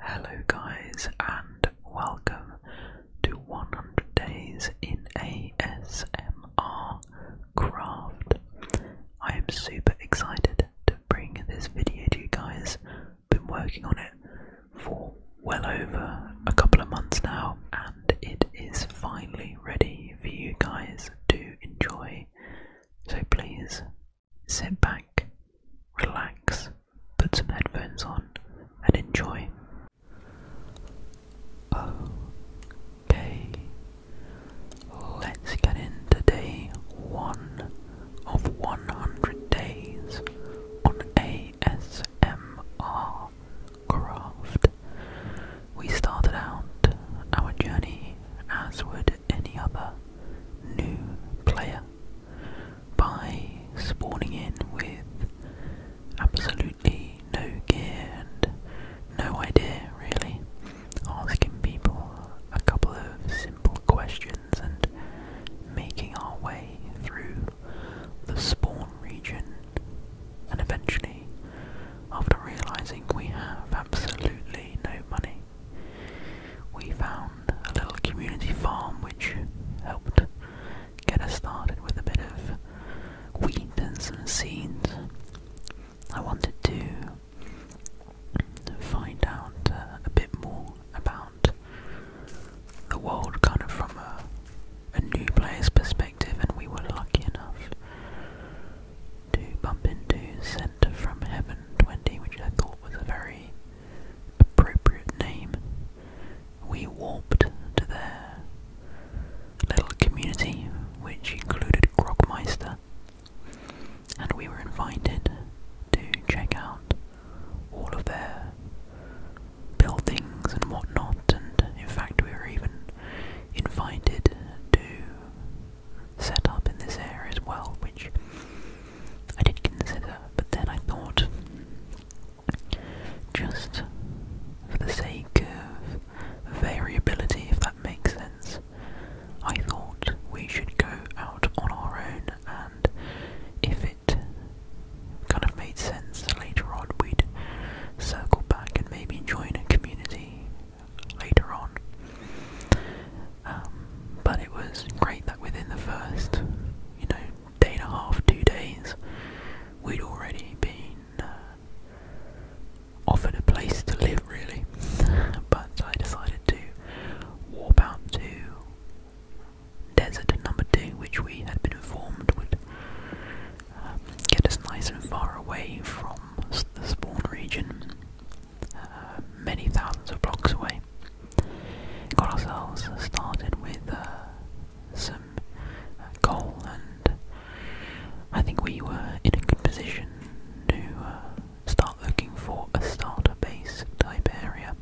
Hello, guys, and welcome to 100 Days in ASMR Craft. I am super excited to bring this video to you guys. Been working on it for well over a couple of months now, and it is finally ready for you guys to enjoy. So, please Sit back, relax, put some headphones on, and enjoy. Okay, let's get into day one of 100 days on ASMR craft. We started out our journey as would any other new player by spawning in with absolutely no gear and no idea really, asking people a couple of simple questions and making our way through the spawn region. And eventually, after realizing we have absolutely no money, we found a little community farm which helped get us started with a bit of wheat and some seeds. I wanted to find out uh, a bit more about the world kind of from a, new player's perspective, and we were lucky enough to bump into Center from Heaven 20, which I thought was a very appropriate name, we warped to their little community, which included Grogmeister, and we were invited to check out all of their buildings and whatnot, and in fact, we were even invited to set up in this area as well, which I did consider, but then I thought, just for the sake of variability, if that makes sense, I thought we should go out on our own, and if it kind of made sense later on, we'd circle back and maybe join a community later on. Um, but it was great that within the first, you know, day and a half, two days, we'd already been uh, offered a place to live, really. but I decided to warp out to desert number two, which we had been informed would um, get us nice and far away from the spawn region, uh, many thousands of blocks away got ourselves started with uh, some coal, uh, and I think we were in a good position to uh, start looking for a starter base type area.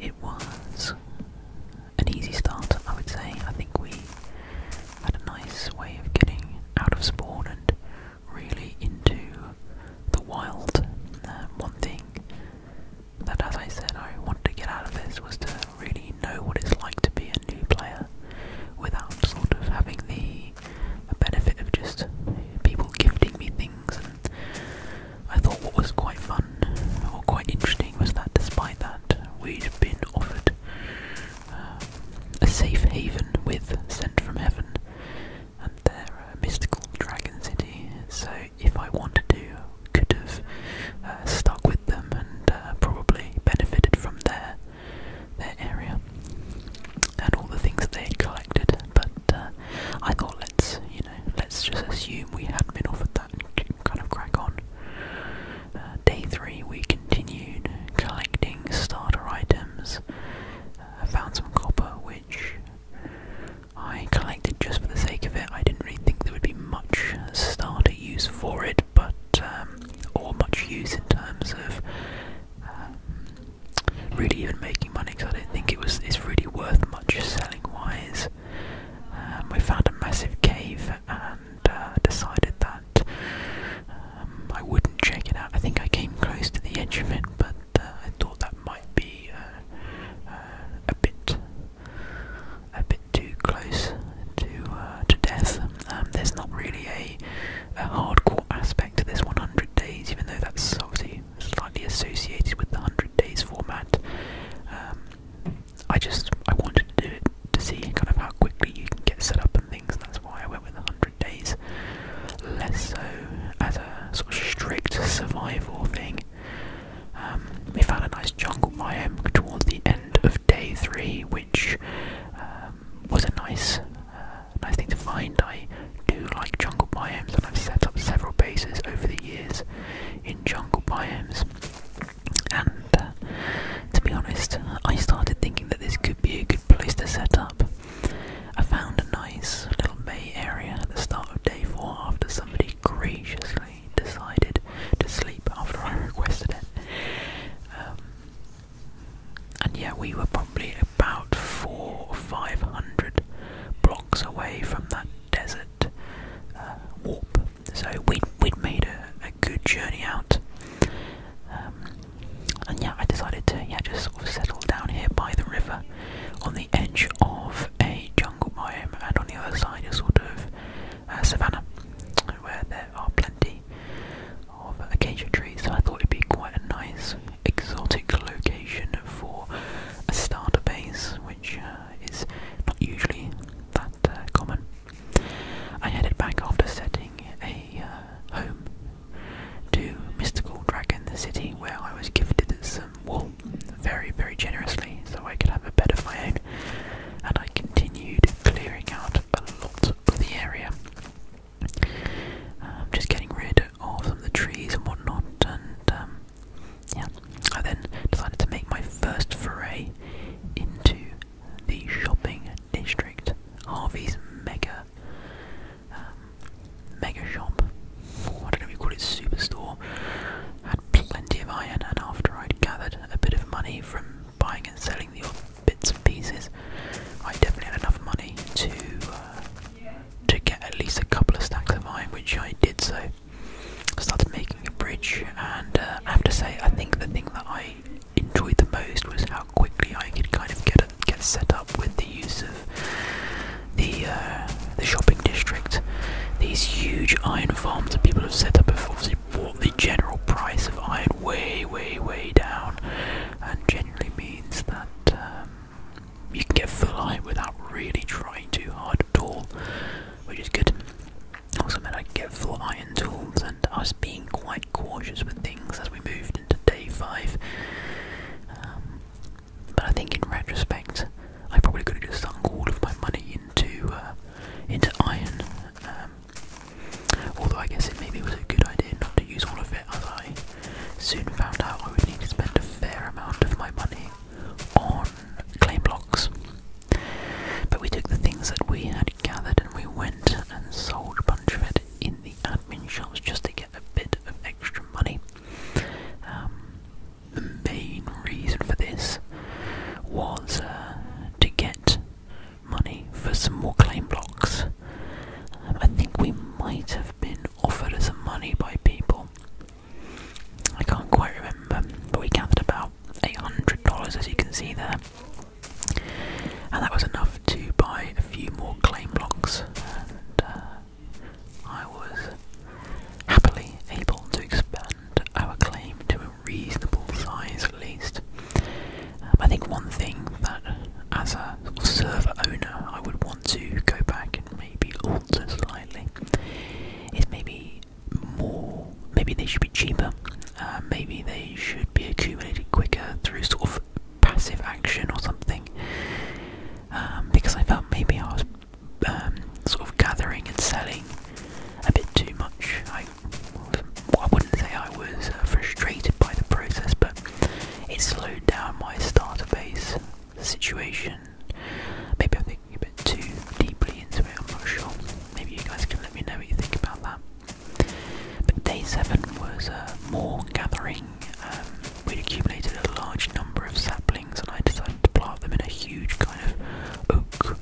It was an easy start, I would say. I think we had a nice way of getting out of spawn and really into the wild. Um, one thing but as I said, I wanted to get out of this was to really know what it's like to be a new player without sort of having the benefit of just people gifting me things. And I thought what was quite fun or quite interesting was that despite that, we'd been offered uh, a safe haven with Sent from Heaven and they're a uh, mystical dragon city. So if I wanted to, could have uh, stuck with them and uh, probably benefited from their their area and all the things that they had collected. But I thought let's you know let's just assume we hadn't been offered that kind of crack on. day three, we continued collecting starter items. I found some copper, which I collected just for the sake of it. I didn't really think there would be much starter use for it, but um, or much use in terms of um, really even making money. Because I don't think it was it's really worth much selling wise. Um, we found a massive cave and uh, decided that um, I wouldn't check it out. I think I came close to the edge of it, but uh, I thought that might be uh, uh, a bit a bit too close to to death. Um, there's not really a, a hardcore aspect to this 100 days, even though that's obviously slightly associated with the 100 days format. Um, I just I wanted to do it to see kind of how quickly you can get set up and things. that's why I went with 100 days, less so as a sort of strict survival thing. Um, we found a nice jungle biome towards the end of day three, which um, was a nice, uh, nice thing to find. I do like jungle biomes, and I've set up several bases over the years in jungle biomes. And uh, to be honest, I started thinking that this could be a good place to set up. I found a nice little bay area at the start of day four after somebody graciously decided to sleep after I requested it. Um, and yeah, we were probably about four or five hundred blocks away from that desert uh, warp, so we'd, we'd made a, good journey out. Um, and yeah, I decided to yeah just sort of settle down here by the river on the edge of a jungle biome, and on the other side a sort of uh, savannah, where there are plenty of acacia trees. So I thought it'd be quite a nice exotic location for a starter base, which uh, is not usually that uh, common. I headed back after setting a uh, home to Mystical Dragon the City, where I was gifted some wool very, very generously so I could have a bed of my own, and I continued clearing out a lot of the area. Um, just getting rid of some of the trees and whatnot, and um, yeah, I then decided to make my first foray into the shopping district, Harvey's Mega. Um, mega shop, I don't know if call it superstore, had plenty of iron and after I'd gathered a bit of money from buying and selling the bits and pieces, I definitely had enough money to uh, to get at least a couple of stacks of iron, which I did so. I started making a bridge and uh, I have to say I think the thing that I enjoyed the most was how quickly I could kind of get get set up with the use the uh, the shopping district. These huge iron farms that people have set up have obviously brought the general price of iron way, way, way down, and generally means that um, you can get full iron without really trying too hard at all, which is good. Also meant I could get full iron tools, and us being quite cautious with things as we moved into day five. Um, but I think in retrospect, I probably could have just sunk all of my money into uh, into iron. Um, although I guess it maybe was a good idea not to use all of it, as I soon found out I would need to spend a fair amount of my money on clay blocks. But we took the things that we had gathered and we went and sold a bunch of it in the admin shops just to get a bit of extra money. Um, the main reason for this was uh, to get money for some more claim blocks. Um, I think we might have been offered some money by people. I can't quite remember, but we gathered about $800 as you can see there. And that was enough to buy a few more claim blocks uh, I was happily able to expand our claim to a reasonable size at least. Um, I think one thing that, as a server owner, I would want to go back and maybe alter slightly is maybe more. Maybe they should be cheaper. Uh, maybe they should be accumulated quicker through sort of passive action or something. Um, because I felt maybe I was um, sort of gathering and selling a bit too much. I, wouldn't say I was uh, frustrated by the process, but it slowed down my starter base situation. Maybe I'm thinking a bit too deeply into it, I'm not sure. Maybe you guys can let me know what you think about that. But day 7 was uh, more gathering. Um, we accumulated a large number of saplings and I decided to plant them in a huge kind of oak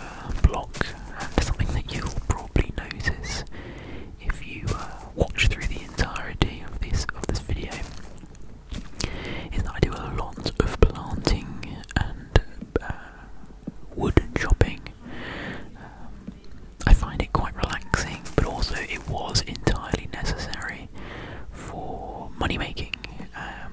uh, block. And something that you'll probably notice if you uh, watch through the entirety of this of this video is that I do a lot of planting and uh, wood chopping. Um, I find it quite relaxing, but also it was entirely necessary for money making. Um,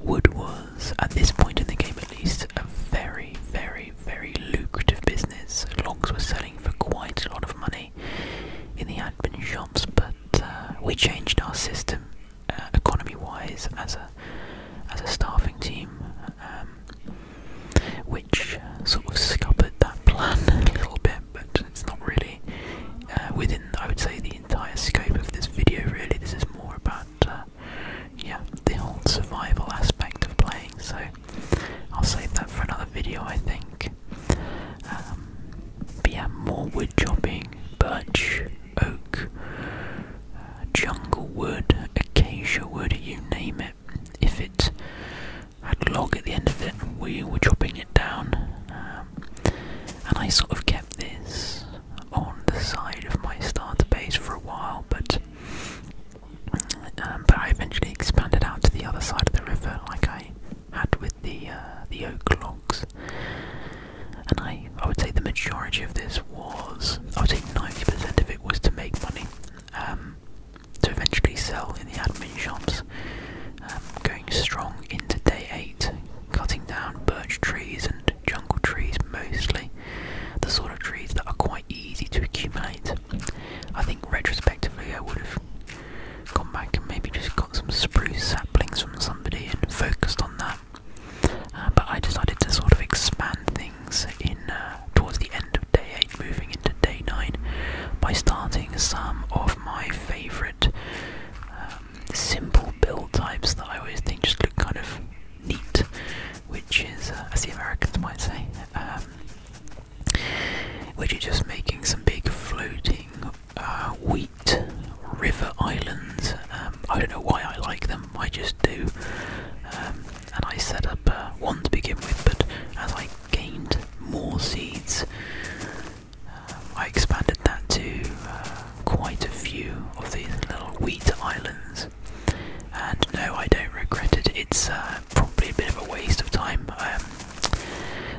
Wood was, at this point in the game at least, a very, very, very lucrative business. Logs were selling for quite a lot of money in the admin shops, but uh, we changed our system uh, economy-wise as a as a staffing team, um, which sort of scuppered that plan a little bit. But it's not really uh, within, I would say, the entire scope of this video, really. This is more about, uh, yeah, the whole survival aspect of playing. So I'll save that for another video, I think. Um, but yeah, more wood chopping, birch, oak, uh, jungle wood, acacia wood, you name it. If it had log at the end of it, we were chopping it down. Um, and I sort of kept this on the side of my starter base for a while, but um, but I eventually expanded out to the other side of the river, like I had with the uh, the oak logs. And I I would say the majority of this was I would say ninety percent of it was to make money. Um, to eventually sell in the admin shops, um, strong into day 8, cutting down birch trees and jungle trees mostly, the sort of trees that are quite easy to accumulate. I think retrospectively I would have gone back and maybe just got some spruce saplings from somebody and focused on that. Uh, but I decided to sort of expand things in uh, towards the end of day 8 moving into day 9 by starting some of my favourite uh, simple build types that I always think just look kind of neat, which is, uh, as the Americans might say, um, which is just making some big floating uh, wheat river islands. Um, I don't know why I like them, I just do. Um, and I set up uh, one to begin with, but as I gained more seeds, um, I expanded that to uh, quite a few of these little wheat islands, and no, I don't regret it. It's uh, probably a bit of a waste of time. Um,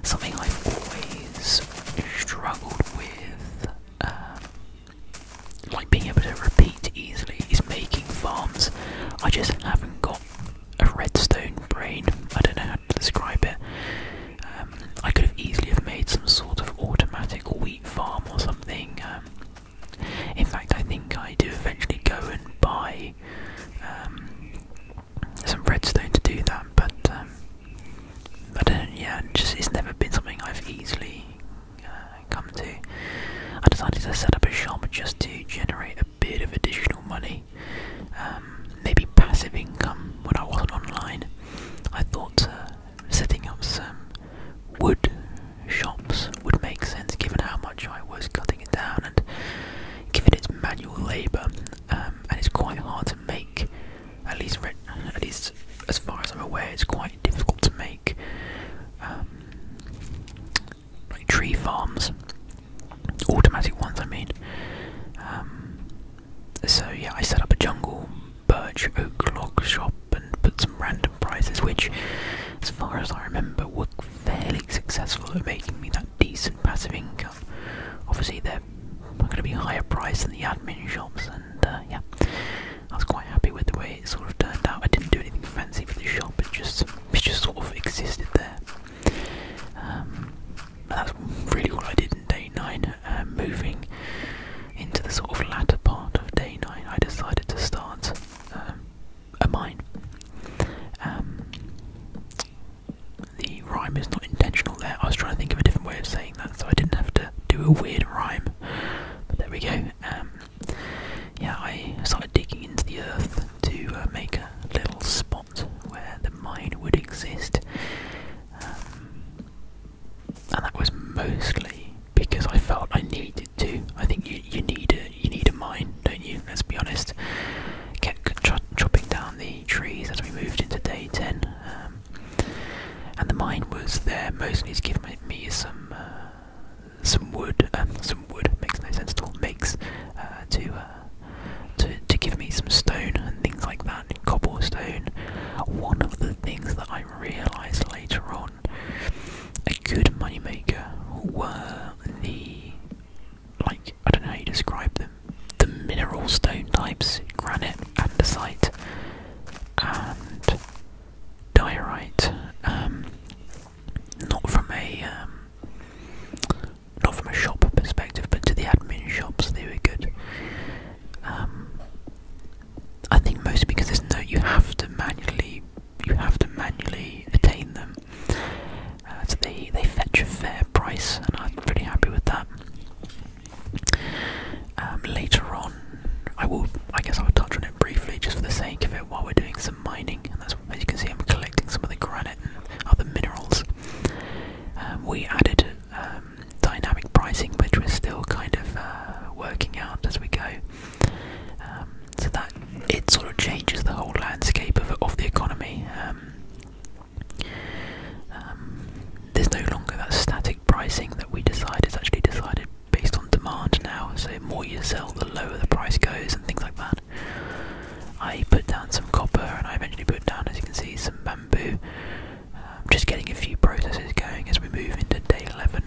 something I've always struggled with, um, like being able to repeat easily, is making farms. I just haven't got a redstone brain. I don't know how to describe it. Um, I could have easily have made some sort of automatic wheat farm or something. Um, in fact, I think I do eventually go and buy um, some redstone to do that, but um, I uh, Yeah, just it's never been something I've easily uh, come to. I decided to set up a shop just to generate a bit of additional money, maybe passive income when I wasn't online. I thought uh, setting up some wood shops would make sense given how much I was cutting it down and given its manual labour um, and it's quite hard to make at least at least as far as I'm aware it's quite difficult to make um, tree farms automatic ones I mean um, so yeah, I set up a jungle birch oak log shop and put some random prizes, which, as far as I remember, were fairly successful at making me that decent passive income. Obviously, they're going to be higher priced than the admin shops, and uh, yeah, I was quite happy with the way it sort of turned out. I didn't do anything fancy for the shop; it just, it just sort of existed there. Um, that's really all I did in day nine. Um, moving into the sort of latter part of day nine, I decided to start um, a mine. Um, the rhyme is not intentional there. I was trying to think of a different way of saying that, so I didn't have to do a weird rhyme. But there we go. yeah, I started digging into the earth to uh, make a little spot where the mine would exist and that was mostly because I felt I needed to. I think you you need a you need a mine, don't you? Let's be honest. Kept chopping down the trees as we moved into day ten, um, and the mine was there mostly to give me, some uh, some wood. Um, some wood makes no sense at all. Makes uh, to uh, to to give me some stone and things like that cobblestone. One of the things that I realised later on, a good money maker were the like I don't know how you describe them, the mineral stone types, granite, andesite, and diorite. Um, not from a um, not from a shop perspective, but to the admin shops, they were good. Um, I think mostly because there's no you have to manually you have to manually attain them. Uh, so they they fetch a fair price, and I'm pretty happy with that. Um, later on, I will I guess I will touch on it briefly just for the sake of it while we're doing some mining, and as you can see I'm collecting some of the granite other minerals. Um, we added dynamic pricing, which we're still kind of uh, working out as we go. Um, so that it sort of changes the whole landscape of, the economy. Um, um, there's no longer that static pricing that we decide is actually decided based on demand now. So more you sell, the lower the price goes, and things like that. I put down some copper, and I eventually put down, as you can see, some bamboo. Um, just getting a few processes going as we move into day 11.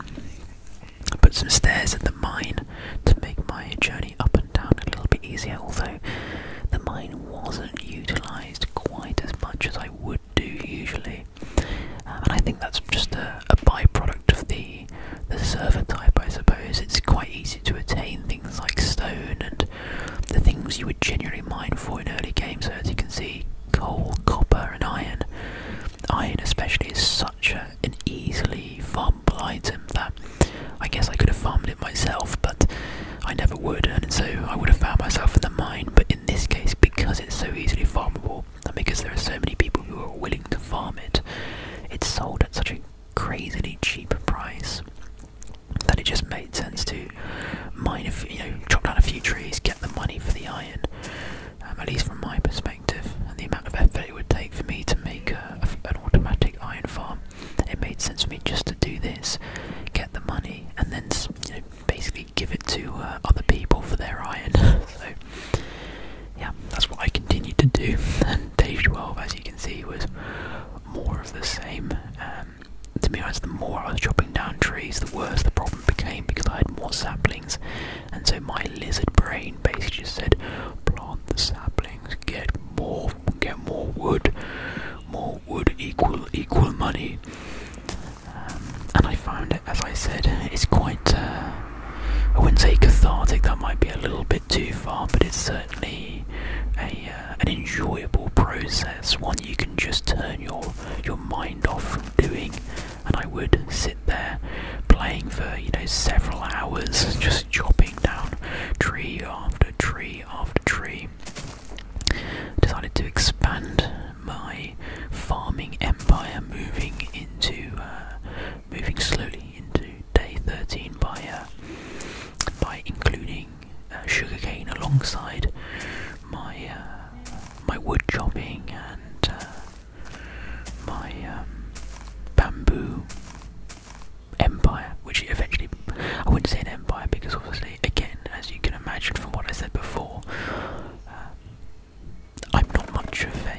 I put some stairs at the mine to make my journey up and down a little bit easier, although the mine wasn't utilised quite as much as I would do usually. Um, and I think that's just a, a byproduct of the, the server type, I suppose. It's quite easy to attain things like stone and the things you would generally mine for in early games. So as you can see, coal, copper, and iron. Iron, especially, is such an easily farmable item that I guess I could have farmed it myself, but I never would, and so I would have found myself in the mine. But in this case, because it's so easily farmable, and because there are so many people who are willing to farm it, it's sold at such a crazily cheap price that it just made sense to mine, if you know, chop down a few trees, get the money for the iron. Um, at least from my perspective, and the amount of effort it would take for me to make an automatic iron farm, it made sense for me just to do this, get the money, and then basically give it to uh, other people for their iron. so, yeah, that's what I continued to do. And day 12, as you can see, was more of the same. Um, um, to be honest, the more I was chopping down trees, the worse the problem became because I had more saplings, and so my lizard brain basically just said, "Plant the saplings, get more, get more wood, more wood equal equal money." Um, and I found it, as I said, it's quite. Uh, I wouldn't say cathartic. That might be a little bit too far, but it's certainly a uh, an enjoyable process you can just turn your your mind off from doing and I would sit there playing for you know several hours just chopping down tree after tree after tree. Decided to expand my farming empire moving into uh, moving slowly into day 13 by uh, by including uh, sugarcane alongside my my wood chopping and uh, my um, bamboo empire, which eventually I wouldn't say an empire because obviously, again, as you can imagine from what I said before, uh, I'm not much of uh,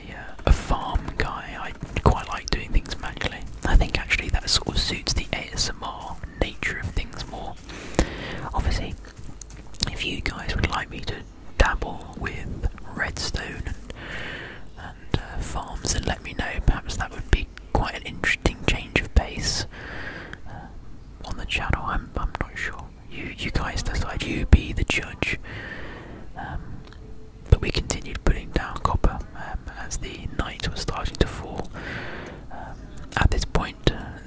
a farm guy. I quite like doing things manually. I think actually that sort of suits the ASMR nature of things more. Obviously, if you guys would like me to dabble with redstone and, uh, farms, and let me know. Perhaps that would be quite an interesting change of pace uh, on the channel. I'm not sure. You guys decide. You be the judge. Um, but we continued putting down copper um, as the night was starting to fall. Um, at this point, uh,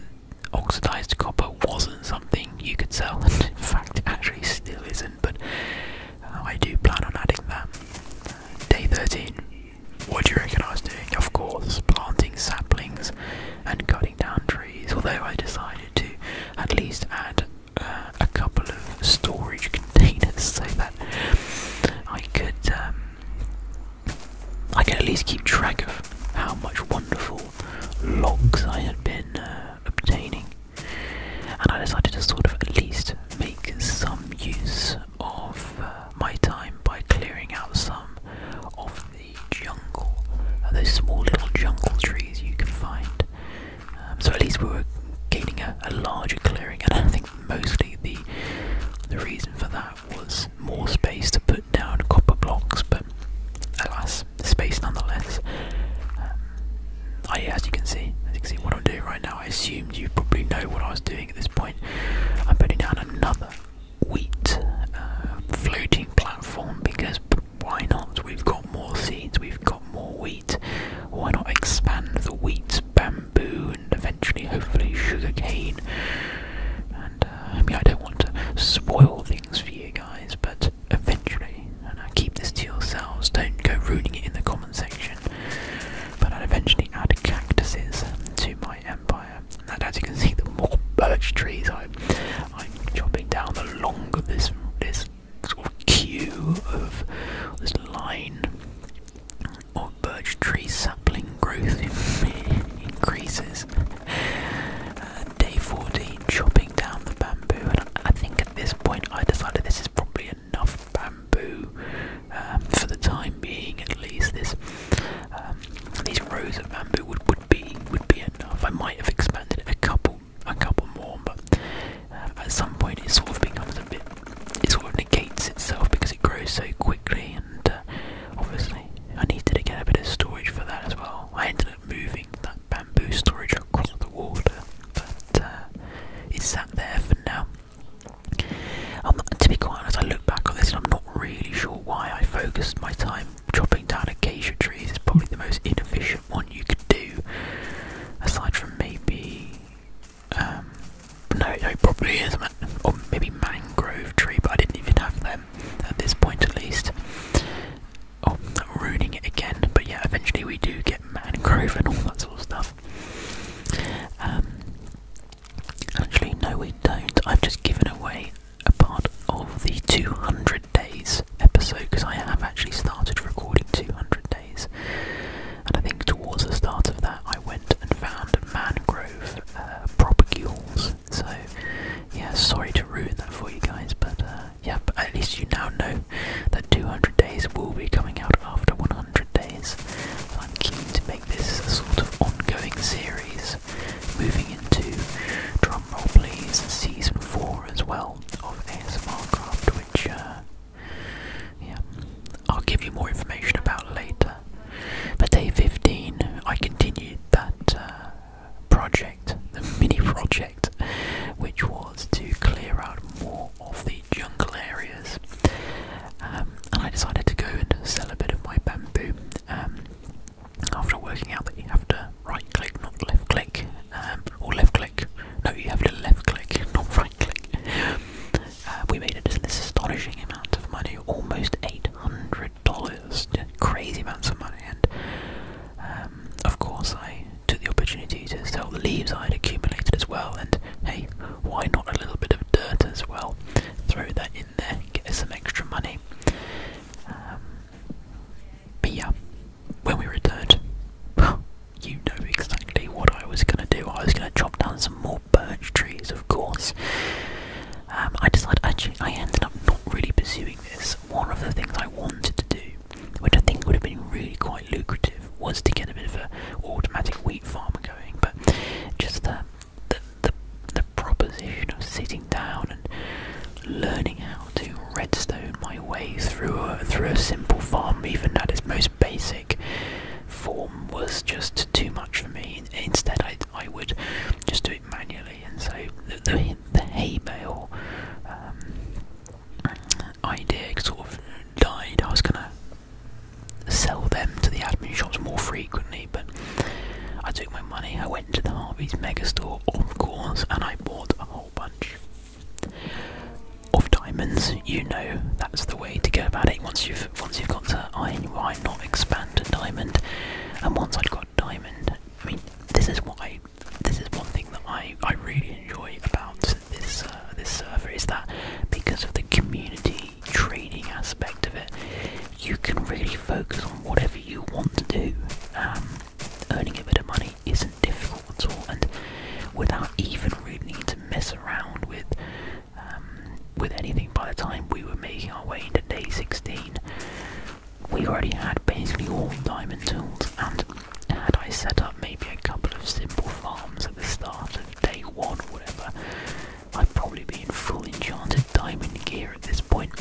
oxidized copper wasn't something you could sell, in fact, it actually still isn't. But uh, I do plan on adding that. Day 13. What do you reckon I was doing? Of course, planting saplings and cutting down trees. Although I decided to at least add uh, a couple of storage containers so that I could um, I could at least keep track of how much wonderful logs I had been uh, obtaining. And I decided to sort of at least make some use of uh, my time by clearing out some of the jungle, uh, those small little jungle trees you can find. Um, so at least we were gaining a, a larger clearing, and I think mostly the the reason for that was more space to put down copper blocks, but alas, space nonetheless. Um, I, as you can see, as you can see what I'm doing right now, I assumed you probably know what I was doing at this point. I'm putting down another wheat uh, floating platform because why not? We've got more seeds, we've got more wheat. Why not expand the wheat, bamboo, and eventually, hopefully, sugarcane? Uh, I mean I don't want to spoil things for you guys, but eventually, and uh, keep this to yourselves, don't go ruining it in the comment section. But i will eventually add cactuses to my empire, and as you can see, the more birch trees I, am chopping down, the longer this this sort of queue of this line or birch tree sapling growth increases day 14, chopping down the bamboo, and I think at this point I decided this is probably enough bamboo um, for the time being, at least. This um, these rows of bamboo would, would be would be enough. I might have expanded a couple a couple more, but um, at some point it sort of becomes a bit it sort of negates itself because it grows so quickly, and uh, obviously I needed to get a bit of storage for that as well. I ended up moving that bamboo storage across the water, but uh, it's sat there for now. Um, to be quite honest, I look back on this and I'm not really sure why I focused my time chopping down acacia trees. It's probably the most inefficient one you could do, aside from maybe. Um, no, no, probably is, or maybe mangrove tree, but I didn't even have them. Um, at this point, at least. Oh, I'm ruining it again, but yeah, eventually we do get mangrove and all that sort of stuff. Um, actually, no, we don't. I've just given away a part of the 200 days episode because I have actually started recording 200 days, and I think towards the start of that, I went and found mangrove uh, propagules so, yeah, sorry to ruin that for you guys, but uh, yeah, but at least you now know that 200 days will be coming out after 100 days. I'm keen to make this a sort of ongoing series, moving into drumroll please season 4 as well of ASMR Craft, which uh, yeah, I'll give you more information about later. But day 15, I continued that. Uh, project, the mini project, which was to clear out more of the jungle areas. Um, and I decided to go and sell a bit of my bamboo. Um, after working out that you have to right click, not left click, um, or left click, no, you have to left click, not right click. Uh, we made it this astonishing amount of money, almost 800 dollars, crazy amounts of money. And um, of course, I took the opportunity to sell the leaves I had accumulated as well. And hey, why not a little bit of dirt as well? Throw that in there, get some extra money. Um, but yeah, when we returned, you know exactly what I was going to do. I was going to chop down some more birch trees, of course. Um, I decided actually I ended up not really pursuing this. One of the things I wanted to do, which I think would have been really quite lucrative, was to get a bit of an automatic wheat farm going. But just the the, proposition of sitting down and learning how to redstone my way through a through a simple farm, even at its most basic form, was just too much for me. Instead, I I would just do it manually, and so the the hay bale um, idea sort of died. I was gonna sell them to the admin shops more frequently, but I took my money. I went to the Harvey's Mega Store, of course, and I bought a whole bunch of diamonds. You know that's the way to go about it. Once you've once you've got to, I why not expand to diamond? And once I'd got diamond, I mean, this is why this is one thing that I, I really enjoy about this uh, this server is that because of the community training aspect of it, you can really focus on whatever you want to do. Um, earning a bit of money isn't difficult at all, and without even really needing to mess around with um, with anything. By the time we were making our way into day 16, we already had basically all diamond tools, and had I set up maybe a couple of simple farms at the start of day one or whatever, I'd probably be in full enchanted diamond gear at this point.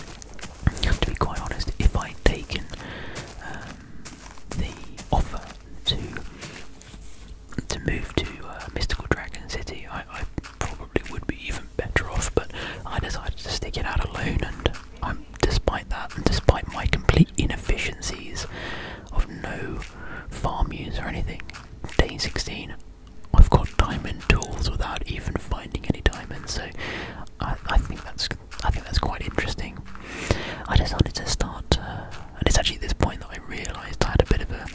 to be quite honest, if I'd taken um, the offer to to move to uh, Mystical Dragon City, I probably would be even better off, but I decided to stick it out alone and despite that, and despite my complete inefficiencies of no farm use or anything, day 16, I've got diamond tools without even finding any diamonds. So I, think that's I think that's quite interesting. I decided to start, uh, and it's actually at this point that I realised I had a bit of a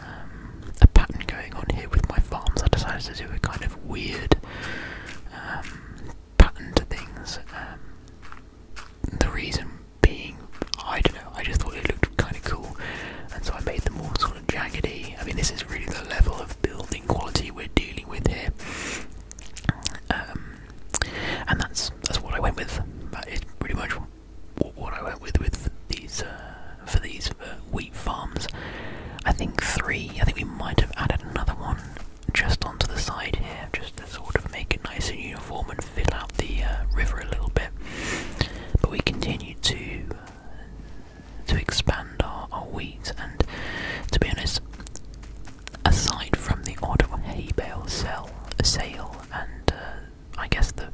um, a pattern going on here with my farms. I decided to do a kind of weird pattern to things. Um, the reason being, I don't know, I just thought it looked kind of cool, and so I made them all sort of jaggedy. I mean, this is really the level of building quality we're dealing with here, um, and that's that's what I went with. That is pretty much what I went with with these uh, for these weeks. Uh, farms. I think three. I think we might have added another one just onto the side here, just to sort of make it nice and uniform and fill out the uh, river a little bit. But we continue to to expand our, wheat, and to be honest, aside from the odd hay bale sell sale and uh, I guess the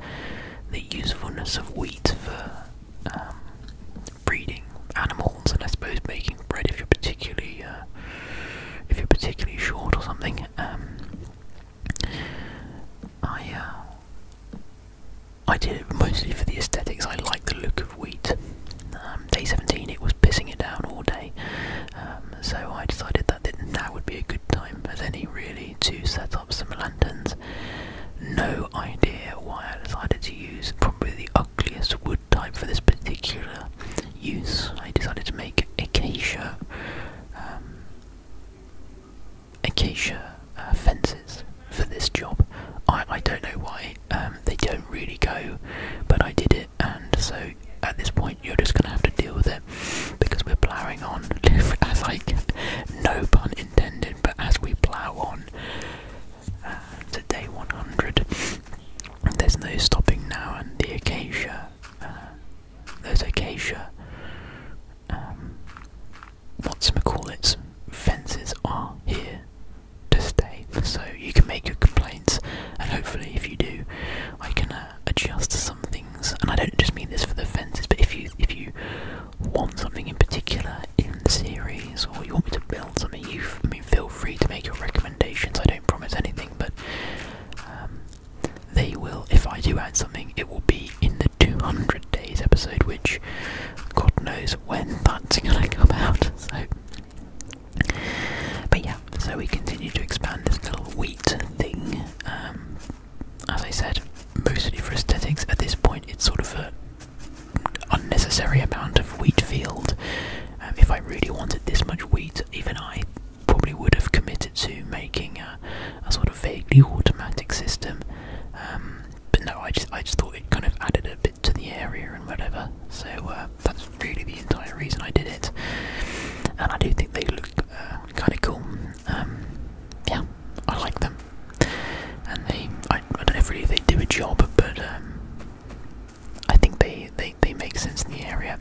the usefulness of wheat for um, breeding animals, and I suppose making bread if you're particularly uh, if you're particularly short or something. Um, I uh, I did it mostly for the aesthetics. I like the look of wheat. Um, day 17, it was pissing it down all day, um, so I decided that that would be a good time as any really to set up some lanterns. No idea why I decided to use probably the ugliest wood Time for this particular use. I decided to make acacia, um, acacia uh, fences for this job. I, I don't know why, um, they don't really go, but I did it, and so at this point you're just going to have to deal with it because we're ploughing on, as like, no pun intended, but as we plough on, uh, to day 100. There's no stopping now, and the acacia, uh, there's acacia, um, what's call its fences are here to stay. So you can make your complaints, and hopefully, if you do, I can uh, adjust some things. And I don't just mean this for the fences, but if you if you want something in particular in the series, or you want me to build something, you have feel free to make your recommendations. I don't promise anything, but um, they will. If I do add something, it will be in the 200 days episode, which God knows when that's gonna come out. So, but yeah, so we continue to expand this little wheat thing. Um, as I said, mostly for aesthetics. At this point, it's sort of a unnecessary amount of wheat field. Um, if I really wanted this much wheat, even I probably would have committed to making a, sort of vaguely automatic system. Um, but no, I just I just thought it kind of added a bit to the area and whatever. So uh, that's really the entire reason I did it. And I do think they look uh, kind of cool. Um, yeah, I like them. And they, I, don't know if really they do a job, but I think they, they, they make sense in the area.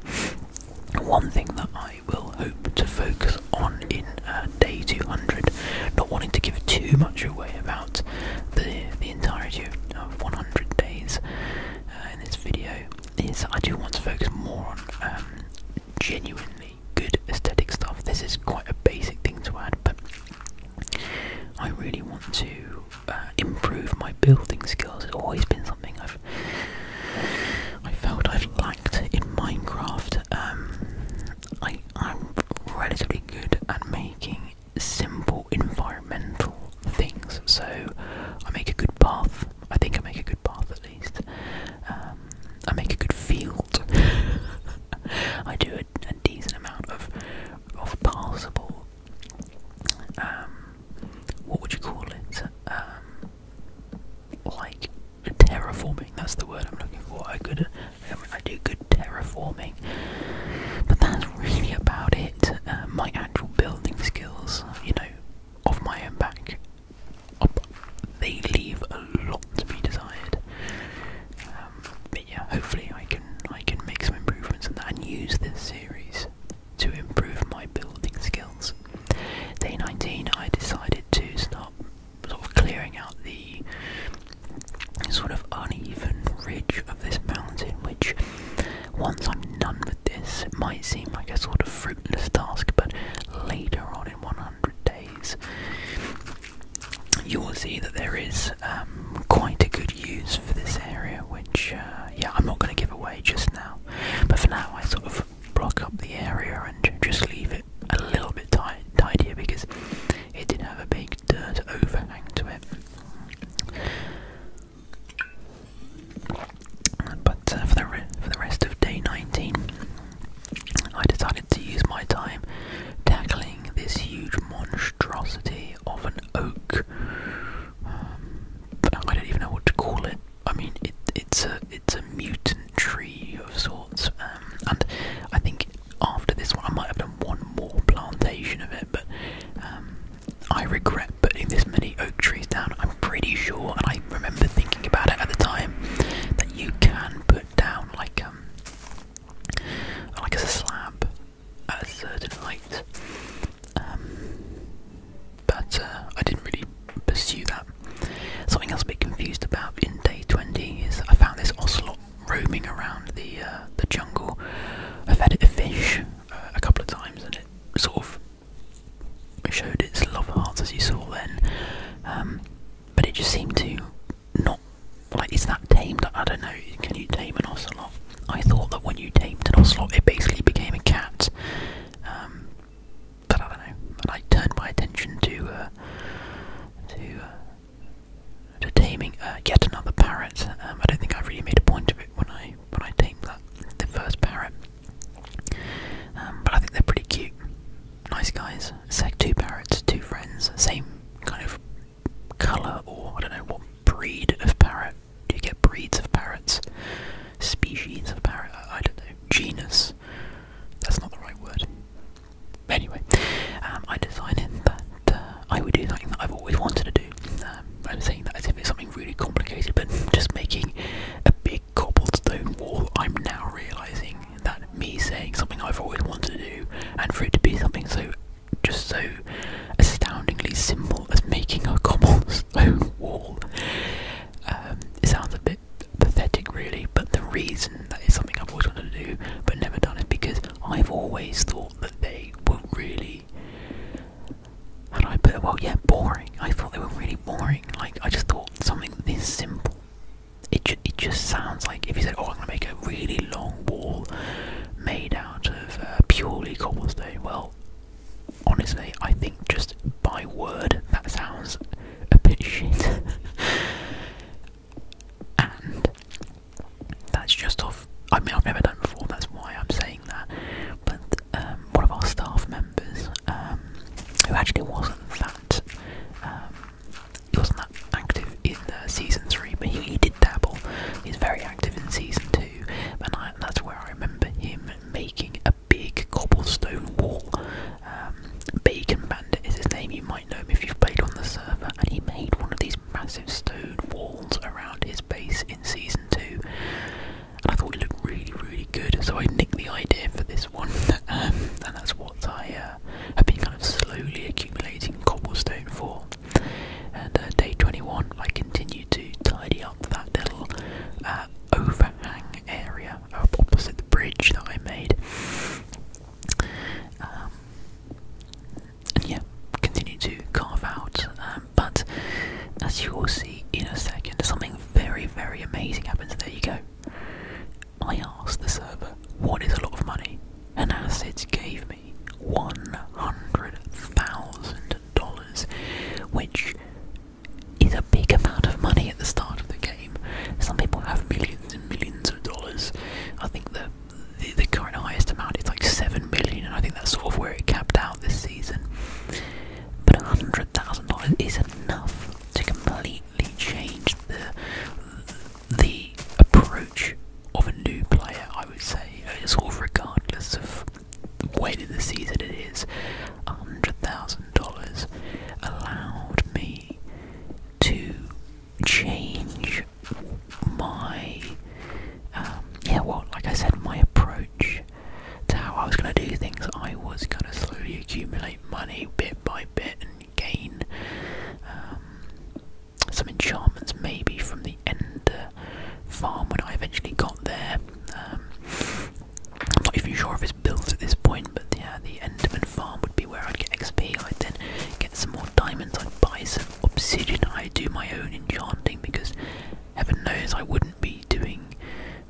One thing that I will hope to focus on in uh, day 200, not wanting to give too much away about the, the entirety of 100 days uh, in this video, is I do want to focus more on um, genuinely good aesthetic stuff. This is quite a basic thing to add, but I really want to uh, improve my building skills It's always been something I've I felt I've lacked in Minecraft. Um, I am relatively good at making simple environmental things, so I make a good path. I think I make a good path at least. Um, I make a good field. I do a, a decent amount of of passable um, what would you call it? Um, like terraforming. That's the word I'm looking for. I could, um, I, do good terraforming, but that's really about it. Uh, my actual building skills, you know, of my own back, they leave a lot to be desired but yeah, hopefully I can I can make some improvements on that and use this series to improve my building skills. Day 19, I decided to stop sort of clearing out the sort of uneven ridge of this mountain, which once I'm done with this, it might seem like a sort of fruitless task, but later on in 100 days, you will see that there is um, quite a good use for this area, which, uh, yeah, I'm not going to give away just now. But for now, I sort of block up the area and just leave it a little bit tight, tidier because it did not have a big dirt overhang to it. But uh, for, the for the rest of day 19, I decided to use my time tackling this huge monstrosity of an oak. Um, I don't even know what to call it. I mean, it's a it's a mutant tree of sorts, um, and I think after this one I might have done one more plantation of it, but um, I regret putting this many oak trees down. I'm pretty sure, and I remember thinking about it at the time, that you can put down like um, like as a slab at a certain height. Um, but uh, I didn't really pursue that. Something else a bit confused about in day 20 is I found this ocelot roaming around the uh, the jungle. I fed it a fish uh, a couple of times and it sort of showed its love hearts as you saw then. Um, but it just seemed to not like is that tamed. I don't know. Can you tame an ocelot? I thought that when you tamed an ocelot, it basically became a cat. Um, but I don't know. And I turned my attention to uh, to uh, to taming uh, yet another parrot. Um, I don't think I really made a point of it when I when I tamed that the first parrot. Um, but I think they're pretty cute, nice guys. It's two parrots, two friends, same kind of colour or I don't know what breed of parrot do you get breeds of parrots? Species of parrot? Uh, I, don't know. Genus? That's not the right word. Anyway, um, I decided that uh, I would do something that I've always wanted to do. Um, I'm saying that as if it's something really complicated, but just making a big cobblestone wall, I'm now realising that me saying something I've always wanted to do, and for it to be something so just so astoundingly simple as making a cobblestone wall. Um, it sounds a bit pathetic, really, but the reason that is something I've always wanted to do but never done is because I've always thought that they were really. How do I put it? Well, yeah, boring. I thought they were really boring. Like, I just thought something this simple. It, it just sounds like if you said, oh, I'm going to make a really long wall made out." out of uh, purely cobblestone? Well, honestly, I think just by word that sounds a bit shit. and that's just off. I mean, I've never done before, that's why I'm saying that. But um, one of our staff members, um, who actually wasn't that, um, he wasn't that active in season three, but he did dabble. He's very active in season two, and that's where I remember him making a big cobblestone wall. Um, Bacon Bandit is his name, you might know him if you've played on the server, and he made one of these massive stone walls around his base in Season 2. And I thought it looked really, really good, so I nicked the idea for this one, um, and that's what I uh, have been kind of slowly accumulating cobblestone for. And uh, day 21, I continued to tidy up that little uh, overhang area opposite the bridge that I made. Um, and yeah, continue to carve out. Um, but as you will see in a second, something very, very amazing happens. There you go. I asked the server, What is a lot of money? And Acids gave me. $100,000, which is a big amount of money at the start of the game. Some people have millions and millions of dollars. I think the, the, current highest amount is like 7 million, and I think that's sort of where it capped out this season. But $100,000 is enough to completely change the the approach of a new player, I would say, uh, sort of regardless of weight of the season it is, $100,000 allowed me to change my, um, yeah, well, like I said, my approach to how I was going to do things. I was going to slowly accumulate money bit by bit and gain um, some enchantments maybe from the end farm when I eventually got there. Um, I'm not even sure if it's built at this point, but yeah, the Enderman farm would be where I'd get XP. I'd then get some more diamonds, I'd buy some obsidian, I'd do my own enchanting because heaven knows I wouldn't be doing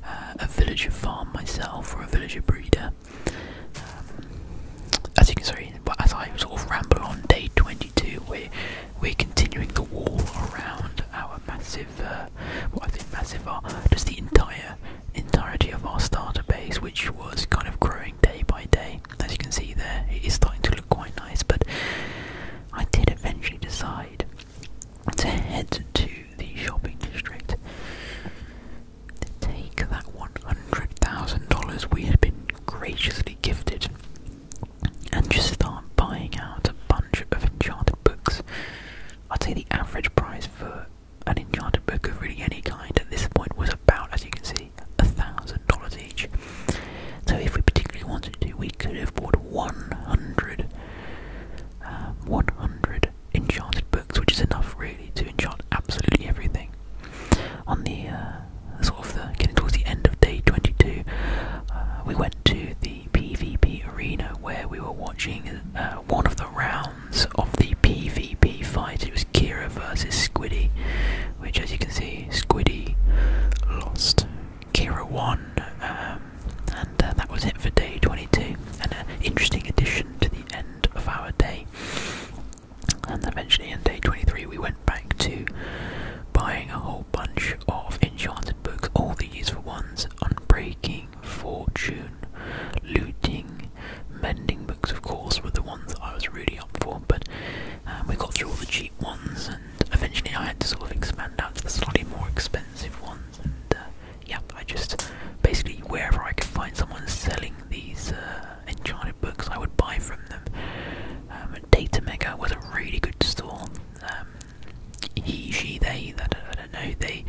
uh, a villager farm myself or a villager breeder. Um, as you can see, as I sort of ramble on day 22, we we're continuing the wall around our massive, uh, what I think massive are just the entire entirety of our starter base, which was kind of growing day by day. As you can see there, it is starting to look quite nice. But I did eventually decide to head to the shopping district to take that one hundred thousand dollars we had been graciously gifted and just start buying out a bunch of enchanted books. I'd say the average price for an enchanted book of really any kind at this point was about, as you can see, a thousand dollars each. So if we particularly wanted to, we could have bought 100, uh, 100 enchanted books, which is enough really to enchant absolutely everything. On the uh, getting towards the end of day 22, uh, we went to the PvP arena where we were watching uh, one of the rounds of the PvP fight. It was Kira versus Squiddy, which, as you can see, Squiddy lost. Kira won, um, and uh, that was it for day 22. And an interesting addition to the end of our day. And eventually, in day 23, we went back to buying a whole bunch of enchanted books, all the useful ones, on breaking fortune, looting, mending books of course were the ones I was really up for, but um, we got through all the cheap ones and eventually I had to sort of expand out to the slightly more expensive ones and uh, yeah, I just basically wherever I could find someone selling these uh, enchanted books I would buy from them. Um, Data maker was a really good store. Um, he, she, they, I I don't know, they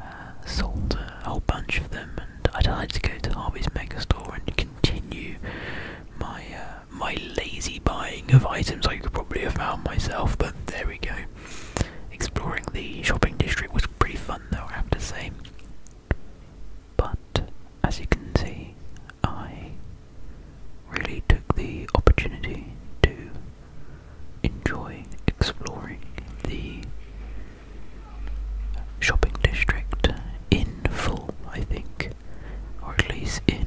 uh, sold a whole bunch of them and I decided to go to Harvey's Mega Store and continue my uh, my lazy buying of items I could probably have found myself, but there we go. Exploring the shopping district was pretty fun though, I have to say. But, as you can see, I really took the opportunity to enjoy exploring the shopping district in full, I think, or at least in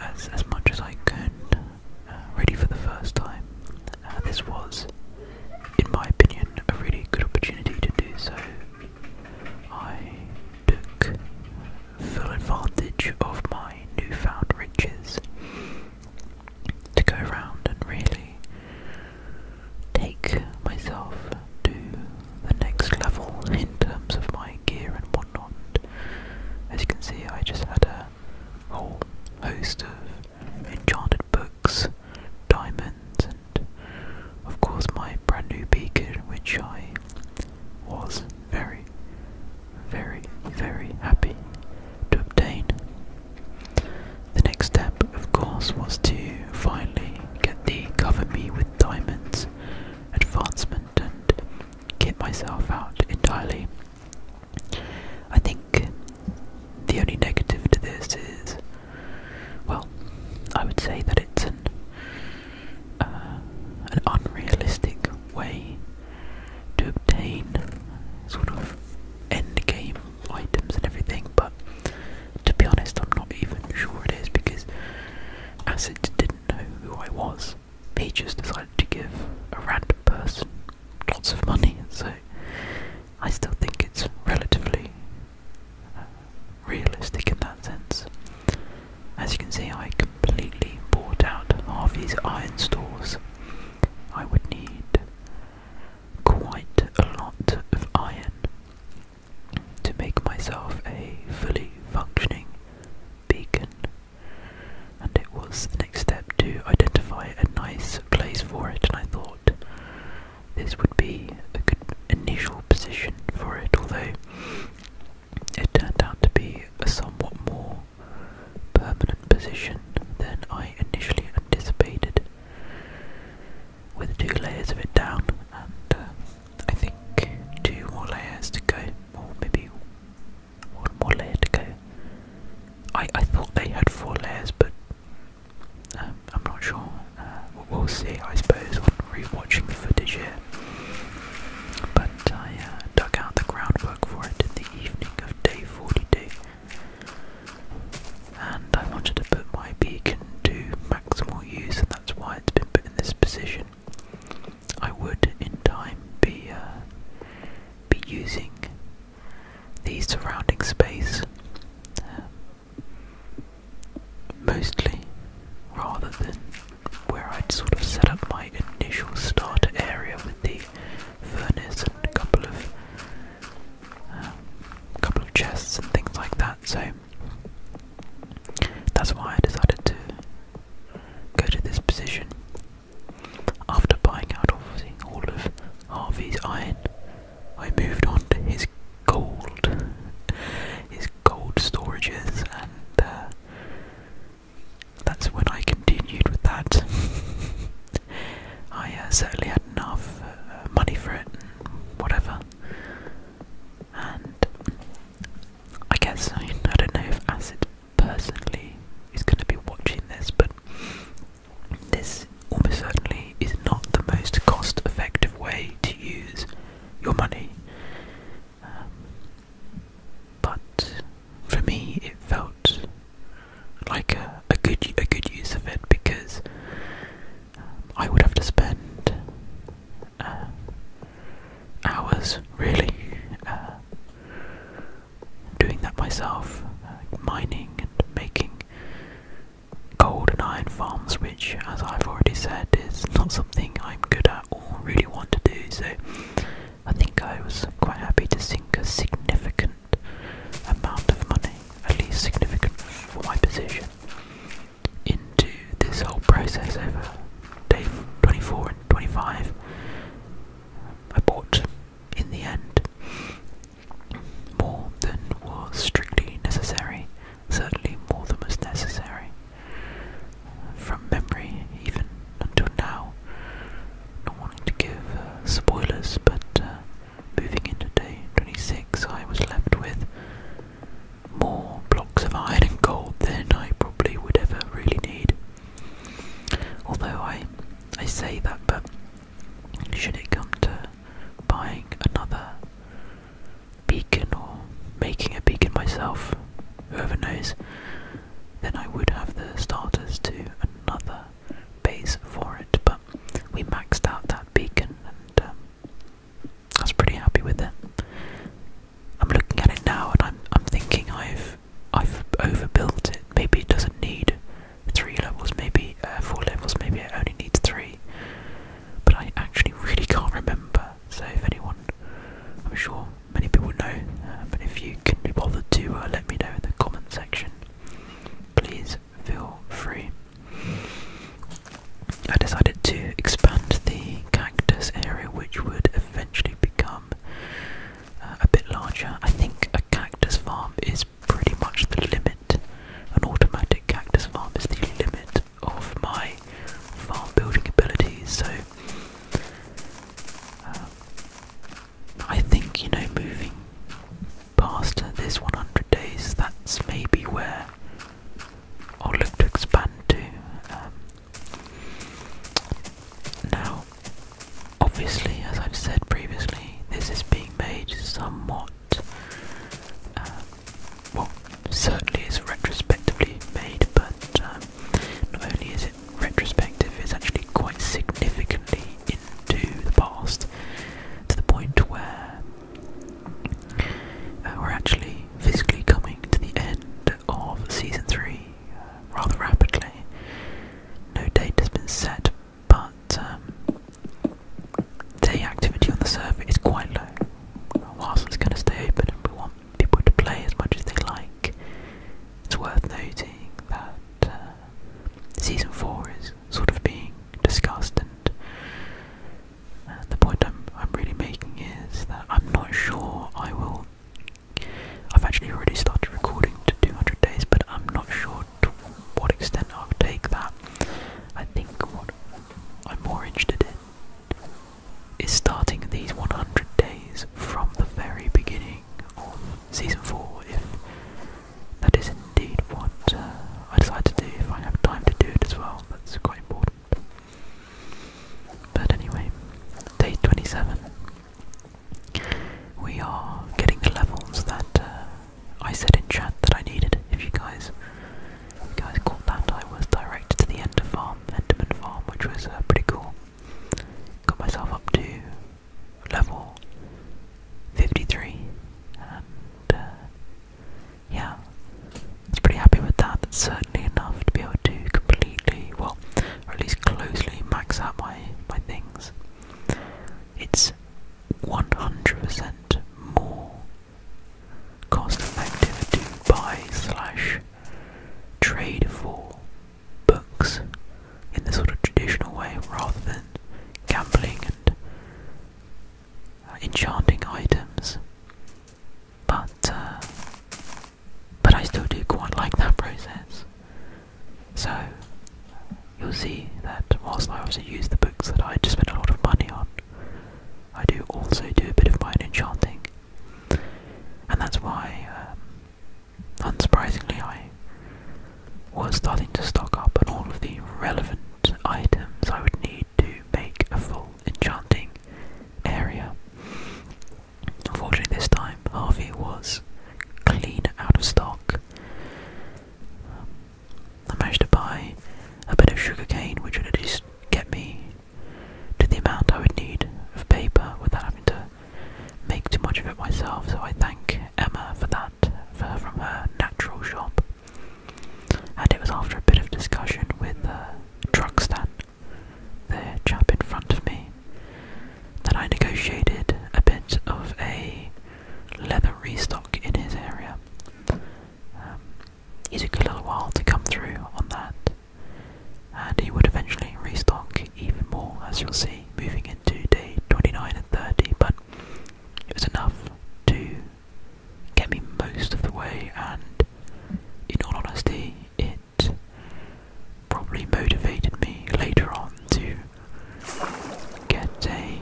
as, as much as I can. Uh, ready for the first time. Uh, this was, in my opinion, a really good opportunity to do so. I took full advantage of my newfound riches to go around and really take myself to the next level in terms of my gear and whatnot. As you can see, I just had a whole host of enchanted books, diamonds, and of course my brand new beacon, which I was very, very, very happy to obtain. The next step, of course, was to finally get the Cover Me with Diamonds advancement and get myself out entirely. I think the only negative to this is, well, I would say that it's an uh, an unrealistic way to obtain sort of end game items and everything, but to be honest, I'm not even sure it is because Acid didn't know who I was. He just decided to give a random person lots of money, so I still think it's relatively uh, realistic in that sense. As you can see, I completely bought out Harvey's iron stores. I would need quite a lot of iron to make myself a fully functioning beacon, and it was the next step to identify a nice place for it. And I thought this would be a good initial position for it, although it turned out to be a somewhat more permanent position than I initially anticipated, with two layers of it down, and uh, I think two more layers to go, or maybe one more layer to go. I, I thought they had four layers, but um, I'm not sure. Uh, we'll see, I suppose, on rewatching the footage here. But Satya uh, dug out the groundwork for it in the evening of day 42, and I wanted to put my beacon to maximal use, and that's why it's been put in this position. I would, in time, be uh, be using the surrounding space uh, mostly, rather than where I'd sort of set up my initial start area with the furnace and a couple of um, couple of chests and things like that. So that's why I decided to go to this position after buying out all of Harvey's iron. I moved on to his gold, his gold storages and. Uh, that's when I continued with that. I uh, certainly had enough uh, money for it, whatever. And I guess I don't know if Acid personally is going to be watching this, but this almost certainly is not the most cost effective way to use your money. Um, but for me, it felt like a, a good a good use of it because um, I would have to spend uh, hours really uh, doing that myself, uh, mining and making gold and iron farms, which, as I've already said, is not something I'm good at really want to do. So I think I was quite happy to sink a significant amount of money, at least significant for my position, into this whole process over day 24 and 25. I bought, in the end, more than was strictly necessary, certainly more than was necessary. From memory, even until now, not wanting to give uh, spoilers, but uh, moving into day 26, I was left with more blocks of iron and gold than I probably would ever really need. Although I, I say that, but should it come to buying another beacon or making a beacon myself, whoever knows, then I would have the starters to another base for it. But we maxed out that beacon and um, I was pretty happy with it. I'm looking at it now and I'm I'm thinking I've I've overbuilt it. Maybe it doesn't need three levels, maybe uh, four levels, maybe it only needs three. But I actually really can't remember so if anyone, I'm sure many people know, uh, but if you can be bothered to uh, let me know in the comment section, please feel free. I decided to expand the cactus area, which would eventually become uh, a bit larger. I think a cactus farm is pretty much the limit. An automatic cactus farm is the limit of my farm building abilities, so um, I think, you know, moving past this 100 days, that's maybe where I'll look to expand to. Um, now, obviously, as I've said previously, this is being made somewhat. Uh, well, certainly is retrospectively made, but um, not only is it retrospective, it's actually quite significantly into the past to the point where uh, we're actually physically coming to the end of season three uh, rather rapidly. No date has been set, but um, day activity on the server is quite low. Whilst it's going to stay open and we people to play as much as they like. It's worth noting that uh, season four is sort of being discussed, and uh, the point I'm I'm really making is that I'm not sure I will. I've actually already started recording to 200 days, but I'm not sure to what extent I'll take that. I think what I'm more interested in is starting these 100 days from the very beginning of season 4 if that is indeed what uh, I decide to do if I have time to do it as well that's quite important but anyway day 27 we are getting the levels that uh, I said in chat that I needed if you guys if you guys caught that I was directed to the Ender Farm Enderman Farm which was uh, pretty cool got myself up to level 53 and uh, yeah, I was pretty happy with that. That's certainly enough to be able to completely, well, or at least closely max out my, my things. It's 100% more cost effective to buy slash trade for books in the sort of traditional way rather than gambling and uh, enchanting items. But uh, but I still do quite like that process. So you'll see that whilst I also use the books that I just spend a lot of money on, I do also do a bit of my own enchanting and that's why, um, unsurprisingly, I was starting to stock up on all of the relevant items I would need to make a full enchanting area. Unfortunately, this time Harvey was clean out of stock. I managed to buy a bit of sugarcane, which would at least get me to the amount I would need of paper without having to make too much of it myself, so I thank Emma for that from her natural shop. And it was after a bit of discussion with the uh, truck stand, the chap in front of me, that I negotiated a bit of a leather restock in his area. Um, he took a little while to come through on that, and he would eventually restock even more, as you'll see, moving into day 29 and 30. But it was enough to get me most of the way, and in all honesty, it probably motivated me later on to get a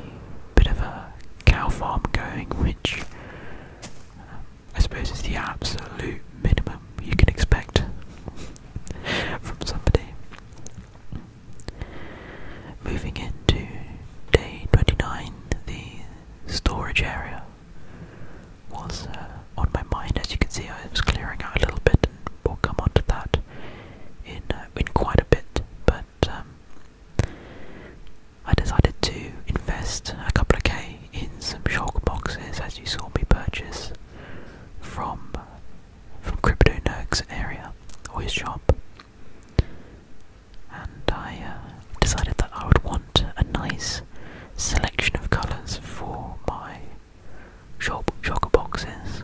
bit of a cow farm going, which um, I suppose is the absolute minimum you can expect from somebody. Moving into day 29, the storage area was uh, on my mind. As you can see, I was clearing out a little bit, and we'll come on to that in, uh, in quite a bit. But um, I decided to invest a couple of K in some shock boxes, as you saw me purchase from from Crypto Nerg's area or his shop, and I uh, decided that I would want a nice selection of colours for my shop shocker boxes.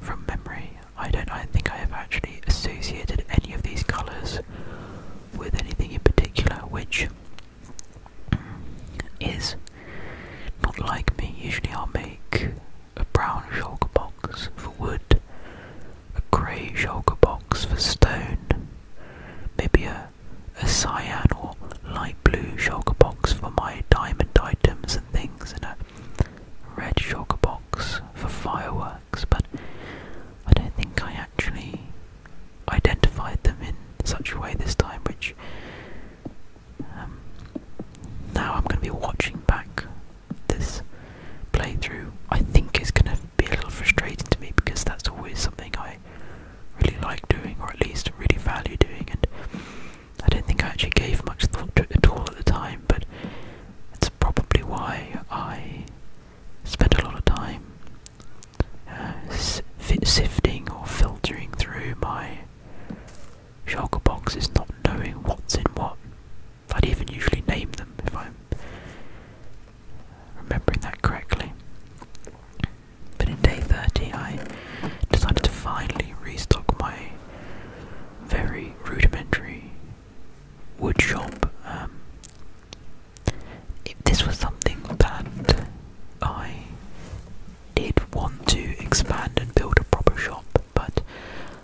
From memory, I don't I think I have actually associated any of these colours with anything in particular, which is not like me. Usually I'll make a brown shulker box for wood, a grey shulker box for stone, maybe a, a cyan or light blue shulker box for my diamond items and things, and a red shulker box for fireworks, but I don't think I actually identified them in such a way this time, which um, now I'm going to be watching back this playthrough. I think is going to be a little frustrating to me because that's always something I really like doing, or at least really value doing, and I don't think I actually gave much thought to it at all at the time, but it's probably why I spent a lot of time uh, sifting or filtering through my shulker boxes, not knowing what's in what. I'd even usually name them if I'm remembering that correctly. But in day 30, I decided to finally restock my very rudimentary woodshop. Um, if this was something that I did want to expand and build a proper shop, but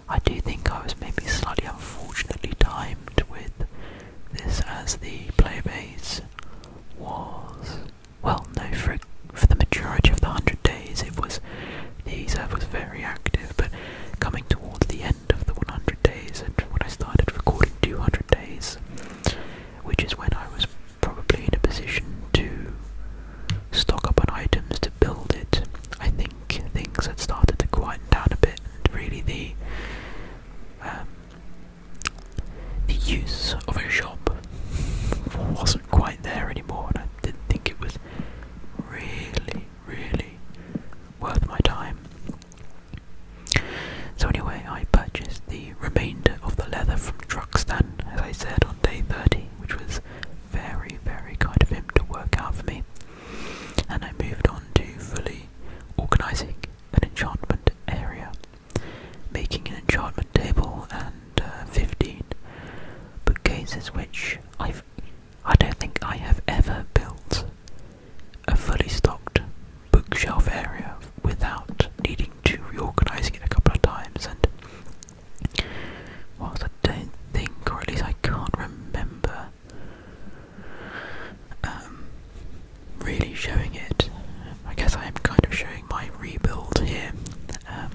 I do think I was maybe slightly unfortunately timed with this as the playbase was. Well, no, for, for the majority of the 100 days it was. The server was very active, but coming towards the end of the 100 days and when I started recording 200 days, which is when I was probably in a position to stock up on items to build it. I think things had started to quiet down a bit, and really the um, the use of a shop wasn't quite there anymore, and I didn't think it was really, really worth my time. So anyway, I purchased the remainder of the leather from Truxtan, as I said, on day 30, which was very, very kind of him to work out for me. And I moved on to fully organising an enchantment area, making an enchantment table and uh, 15 bookcases, which I've I don't think I have ever built a fully stocked bookshelf area without needing to reorganising it a couple of times. And whilst I don't think, or at least I can't remember, um, really showing it, I guess I am kind of showing my rebuild here. Um,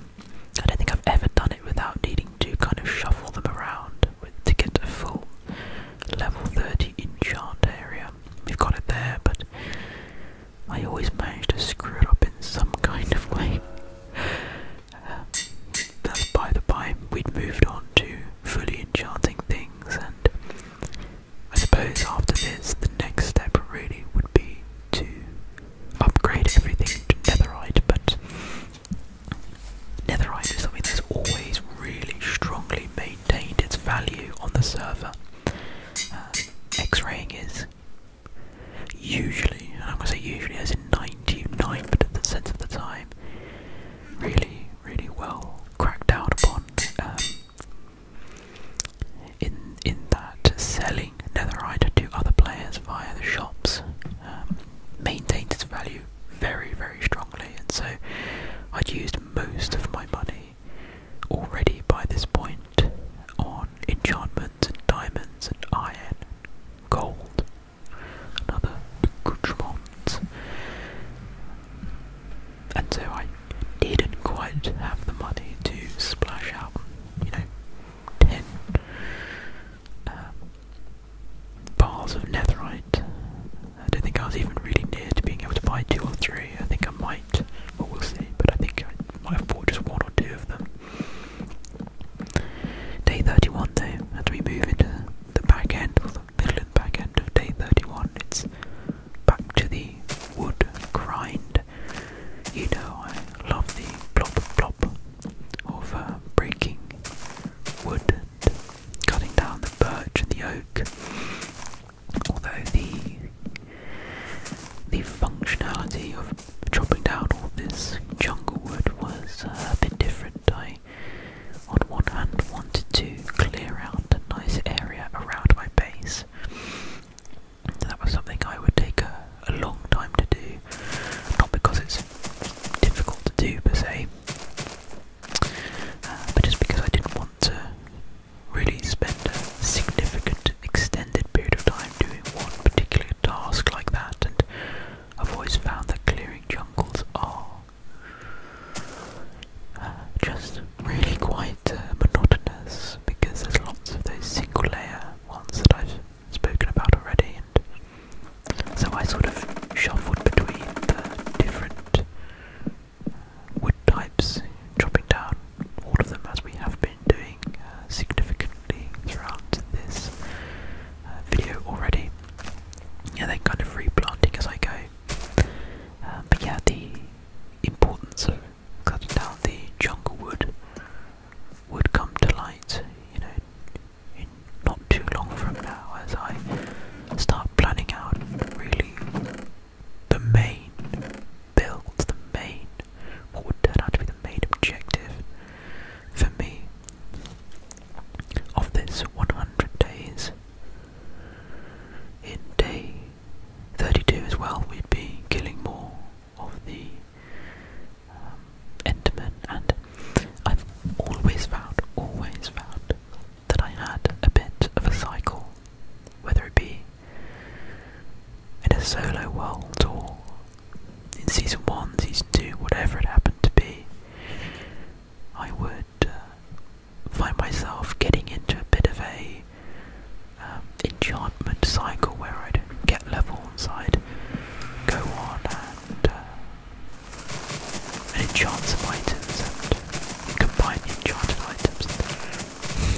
I don't think I've ever done it without needing to kind of shuffle them around with, to get a full level 30 enchant area. We've got it there, but I always manage to screw it up in some kind of way. that's by the by, we'd moved on to fully enchanting things, and I suppose after this, the next step really would be to upgrade everything to netherite, but netherite is something that's always really strongly maintained its value on the server. Uh, X-raying is usually, I'm going to say usually as in 99% of the time, really, really well cracked down upon um, in, in that selling netherite to other players via the shops um, maintained its value very, very strongly, and so I'd used most of my money already by this point on enchantments and diamonds and iron, and gold, and other accoutrements. And so I didn't quite have the money to splash out, you know, ten um, bars of netherite. I don't think I was even really near to being able to buy two or three. I think I might, but we'll see. But I think I have bought just one or two of them. Day 31 though, as we move into the back end, the middle and back end of day 31, it's back to the wood grind. You know I love the blop blop of uh, breaking wood and cutting down the birch and the oak. Although the the functionality of chopping down all this jungle wood was uh, I, on one hand, wanted to clear out a nice area around my base. That was something I would take a, long time to do, not because it's difficult to do per se, uh, but just because I didn't want to really spend a significant extended period of time doing one particular task like that, and I've always found that clearing jungles are uh, just really quite uh, monotonous because there's lots of those single layer ones that I've spoken about already, and so I sort of shuffled between the different uh, wood types, chopping down all of them as we have been been doing uh, significantly throughout this uh, video already, Yeah, they're kind of replanting as I go. Um, but yeah, the importance of cutting down the jungle wood would come to light, you know, not too long from now as I start planning out really the main build, the main, what would turn out to be the main objective for me of this 100 days. In day 32 as well, we'd be killing more of the um, and I've always found, always found that I had a bit of a cycle, whether it be in a solo world tour, in season 1, season 2, whatever it happened to be, I would uh, find myself getting into a bit of a um, enchantment cycle where I'd get level I'd go on and, and uh, enchant some items and combine the enchanted items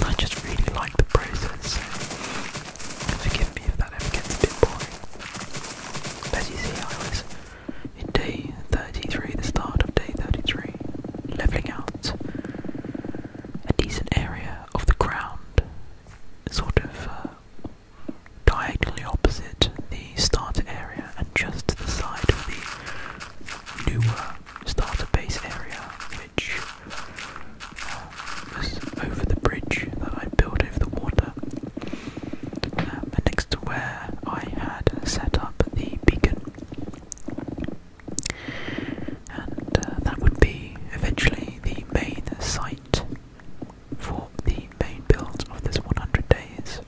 I just really like the process. Forgive me if that ever gets a bit boring. As you see, I was in day 33, the start of day 33, levelling out a decent area of the ground, sort of uh, diagonally opposite the starter area and just to the side of the newer starter base area um, was over the bridge that I built over the water. Um, and next to where I had set up the beacon. And uh, that would be eventually the main site for the main build of this 100 days.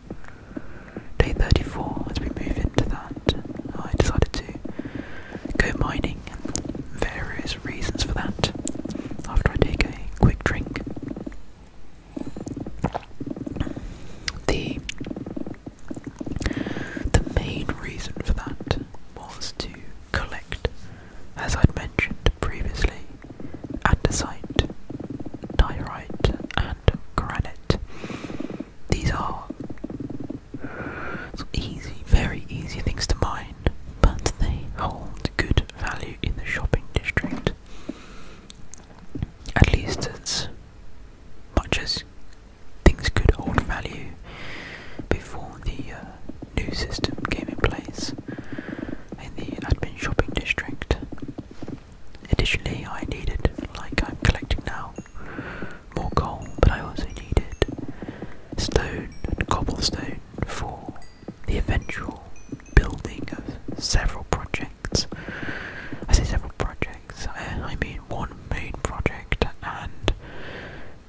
Day 34, as we move into that, I decided to go mining and various reasons for that after I take a quick drink. The the main reason for that was to collect, as I'd mentioned previously, andesite, diorite, and granite. These are so easy, very easy things to mine, but they hold good value in the shopping district. At least as much as things could hold value before the uh, new system came in place in the admin shopping district. Additionally, I needed, like I'm collecting now, more coal, but I also needed stone and cobblestone for the eventual building of several projects. I say several projects, I mean one main project, and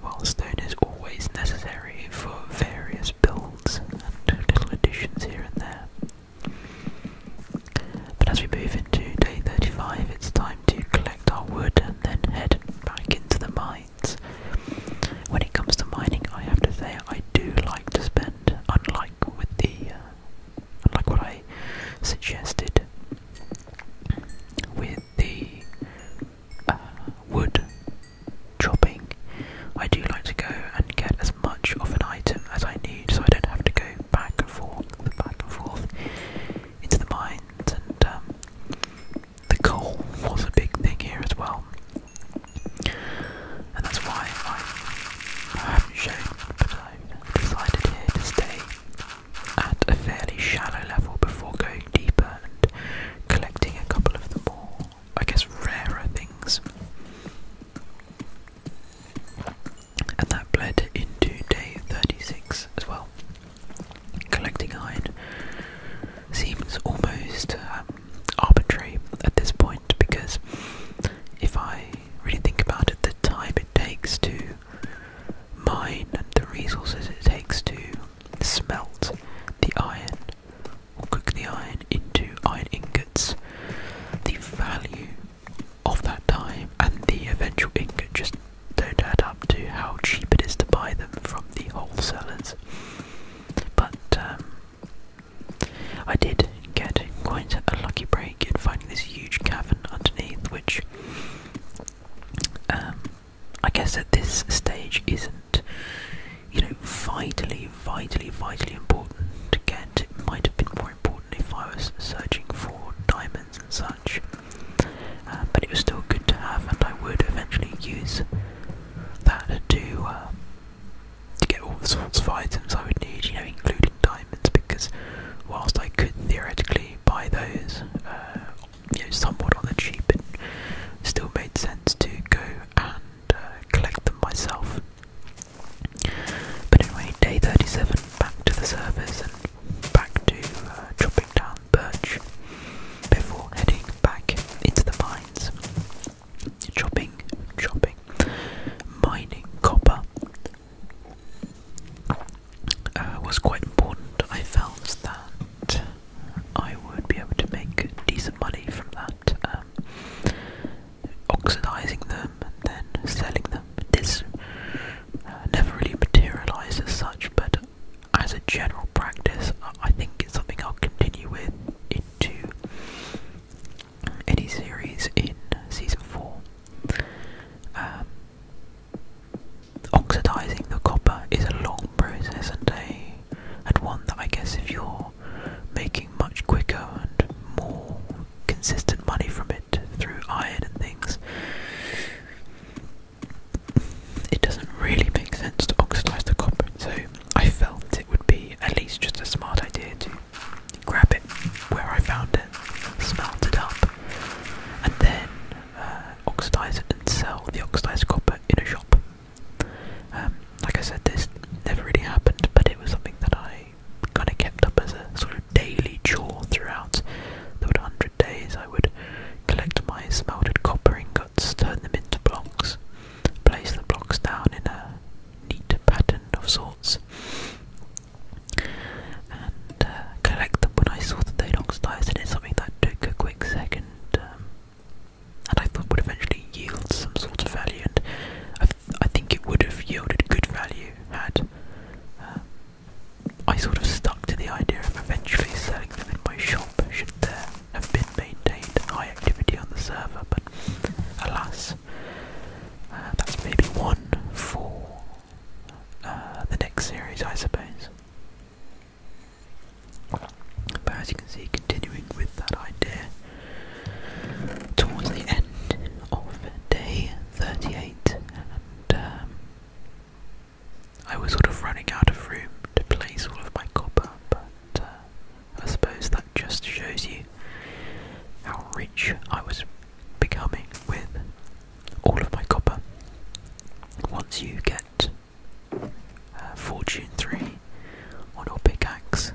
well, stone is always necessary for various builds and little additions here and there. But as we move into day 35, it's time to collect our wood and then head back into the mine. When it comes to mining, I have to say I do like to spend, unlike with the, uh, what I suggested with the uh, wood chopping, I do like to go and get as much of an item as I need, so I don't have to go back and forth, back and forth into the mines and um, the coal was a big thing here as well. And that's why I, haven't shown, i decided here to stay at a fairly shallow level before going deeper and collecting a couple of the more, I guess, rarer things. And that bled into day 36 as well. Collecting iron seems almost um, arbitrary at this point because if I really think about it, the time it takes to mine and the resources it takes to smelt the iron or cook the iron into iron ingots, the value of that time and the eventual ingot just don't add up to how cheap it is to buy them from the wholesalers. But um, I did get quite a lucky break in finding this huge cavern underneath, which um, I guess at this stage isn't, you know, vitally, vitally, vitally important to get. It might have been more important if I was searching for diamonds and such. Uh, but it was still good to have, and I would eventually use that to, uh, to get all the sorts of items I would need, you know, including diamonds, because whilst I could theoretically buy those uh, somewhat on the cheap, it still made sense to go and collect them myself. But anyway, day 37, back to the surface and back to chopping down birch before heading back into the mines, chopping, chopping, mining copper. Uh, was quite important. I felt that I would be able to make decent money from that, um, oxidizing them and then selling them. This uh, never really materialized as such, but as a general practice, I think it's something I'll continue with into any series in season four. Um, oxidizing the copper is a long process and a and one that I guess if you're making much quicker and more consistent money from it through iron and things, it doesn't really make sense to oxidize the copper, so I felt it would be at least just a smart idea to grab it where I found it, smelt it up, and then uh, oxidize it and sell the oxidized copper in a shop. Um, like I said, this never really happened, but it was something that I kind of kept up as a sort of daily chore throughout the 100 hundred days, I would collect my smelted copper ingots, turn them into blocks, place the blocks down in a neat pattern of sorts, and uh, collect them when I saw that they'd oxidized, and it's something that took a quick second. Um, and I thought would eventually yield some sort of value, and I, th I think it would have yielded good value had uh, I sort of stuck to the idea of eventually selling them in my shop should there have been maintained high activity on the server, but alas, uh, that's maybe one for uh, the next series, I suppose. But as you can see, continuing with that idea, towards the end of day 38, and um, I was sort of running out of room to place all of my copper, but uh, I suppose that just shows you how rich I was becoming with all of my copper. Once you get uh, Fortune 3 on your pickaxe,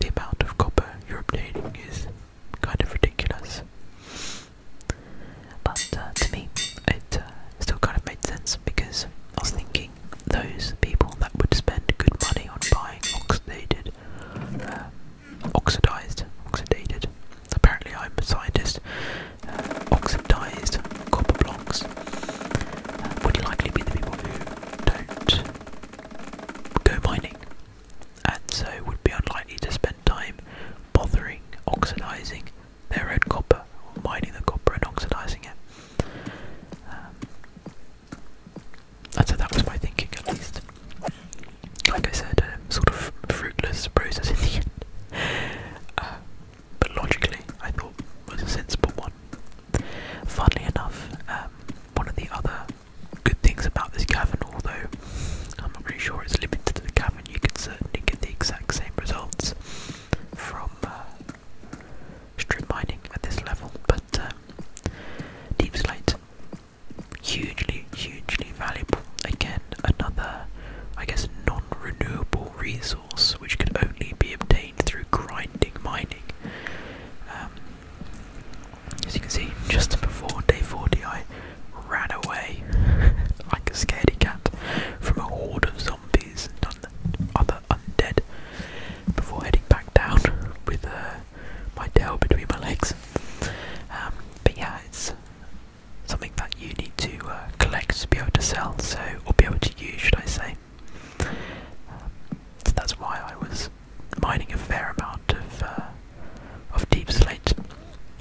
the amount of copper you're obtaining is kind of ridiculous. But uh, to me, it still kind of made sense because I was thinking those people that would spend good money on buying oxidated, uh, oxidized, oxidated. Apparently, I'm a scientist. Uh, oxidized copper blocks uh, would likely be the people who don't go mining, and so would be unlikely to spend time bothering oxidizing their own copper, mining the copper and oxidizing it. Um, and so that was my thinking, at least. Like I said, a um, sort of fruitless process in the end. Uh, but logically, I thought was a sensible one. Funnily enough, um, one of the other good things about this cavern, although I'm not really sure it's limited to the cavern, you can certainly get the exact same results from uh, strip mining at this level, but uh, deep slate hugely, hugely valuable. Again, another, I guess, non-renewable resource which could only be obtained through grinding mining. Um, as you can see, just before day 40, I ran away like a scaredy cat from a horde of zombies the other undead before heading back down with uh, my tail between my legs. Um, but yeah, it's something that you need to uh, collect to be able to sell, so or be able to use, should I say? that's why I was mining a fair amount of uh, of deep slate,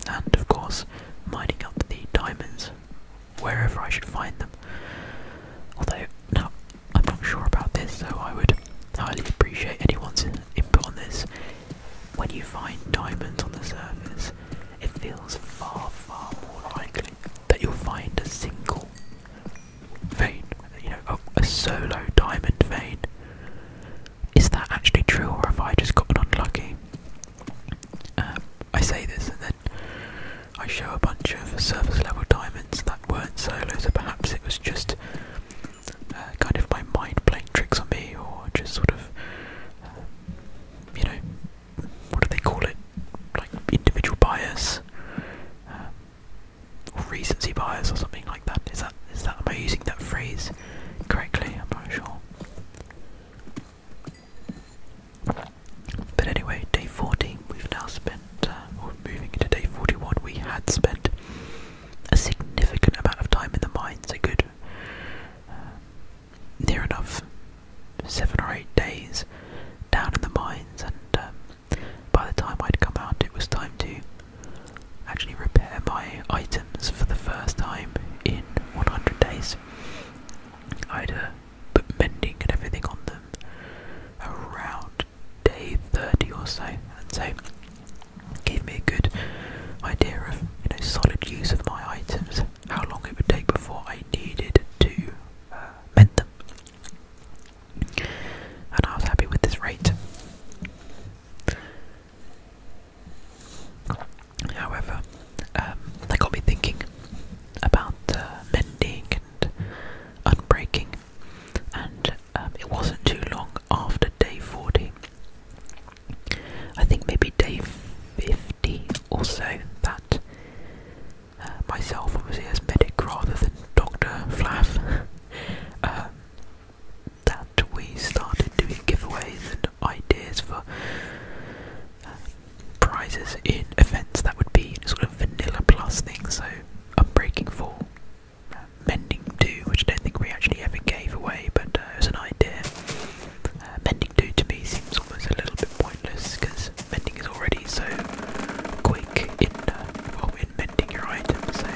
and of course mining up the diamonds wherever I should find them. Although, now I'm not sure about this, so I would highly appreciate anyone's input on this. When you find diamonds on the surface, it feels far, far more likely that you'll find a single vein, you know, oh, a, solo diamond vein. Is that actually true, or have I just gotten unlucky? Um, I say this and I show a bunch of surface level diamonds that weren't solos, so perhaps it was just uh, kind of my mind playing tricks on me, or just sort of, uh, you know, what do they call it? Like individual bias, uh, or recency bias, or something like that. Is that is that am I using that phrase correctly? I'm not sure. But anyway, day 40, we've now spent, uh, or moving into day 41, we had spent a significant amount of time in the mines, a good uh, near enough seven or eight days down in the mines, and um, by the time I'd come out, it was time to actually repair my items for the first time in 100 days. I'd uh, but mending and everything on them around day 30 or so, and so give me a good idea of you know solid use of my items, how long it would take before I needed to uh, mend them, and I was happy with this rate. However, um, that got me thinking about uh, mending and unbreaking. And um, it wasn't too long after day 40, I think maybe day 50 or so, that uh, myself, was as medic rather than Dr. Flaff, um, that we started doing giveaways and ideas for prizes in events that would be sort of vanilla plus things, so Unbreaking 4, Mending 2, which I don't think we actually ever gave away, but uh, it was an idea. Uh, mending 2 to me seems almost a little bit pointless because mending is already so quick in, uh, well, in mending your items, so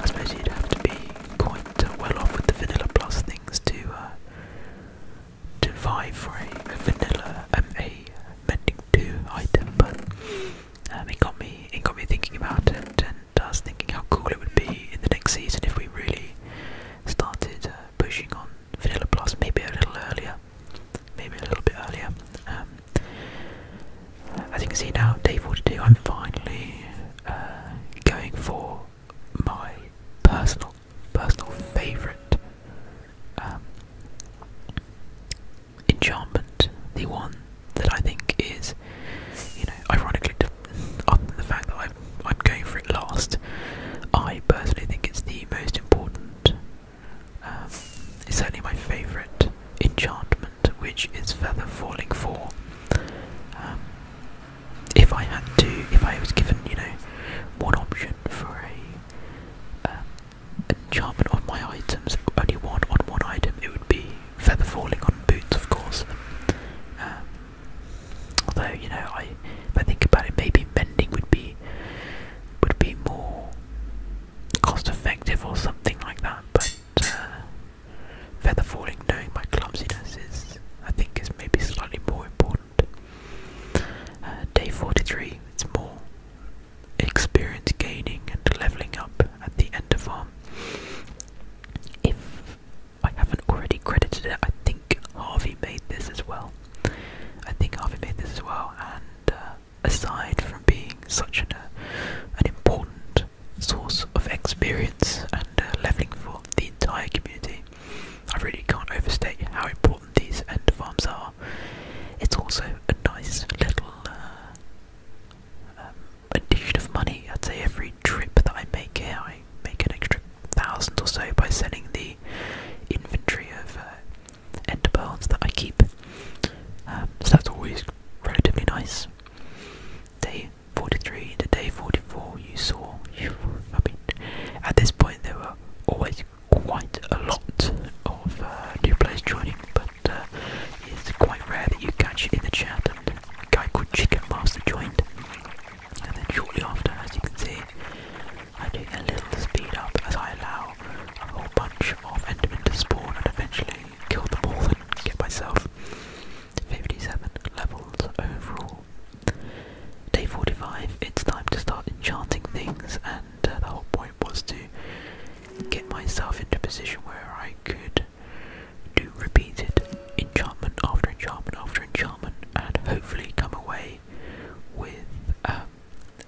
I suppose you'd have to be quite uh, well off with the vanilla plus things to to buy for a, vanilla um, a mending two item, but um, it got me it got me thinking about it, and I was thinking how cool it would be in the next season if we really started uh, pushing on vanilla plus, maybe a little earlier, maybe a little bit earlier. Um, as you can see now, day 42, I'm finally uh, going for my personal personal favourite um, enchantment, the one that I think is, you know, ironically, other than uh, the fact that I'm, I'm going for it last, I personally think it's the most important. Um, it's certainly my favourite enchantment, which is Feather Falling 4. Um, if I had to, if I was given, you know, one option for a um, enchantment on my items, only one on one item, it would be feather falling on boots, of course. Um, although you know, I if I think about it, maybe mending would be would be more cost effective or something like that. But uh, feather falling, knowing my clumsiness, is I think is maybe slightly more important. Uh, day 43, it's more experience gaining and leveling up at the end of farm. If I haven't already credited it, I think Harvey made this as well. I think Harvey made this as well, and uh, aside from being such an, uh, an important source of experience and leveling for the entire community, I really can't overstate how important these end farms are it's also a nice little uh, um, addition of money. I'd say every trip that I make here, I make an extra thousand or so by selling the inventory of uh, ender pearls that I keep. Um, so that's always relatively nice. Day 43 to day 44, you saw. You, I at this point, there were always quite a lot of uh, new players joining, but uh, it's quite rare that you catch it in the chat. And a guy called Chicken Master joined, and then shortly after, as you can see, I do a little speed up as I allow a whole bunch of Endermen to spawn and eventually kill them all and get myself 57 levels overall. Day 45, it's time to start enchanting things and the whole point was to get myself into a position where I could do repeated enchantment after enchantment after enchantment and hopefully come away with um,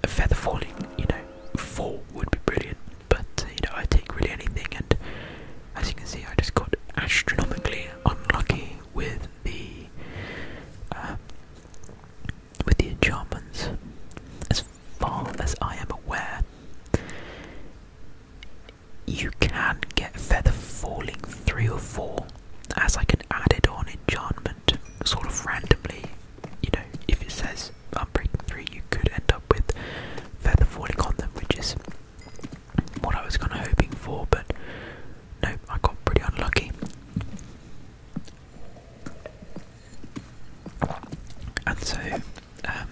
a feather falling, you know, four would be brilliant, but uh, you know, I take really anything and as you can see I just got astronomically unlucky with the um, with the enchantments. As far as I am aware, you can get Feather Falling 3 or 4 as I can add it on enchantment, sort of randomly. You know, if it says Unbreaking 3, you could end up with Feather Falling on them, which is what I was kind of hoping for, but no, I got pretty unlucky. And so um,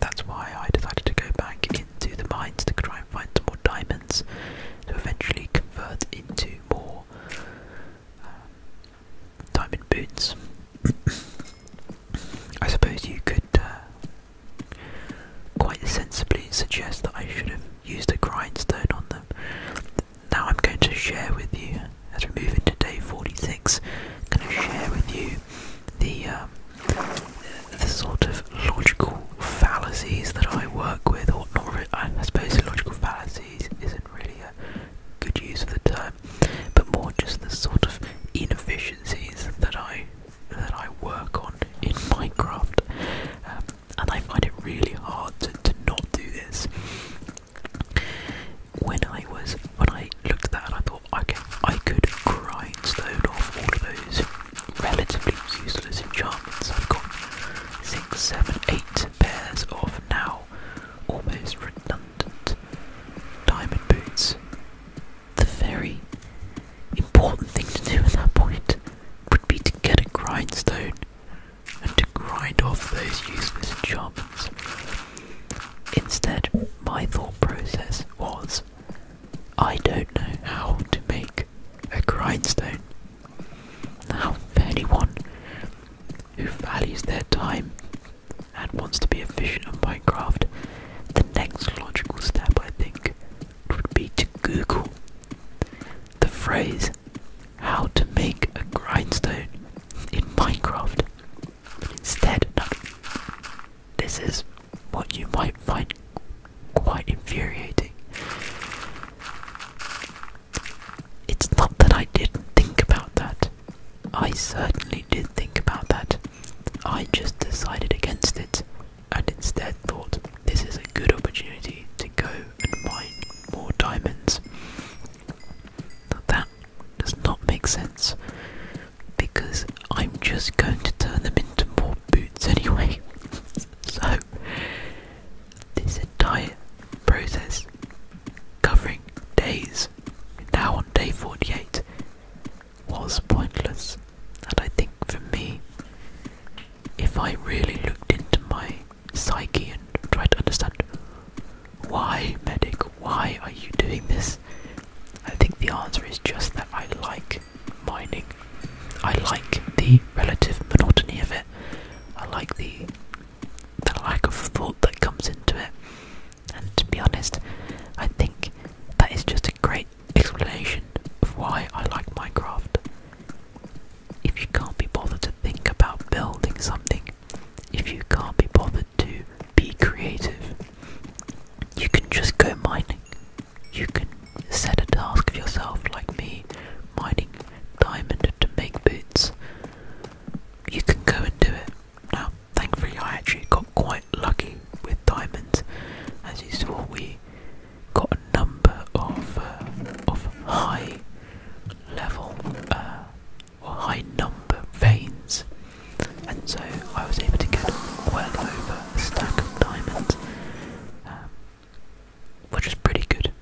that's why I decided to go back into the mines to try and find some more diamonds to eventually convert into more um, diamond boots. I suppose you could uh, quite sensibly suggest that I should have used a grindstone on them now I'm going to share with you, as we move into day 46, I'm going to share with you the, um, the, sort of logical fallacies that I work with, or not really, I suppose logical fallacies isn't really a good use of the term, but more just the sort of inefficiencies that I that I work on in Minecraft, um, and I find it really hard to, to not do this. When I was when I looked at that, I thought okay, I could grindstone off all of those relatively useless enchantments. I've got six, seven, eight pairs of now almost redundant diamond boots. The very important thing to do at that point would be to get a grindstone and to grind off those useless enchantments. Instead, my thought process was I don't know how to make a grindstone. Now, for anyone who values their time and wants to be efficient on Minecraft, the next logical step I think would be to Google the phrase how to make a grindstone in Minecraft. Instead, this is what you might find quite infuriating. It's not that I didn't think about that. I certainly did think about that. I just decided against it and instead thought this is a good opportunity to go and mine more diamonds that does not make sense because I'm just going to turn them into more boots anyway. so, this entire process covering days, now on day 48, was pointless. And I think for me, if I really looked into my psyche and try to understand why, medic, why are you doing this? I think the answer is just that I like mining. I like the relative monotony of it. I like the the lack of thought that comes into it. And to be honest, I think that is just a great explanation of why I like Minecraft. If you can't be bothered to think about building something, if you can't be bothered to be creative, you can just go mining. You can set a task for yourself, like me, mining diamond to make boots. You can go and do it. Now, thankfully, I actually got quite lucky with diamonds. As you saw, we got a number of uh, of high level uh, or high number veins, and so I was able to get well over a stack of diamonds, um, which is pretty good.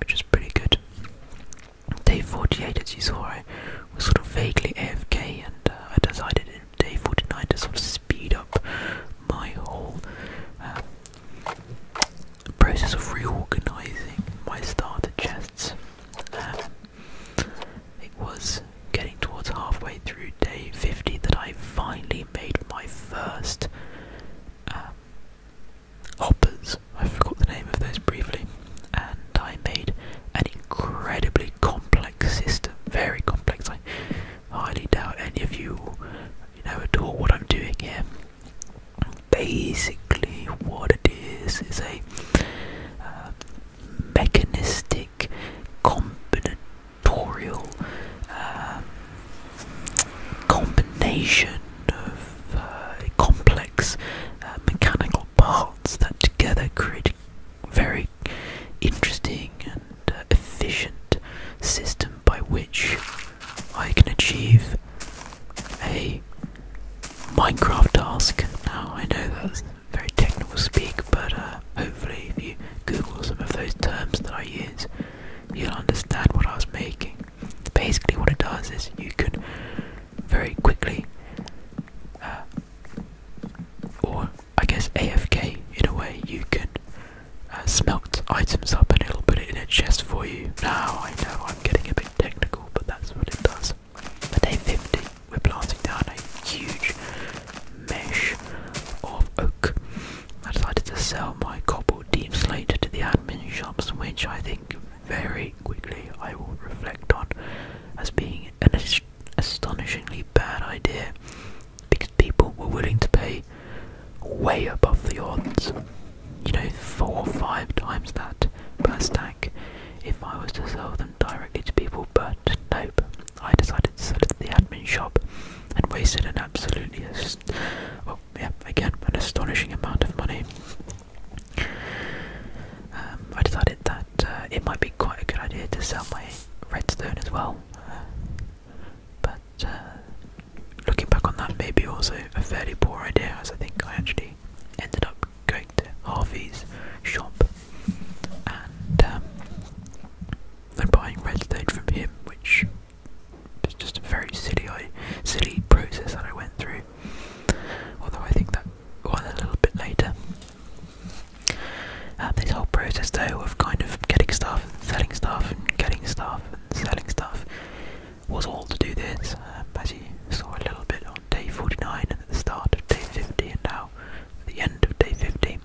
Which is pretty good. Day 48, as you saw, I was sort of vaguely AFK, and uh, I decided in day 49 to sort of speed up my whole the process of reorganizing my starter chests. Uh, it was getting towards halfway through day 50 that I finally made my first um, hoppers. I forgot the name of those briefly. And I made an incredibly complex system. Very complex. I highly doubt any of you know at all what I'm doing here basically what it is is a uh, mechanistic combinatorial um, combination of uh, complex uh, mechanical parts that together create a very interesting and efficient system by which I can achieve a Minecraft task. Now, I know that's very technical speak, but uh, hopefully, if you Google some of those terms that I use, you'll understand what I was making. Basically, what it does is you can very quickly, uh, or I guess AFK in a way, you can uh, smelt items up and it'll put it in a chest for you. Now, I know i i getting a bit technical, but that's what it does. For 50, we're planting down a huge mesh of oak. I decided to sell my cobble deep slate to the admin shops, which I think very quickly I will reflect on as being an astonishingly bad idea because people were willing to pay way above the odds you know, four or five times that per stack if I was to sell them directly to people, but nope. I decided to sell it to the admin shop and wasted an absolutely, oh, well, yeah, again, an astonishing amount of money. Um, I decided that uh, it might be quite a good idea to sell my redstone as well, but uh, looking back on that, maybe also a fairly poor idea, as I think I actually ended up going to Harvey's shop and um, and buying redstone from him, which was just a very silly, silly process that I went through. Although I think that one a little bit later. Uh, this whole process, though, of kind of getting stuff and selling stuff and getting stuff and selling stuff was all to do this, um, as you saw a little bit on day 49 and at the start of day 50 and now at the end of day 50.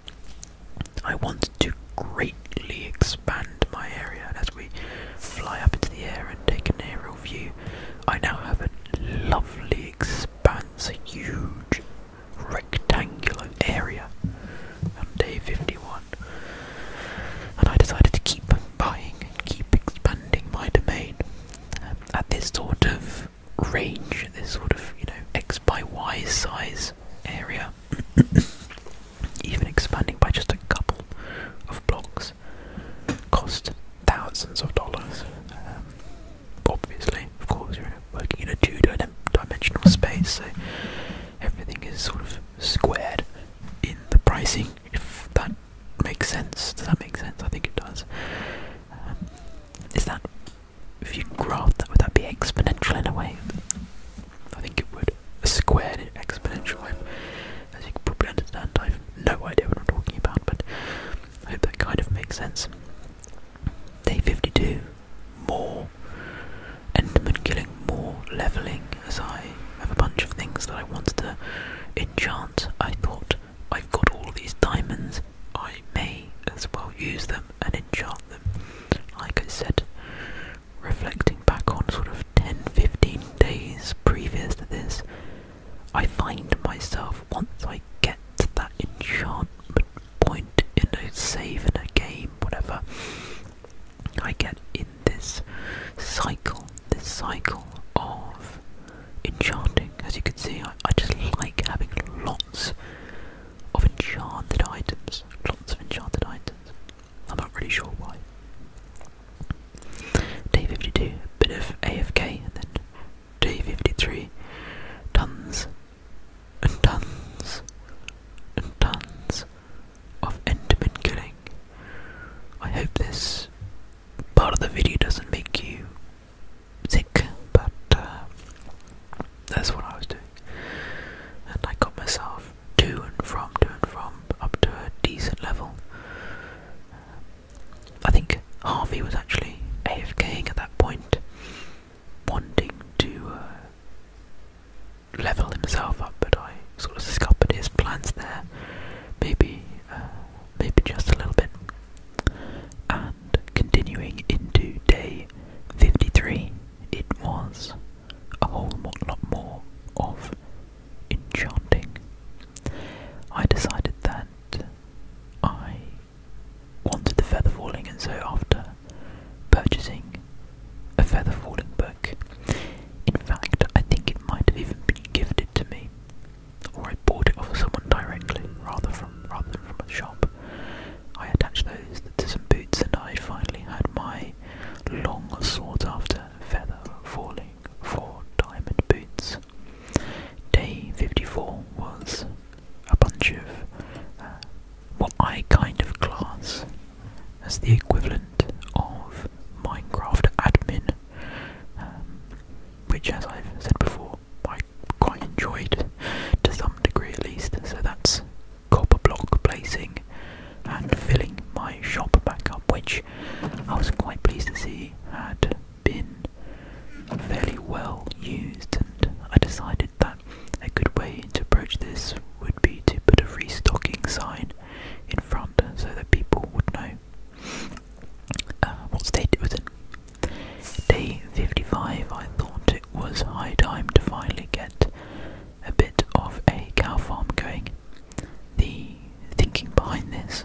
I wanted to greatly expand my area and as we fly up into the air and take an aerial view, I now have a lovely expanse, a huge rectangular area on day 51. And I decided to keep buying and keep expanding my domain um, at this sort of range, this sort of you know x by y size area, even expanding by just a couple of blocks, cost thousands of dollars. Um, obviously, of course, you're working in a two-dimensional space, so everything is sort of squared in the pricing, make sense? Does that make sense? I think it does. Um, is that if you graph that, would that be exponential in a way? I think it would. A squared exponential. as you can probably understand, I've no idea what I'm talking about, but I hope that kind of makes sense. Day 52. More. Enderman killing more. Leveling as I I have a bunch of things that I wanted to enchant. I thought I've got all these diamonds, I may as well use them and enchant them. Like I said, reflecting back on sort of 10 15 days previous to this, I find myself once I get to that enchantment point in a save in a game, whatever, I get in this cycle, this cycle of enchanting. As you can see, I, just like having lots of enchanted items. Lots of enchanted items. I'm not really sure why. Day 52, bit of AFK, and then day 53, tons and tons and tons of Enderman killing. I hope this part of the video doesn't make you sick, but uh, that's what I was doing. And I got myself to and from, to and from, up to a decent level. I think Harvey was actually AFKing at that point, wanting to uh, level himself up, but I sort of scuppered his plans there. Maybe uh, maybe just a little bit. And continuing into day 53, it was a whole lot more of enchanting. I decided that I wanted the feather falling, and so after purchasing a feather falling book, in fact, I think it might have even been gifted to me or I bought it off someone directly, rather from rather than from a shop. I attached those to some boots, and I finally had my long sought-after feather falling for diamond boots. Day 54 was a bunch of uh, what I kind of class as the equivalent of Minecraft admin um, which, as I've said before, I quite enjoyed to some degree at least. So that's copper block placing and filling my shop back up, which I was quite pleased to see had been fairly well used. And I decided that a good way to approach this would be to put a restocking sign in front so that people would know uh, what state it Day 55, I thought it was high time to finally get a bit of a cow farm going. The thinking behind this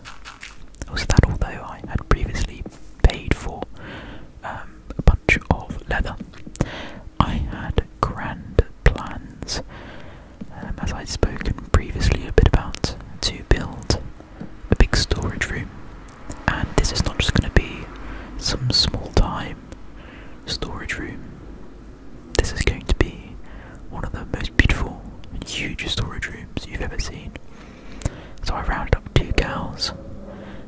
was that although I had previously paid for um, a bunch of leather, I had grand plans, um, as I'd spoken previously a bit about, to build a big storage room, and this is not just going to be some small time storage room. This is going to be one of the most beautiful and huge storage rooms you've ever seen. So I rounded up two cows,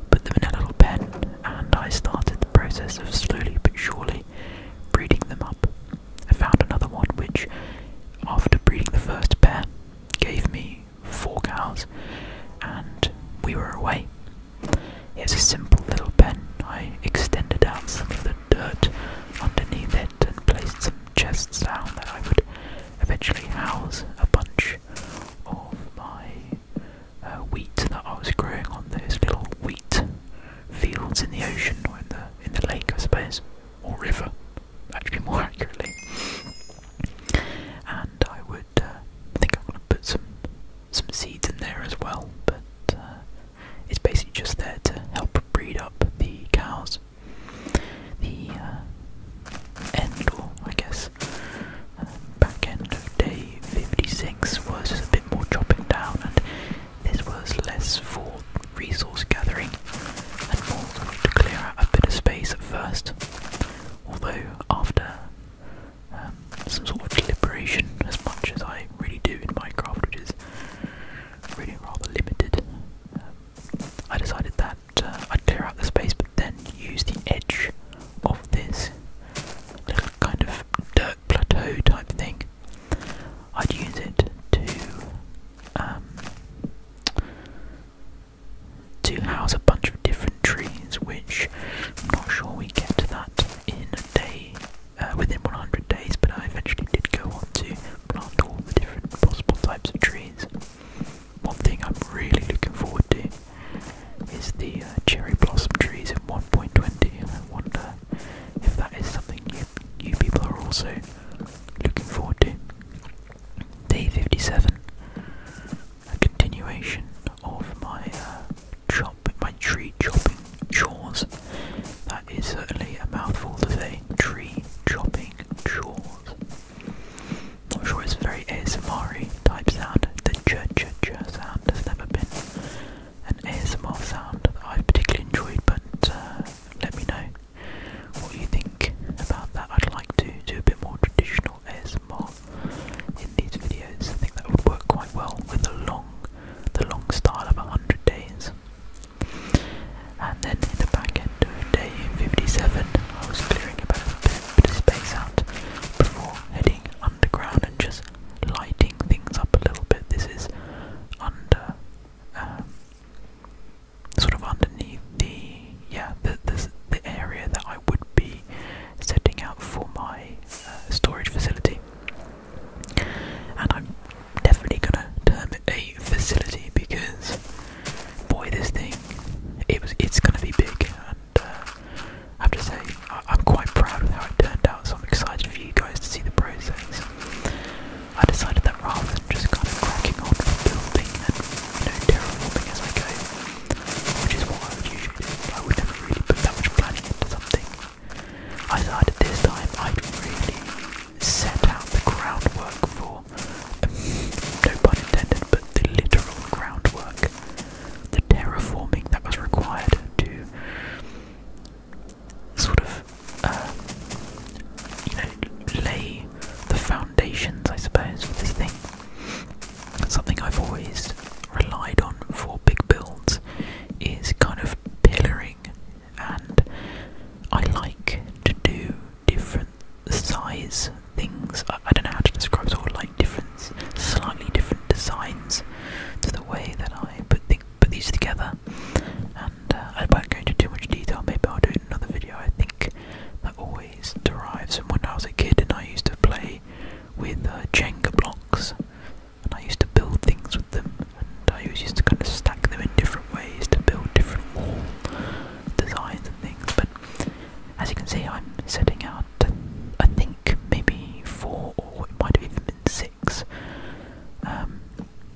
put them in a little pen, and I started the process of slowly but surely breeding them up. I found another one which, after breeding the first pair, gave me four cows, and we were away. It was a simple little pen. I extended out some of the dirt underneath it and placed some chests down that I would eventually house a bunch of my uh, wheat that I was growing on those little wheat fields in the ocean or in the in the lake, I suppose, or river actually more accurately. And I would, uh, I think I'm going to put some some seeds in there as well, but uh, it's basically just there to help breed up the cows. The uh, end, or I guess uh, back end of day 56 was a bit more chopping down, and this was less for resource gathering and more to clear out a bit of space at first. Although, after um, some sort of deliberation, as much as I really do in Minecraft, which is really rather limited, um, I decided that uh, I'd clear out the space but then use the edge of this little kind of dirt plateau type thing. I'd use it to um, to house a bunch of different trees, which I'm not sure we get to that in a day, uh, within 100 days, but I eventually did go on to plant all the different possible types of trees. One thing I'm really looking forward to is the uh, cherry blossom trees in 1.20, and I wonder if that is something you, you people are also looking forward to. Day 57. A continuation of my uh, chop, my tree chopping chores. That is certainly a mouthful to say. Tree chopping chores. Not sure it's very ASMR type sound. The ch ch ch sound has never been an ASMR sound that I've particularly enjoyed, but uh, let me know what you think about that. I'd like to do a bit more traditional ASMR in these videos. I think that would work quite well with the long, the long style of 100 days. And then in the back end of day 57, I was clearing about a bit, of space out before heading underground and just lighting things up a little bit. This is under. Um, sort of underneath the yeah the the, the area that I would be setting out for my uh, storage facility. And I'm definitely gonna term it a facility because boy, this thing it was it's gonna be big. And uh, I have to say I, I'm quite proud of how it turned out. So I'm excited for you guys to see the process. I decided that rather than just kind of cracking on from building and, you know, terraforming as I go, which is what I would usually do, I would never really put that much planning into something. I decided this time I'd really set out the groundwork for, no pun intended, but the literal groundwork, the terraforming that was required to sort of uh, you know, lay the foundations, I suppose, for this thing. Something I've always relied on for big builds is kind of pillaring, and I like to do different size things. I, don't know how to describe sort of like different, slightly different designs to the way that I put, these together. And uh, I won't go into too much detail. Maybe I'll do another video. I think that always derives from when I was a kid and I used to play with uh, Jenga blocks, and I used to build things with them, and I used to kind of stack them in different ways to build different wall designs and things. But as you can see, I'm setting out. I think maybe four, or it might have even been six. Um,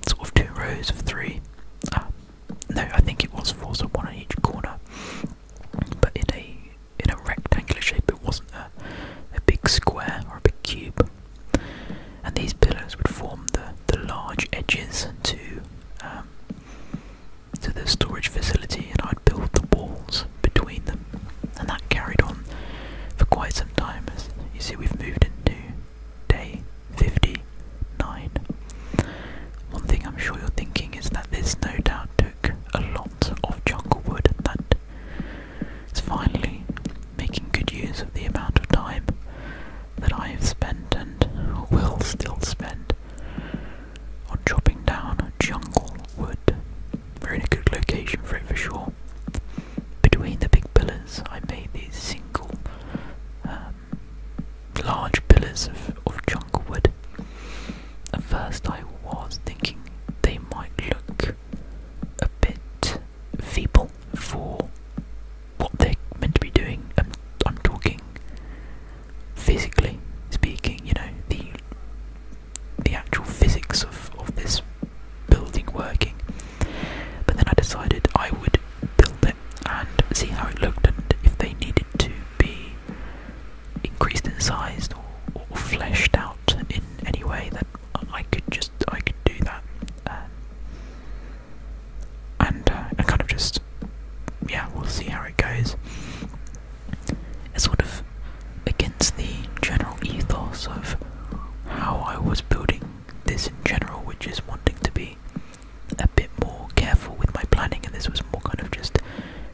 sort of two rows of three. Ah, no, I think it was four, so one on each corner. But in a in a rectangular shape, it wasn't a a big square or a big cube. And these pillars would form the the large edges to um, to the storage facility, and I'd build the walls between them. And that carried on for quite some time. As you see, we've moved into day 50 nine. One thing I'm sure you're thinking is that this no doubt took a lot of jungle wood that it's finally making good use of the amount of time that I have spent and will still spend on chopping down jungle wood. We're in a good location for it for sure. Between the big pillars, I made this single uh, large pillars of, jungle wood. At first, I was thinking they might look a bit feeble for what they're meant to be doing. I'm, talking physically speaking, you know, the the actual physics of, of this building working. But then I decided I would build them and see how it looked and if they needed to be increased in size or, fleshed out in any way, that I could just I could do that, um, and uh, kind of just yeah, we'll see how it goes. It's sort of against the general ethos of how I was building this in general, which is wanting to be a bit more careful with my planning, and this was more kind of just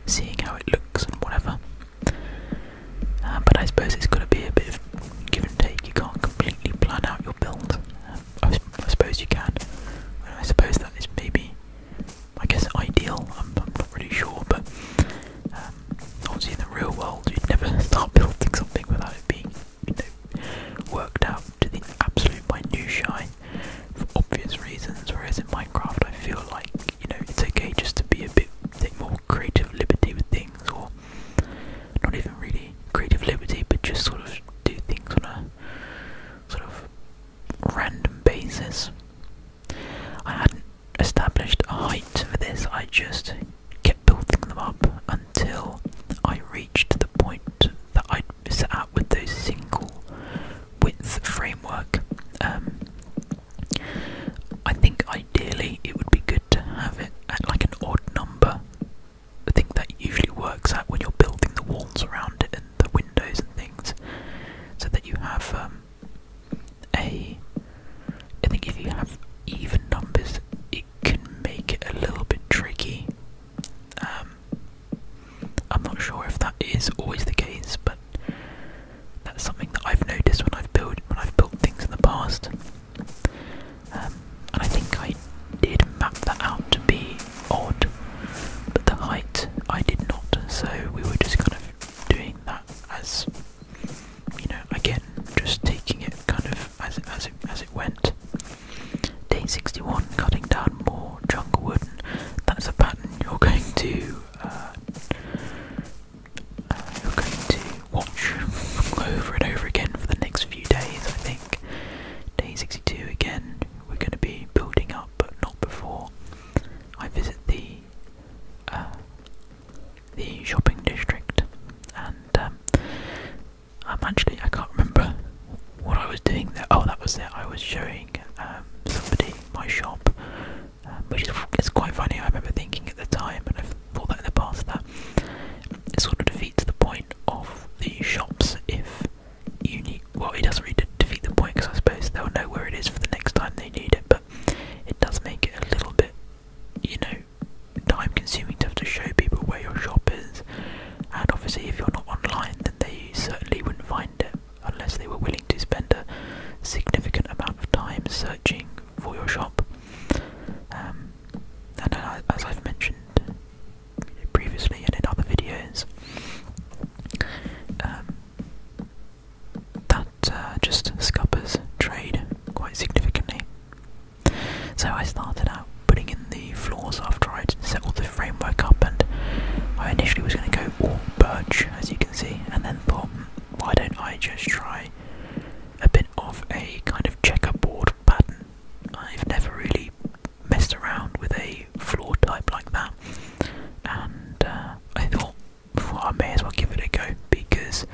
seeing how it looks and whatever. Uh, but I suppose it's got to be a bit of give and take. You can't completely plan out your build. Uh, I, suppose you can. I suppose that is maybe, I guess, ideal. I'm, not really sure, but um, obviously in the real world, you'd never start building something without it being worked out to the absolute minutiae for obvious reasons, whereas in Minecraft I feel like, you know, it's okay just to be a bit more creative liberty with things or not even really creative liberty but just sort of do things on a sort of random basis. I hadn't established a height for this, I just kept building them up until I reached the point that I set with those single width framework. Um, I think ideally it would be good to have it at like an odd number. I think that usually works out when you're building the walls around it and the windows and things, so that you have um, a. I think if you have even numbers, it can make it a little bit tricky. Um, I'm not sure if that is always the case, but that's something that I've noticed when I've built when I've built things in the past. Um, and I think I did map that out to be odd, but the height I did not, so we were just kind of doing that as you know, again, just taking it kind of as as it as it went. Day 61, cutting down more junk wood. That's a pattern you're going to uh, uh, you're going to watch over and over again for the next few days, I think. Day 62 again, we're going to be building up, but not before I visit the uh, the shopping district, and um, I'm actually I can't remember what I was doing there, oh, that was it. I was showing um, somebody my shop, um, which is it's quite funny. I remember thinking at the time, and I've thought that in the past, that it sort of defeats the point of the shops if you need. Well, it doesn't really defeat the point because I suppose they'll know where it is for the next time they need it, but it does make it a little bit, you know, time consuming to have to show people where your shop is and obviously if you're not online then they certainly wouldn't find it unless they were willing to spend a significant amount of time searching for your shop um, and as I've mentioned previously and in other videos um, that uh, just scuppers trade quite significantly so I started out putting in the floors after I'd set all the framework up, and I initially was going to go all birch, as you can see, and then thought, hmm, why don't I just try a bit of a kind of checkerboard pattern? I've never really messed around with a floor type like that, and uh, I thought, well, I may as well give it a go because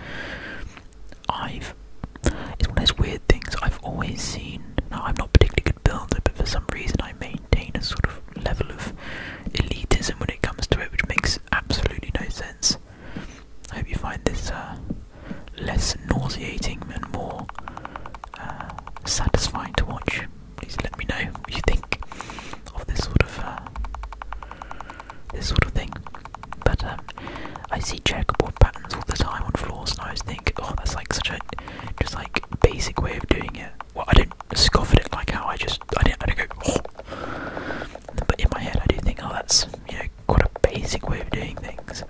I've. It's one of those weird things I've always seen. Now, I'm not particularly but for some reason I maintain a sort of level of elitism when it comes to it, which makes absolutely no sense. I hope you find this uh, less nauseating and more uh, satisfying to watch. Please let me know what you think of this sort of uh, this sort of thing. But um, I see checkerboard patterns all the time on floors, and I always think, oh, that's like such a just like basic way of doing it. Well, I don't scoff at it like how I just I don't go. Oh. But in my head, I do think, oh, that's you know quite a basic way of doing things,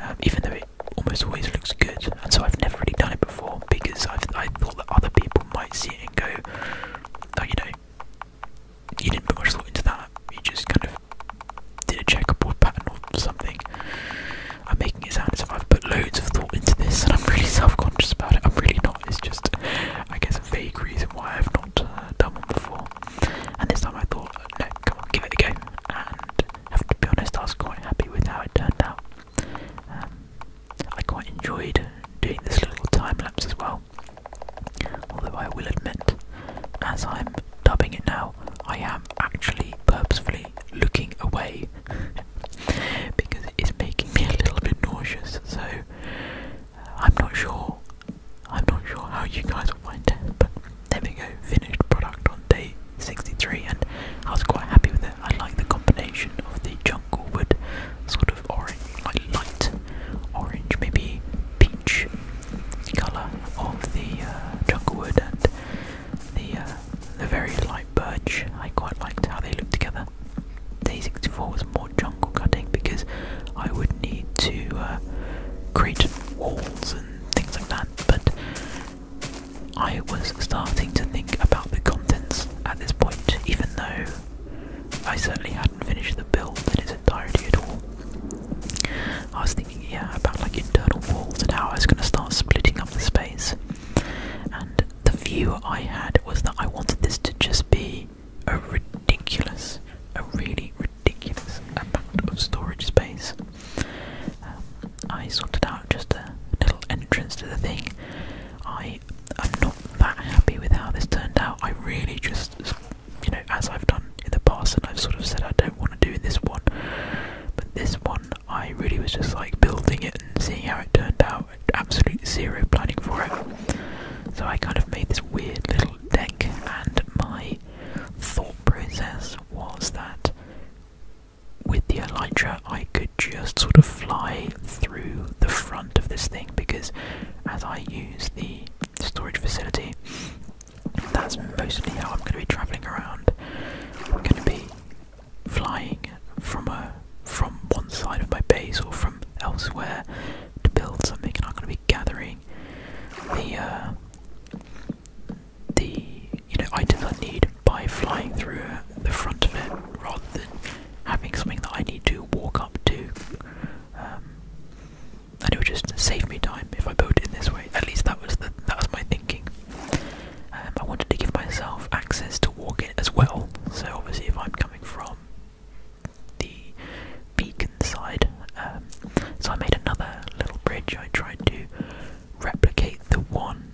um, even though it almost always looks good. And so I've never really done it before because I've, I thought that other people might see it and go, oh, you know, you didn't put much thought into that. You just kind of did a checkerboard pattern or something. I'm making it sound as if I've put loads of thought into this, and I'm really self-conscious about it. I'm really not. It's just, I guess, a vague reason why I've not uh, done one before. And this time I thought, no, come on, give it a go. And to be honest, I was quite happy with how it turned out. Um, I quite enjoyed doing this little time lapse as well. Although I will admit, as I'm dubbing it now, I am actually purposefully looking away because it is making me a little bit nauseous. So uh, I'm not sure. I'm not sure how you guys will find it, but there we go. Finished product on day 63, and I was quite happy with it. I like the combination of the jungle wood, sort of orange, like light orange, maybe peach colour of the uh, jungle wood and the uh, the very light birch. I quite liked how they looked together. Day 64 was more jungle cutting because I would need to uh, create walls and things like that, but I was starting to think about the contents at this point, even though I certainly hadn't finished the build in its entirety at all. I was thinking, yeah, about like internal walls and how I was going to start splitting up the space. And the view I had was that I wanted this to just be a ridiculous, a really ridiculous amount of storage space. Um, I sorted out just a little entrance to the thing. I am not that happy with how this turned out. I really just, you know, as I've done in the past, and I've sort of said I don't want to do this one, but this one I really was just like building it and seeing how it turned out. Absolute zero planning for it. So I kind of made this weird little deck, and my thought process was that with the Elytra I could just sort of fly through the front of this thing because as I use the storage facility, that's mostly how I'm going to be travelling around. I'm going to be flying from a from one side of my base or from elsewhere to build something, and I'm going to be gathering the uh, the you know items I need by flying through uh, the front of it rather than having something that I need to walk up to. Um, and it would just save me time if I built it in this way. At least that was that was my thinking. Um, I wanted to give myself access to walk it as well. So obviously, if I'm coming from the beacon side, um, so I made another little bridge. I tried to replicate the one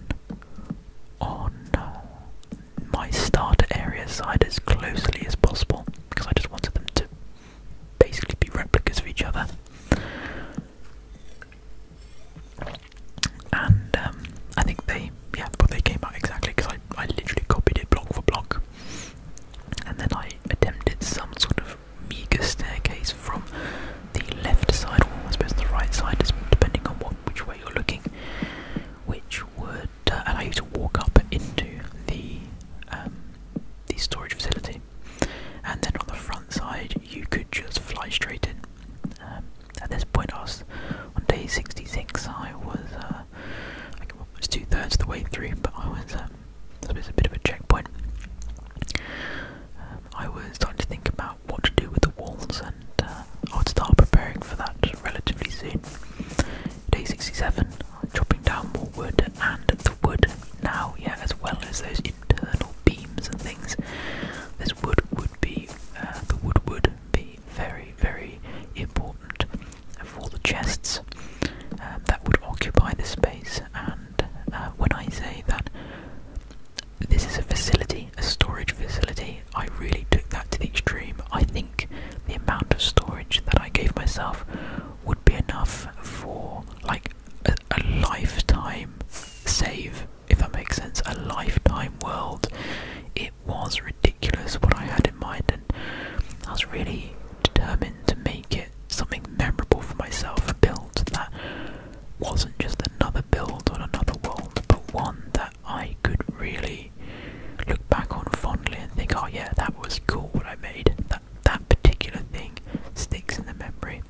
on uh, my starter area side as closely as possible because I just wanted them to basically be replicas of each other and um, I think they, yeah, but they came out exactly because I, I literally copied it block for block, and then I attempted some sort of meager staircase from the left side, or I suppose the right side, depending on which way you're looking, which would uh, allow you to walk up into the um, the storage facility, and then on the front side you could just fly straight in. Um, at this point, on day 66. I was, uh, two thirds of the way through, but I was, um, it was a bit of a checkpoint. Um, I was starting to think about what to do with the walls, and uh, I would start preparing for that relatively soon. Day 67, chopping down more wood, and the wood now, yeah, as well as those internal beams and things. This wood would be uh, the wood wood be very, very important for the chests um, that would occupy the space. And uh, when I say that this is a facility, a storage facility, I really took that to the extreme. I think the amount of storage that I gave myself would be enough for like a lifetime save if that makes sense, a lifetime world. It was ridiculous what I had in mind, and I was really determined to make it something memorable for myself. A build that wasn't just another build on another world, but one that I could really look back on fondly and think, oh yeah, that was cool what I made. That that particular thing sticks in the memory.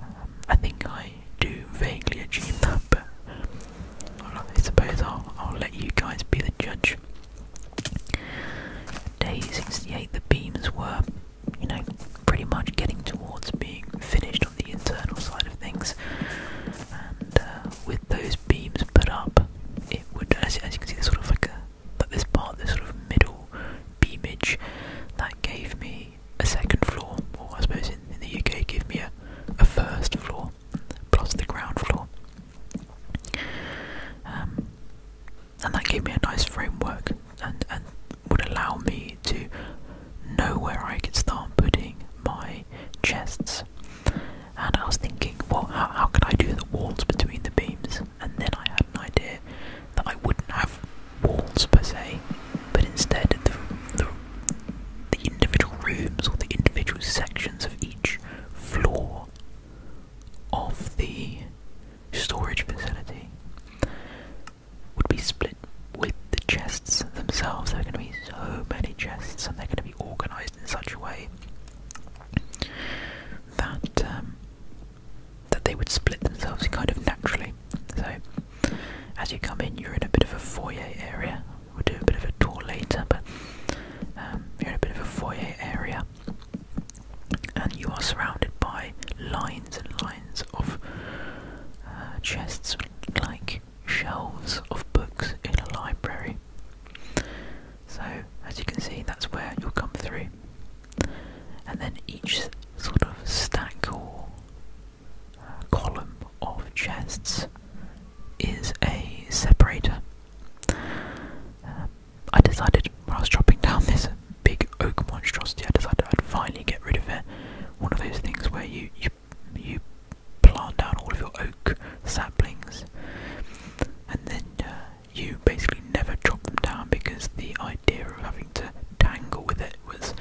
Um, I think I do vaguely achieve that but I suppose I'll, let you guys be the judge. Day 68, the beams were, you know, pretty much getting towards being finished on the internal side of things, and uh, with those beams put up, it would, as, you can see, there's sort of like a, like this part, this sort of middle beamage, that gave me a second floor, or I suppose in, the UK, give me a, a first floor plus the ground floor. Um, and that gave me a nice framework and, and would allow me to know where I could start putting my chests. And I was thinking, well, how, how could I do the walls between the beams? And then I had an idea that I wouldn't have walls per se, but instead the, the the individual rooms or the individual sections of each floor of the storage facility would be split with the chests themselves. There are going to be so many chests, and they're going to be organised in such a way that um, that they would split themselves kind of naturally. So as you come in, you're in a bit of a foyer area. We'll do a bit of a tour later, but um, you're in a bit of a foyer area, and you are surrounded by lines and lines of uh, chests, like shelves of books in a library. So, as you can see, that's where you'll come through, and then each sort of stack or column of chests is a separator. Um, I decided when I was chopping down this big oak monstrosity, I decided I'd finally get rid of it. One of those things where you you, you plant down all of your oak saplings, and then uh, you basically never chop them down because the idea of having to tangle with it was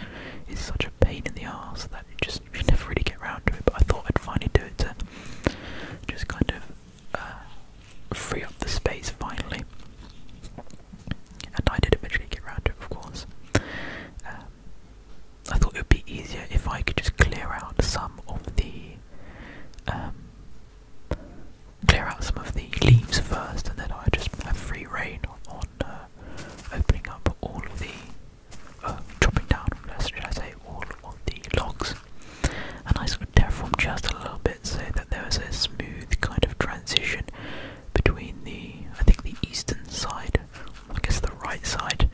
is such a pain in the ass that it just I never really get around to it, but I thought I'd finally do it to just kind of uh, free up the space finally. And I did eventually get around to it, of course. Um, I thought it would be easier if I could just clear out some of the um, clear out some of the leaves first, and then I just have free reign on uh, opening up all of the uh, chopping down, should I say, all of the logs. And I sort of terraformed just a little bit so that there was a smooth kind of transition between the, I think, the eastern side, I guess the right side,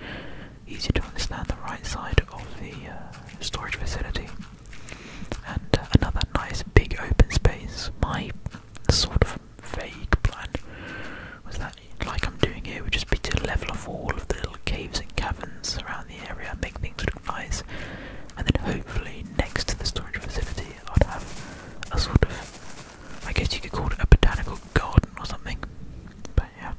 easier to understand, the right side of the uh, storage facility, and uh, another nice big open space. My sort of vague plan was that like I'm doing here would just be to level off all of the little caves and caverns around the area, make things look nice, and then hopefully next to the storage facility I'd have a sort of, I guess you could call it a botanical garden or something. But yeah.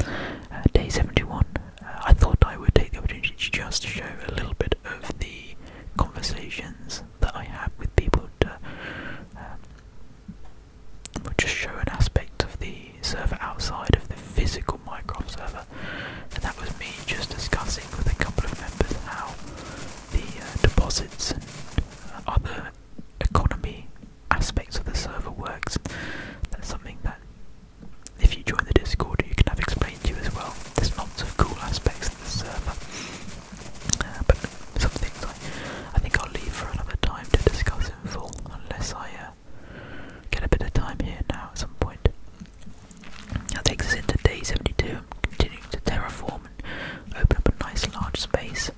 Uh, day 71. Uh, I thought I would take the opportunity to just show a little bit of the conversations that I have with people to, um, will just show an aspect of the server outside of the physical Minecraft server. And that was me just discussing with a couple of members how the uh, deposits and other economy aspects of the server works. That's something that if you join the Discord you can have explained to you as well. There's lots of cool aspects of the server. Uh, but some things I, I think I'll leave for another time to discuss in full, unless I uh, get a bit of time here now at some point. That takes us into day 72, I'm continuing to terraform and open up a nice large space.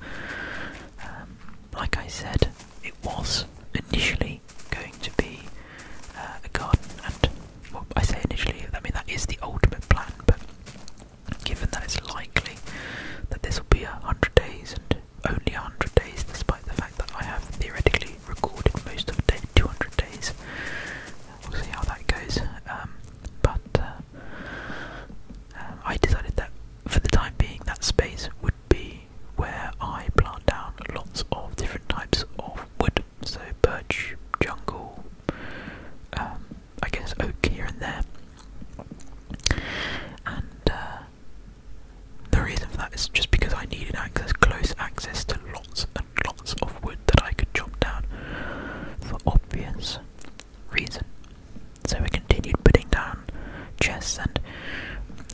Um, like I said, it was initially going to be uh, a garden, and I say initially, I mean that is the ultimate plan, but given that it's likely that this will be a hundred days and only a hundred days, despite the fact that I have theoretically recorded most of day 200 days. We'll see how that goes. Um, but uh, I decided that for the time being, that space would be where I plant down lots of different types of wood. So birch, jungle, um, I guess oak here and there and uh, the reason for that is just because I needed access, close access to lots and lots of wood that I could chop down for obvious reason. So we continued putting down chests, and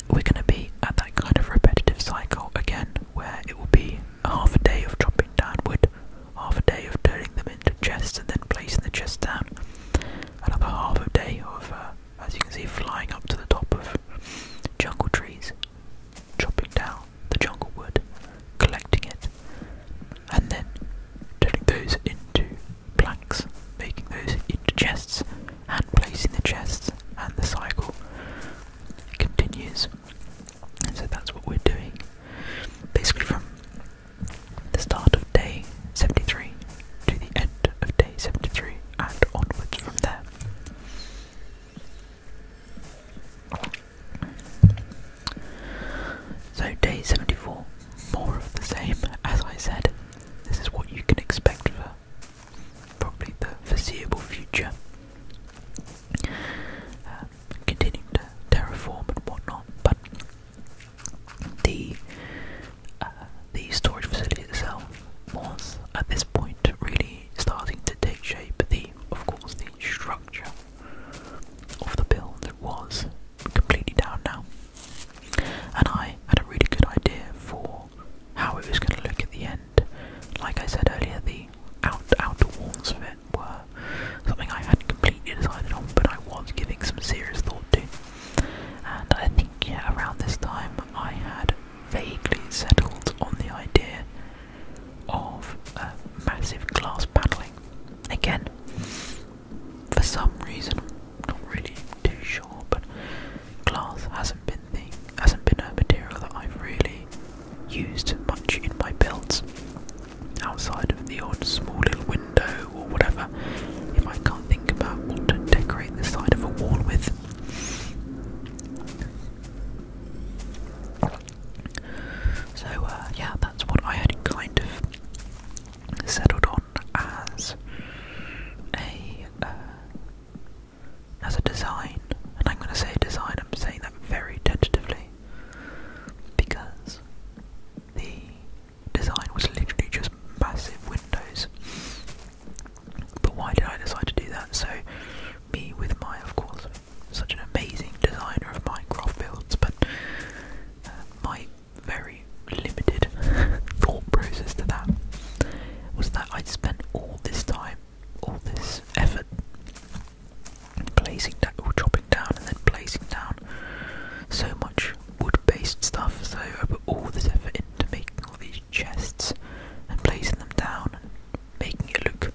we're going to be at that kind of repetitive cycle again, where it will be half a day of chopping down wood, half a day of turning them into chests, and then placing the chests down, another half a day of, uh, as you can see, flying up to the top of jungle trees, chopping down the jungle wood, collecting it, and then turning those into planks, making those into chests, and placing the chests, and the cycle continues. And so that's what we're doing. Basically, from the start of day 73 to the end of day 73 and onwards from there. So, day 74, more of the same, as I said. This is what you can expect for probably the foreseeable future. Um, terraform and whatnot, but the uh, the storage facility itself was at this point really starting to take shape. The of course the structure of the build was completely down now, and I had a really good idea for how it was going to look at the end. Like I said earlier, the out, outer walls of it were something I hadn't completely decided on, but I was giving some serious thought to. And I think, yeah, around this time I had vaguely settled on the idea of massive glass paddling. Again, for some reason, I'm not really too sure, but glass hasn't been the hasn't been a material that I've really used much in my builds outside of the odd small little window or whatever if I can't think about what to decorate the side of a wall with. So, uh, yeah, that's what I had kind of settled on as a uh, as a design, and I'm going to say design. I'm saying that very tentatively because the design was literally just massive windows. But why did I decide to do that? So, me with my, of course, such an amazing designer of Minecraft builds, but uh, my very limited thought process to that was that I'd spent all this time, all this effort placing down, or down and then placing down so much wood-based stuff, so I put all this effort into making all these chests and placing them down and making it look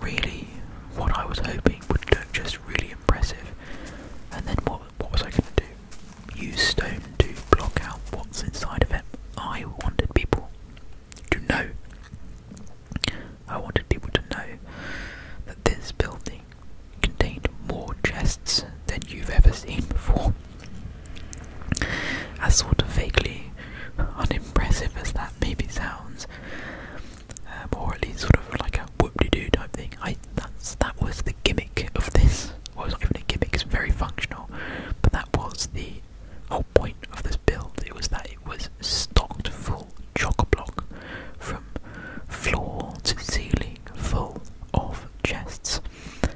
really what I was hoping would look just really impressive. And then what what was I gonna do? Use stone to block out what's inside of it. I wanted people to know. I wanted people to know that this building contained more chests than you've ever seen before. As sort of vaguely unimpressive as that maybe sounds, um, or at least sort of like a whoop de do type thing, I that's that was the gimmick of this. Well, it's not even a gimmick; it's very functional, but that was the whole point of this build. It was that it was stocked full chock-a-block from floor to ceiling full of chests,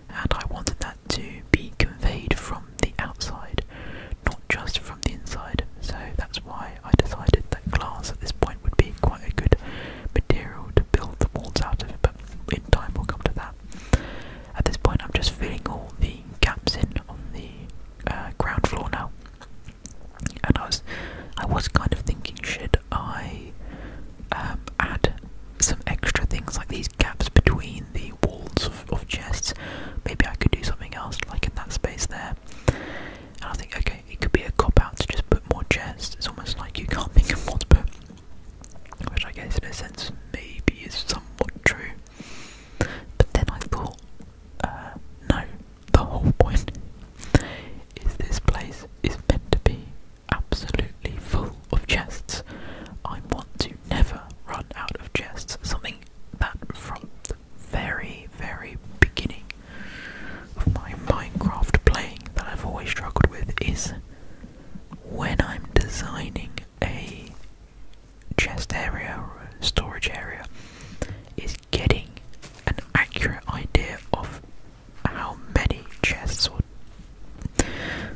and I wanted that to be conveyed from the outside, not just from the inside. So that's why I decided that glass at this point would be quite a good material to build the walls out of, but in time we'll come to that. At this point, I'm just filling all the gaps in on the uh, ground floor now, and I was, I was kind of thinking, should I um, add some extra things like these gaps between the walls of, chests. Maybe I could do something else like in that space there. And I think, okay, it could be a cop out to just put more chests. It's almost like you can't think of what to put. Which I guess, in a sense, maybe is somewhat true. But then I thought, uh, no, the whole point is this place is meant to be absolutely full of chests. I want to never run out of chests, something that from the very, very beginning of my Minecraft playing that I've always struggled with is when I'm designing a chest area or a storage area, is getting an accurate idea of how many chests or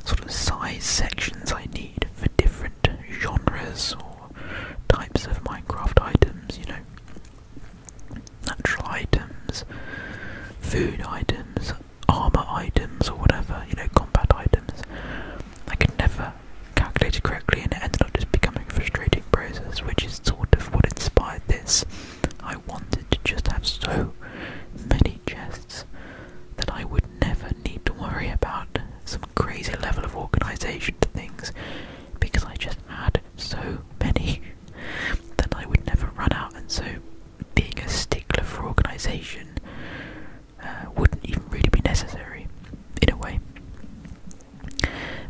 sort of size sections I need for different genres or types of Minecraft items, you know. Natural items, food items, armor items, or whatever, you know, combat items. I could never calculate it correctly, and it ended up just becoming a frustrating process, which is sort of what inspired this. I wanted to just have so many chests that I would never need to worry about some crazy level of organization to things because I just had so many that I would never run out, and so being a stickler for organization uh, wouldn't even really be necessary in a way.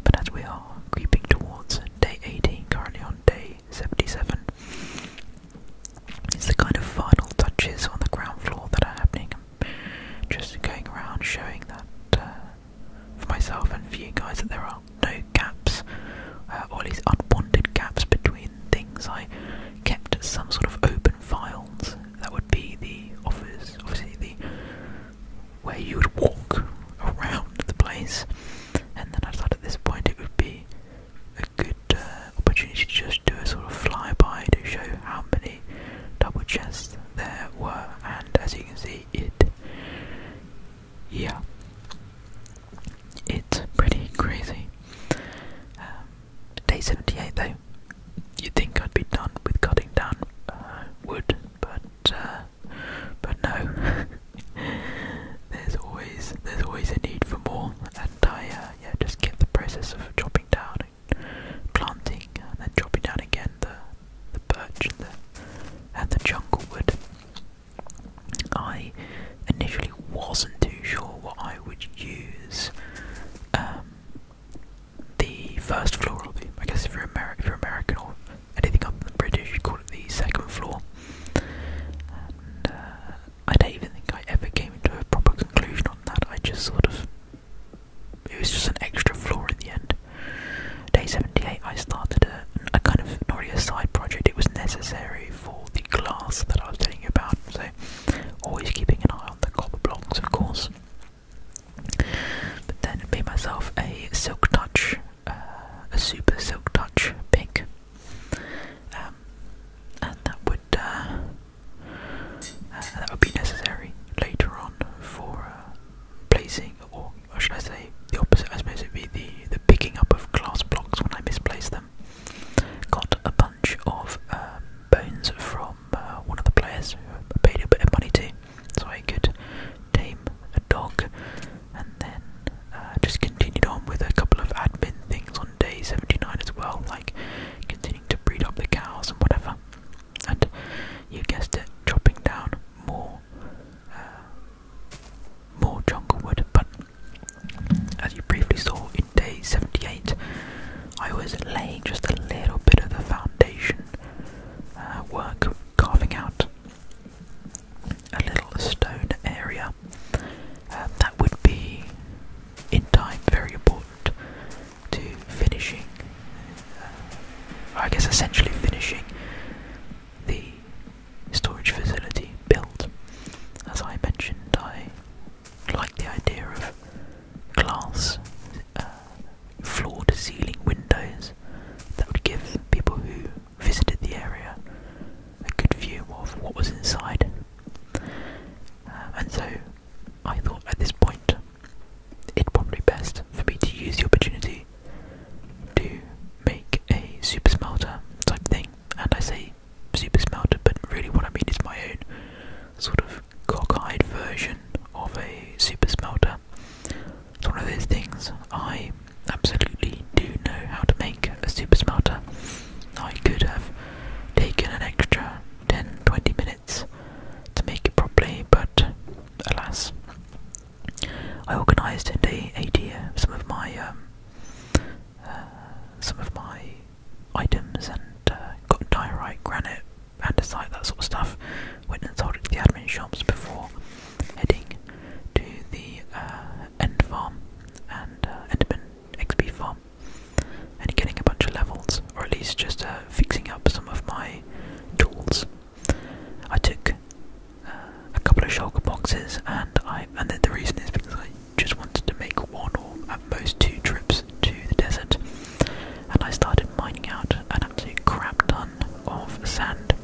But as we are creeping towards day 18, currently on day 77. It's the kind of final touches on the ground floor that are happening. Just going around showing that uh, for myself and for you guys that there are no gaps, uh, or unwanted gaps between things. I kept some sort of open files. That would be the office, obviously the where you would walk around the place, and then I thought at this point it would be a good uh, opportunity to just do a sort of flyby to show how many double chests there were, and as you can see, it, yeah, it's pretty crazy. Um, day 78 though, you'd think I'd be done with cutting down uh, wood, but uh, but no, there's always there's always a need for more, and I uh, yeah just kept the process of chopping down and planting, and then chopping down again the the birch and the and jungle wood. I initially wasn't too sure what I would use. Um, the first floor, or the, I guess if you're, if you're American or anything other than British, you call it the second floor. Uh, I don't even think I ever came into a proper conclusion on that. I just sort of. It was just an extra floor at the end. Day 78, I started a, a kind of not side project, it was necessary for the glass that I was telling you about. So, always keeping an eye on the copper blocks, of course. But then it made myself a silk touch uh, a super silk touch pink, um, and that would uh, uh, that would be necessary later on for placing, or, should I say, the opposite? I suppose it'd be the the picking up of glass blocks when I misplace them. Got a bunch of um, bones from one of the players who paid a bit of money to, so I could tame a dog and then uh, just continued on with a couple of admin things on day 79 as well, like continuing to breed up the cows and whatever. And you guessed it, chopping down more, uh, more jungle wood. But as you briefly saw in day 78, I was laying just a little bit of the foundation uh, work, carving out a little stone area. Um, that would be, in time, very important to finishing, uh, I guess essentially finishing the storage facility built. As I mentioned, I like the idea of glass uh, floor to ceiling windows that would give people who visited the area, a good view of what was inside. Uh, and so I thought at this point it would probably best for me to use the opportunity to make a super smelter type thing. And I say super smelter, but really what I mean is my own sort of cockeyed version of a super smelter. It's one of those things I absolutely do know how to make a super smelter. I could have taken an extra 10 20 minutes to make it properly, but alas. I organised in day 80 some of my um, uh, some of my items and uh, got diorite, granite, and andesite, that sort of stuff. Went and sold it to the admin shops before heading to the uh, end farm and uh, enderman XP farm and getting a bunch of levels, or at least just uh, fixing up some of my tools. I took uh, a couple of shulker boxes, and I and the, the reason is because I just wanted to make one or at most two trips to the desert, and I started mining out an absolute crap ton of sand.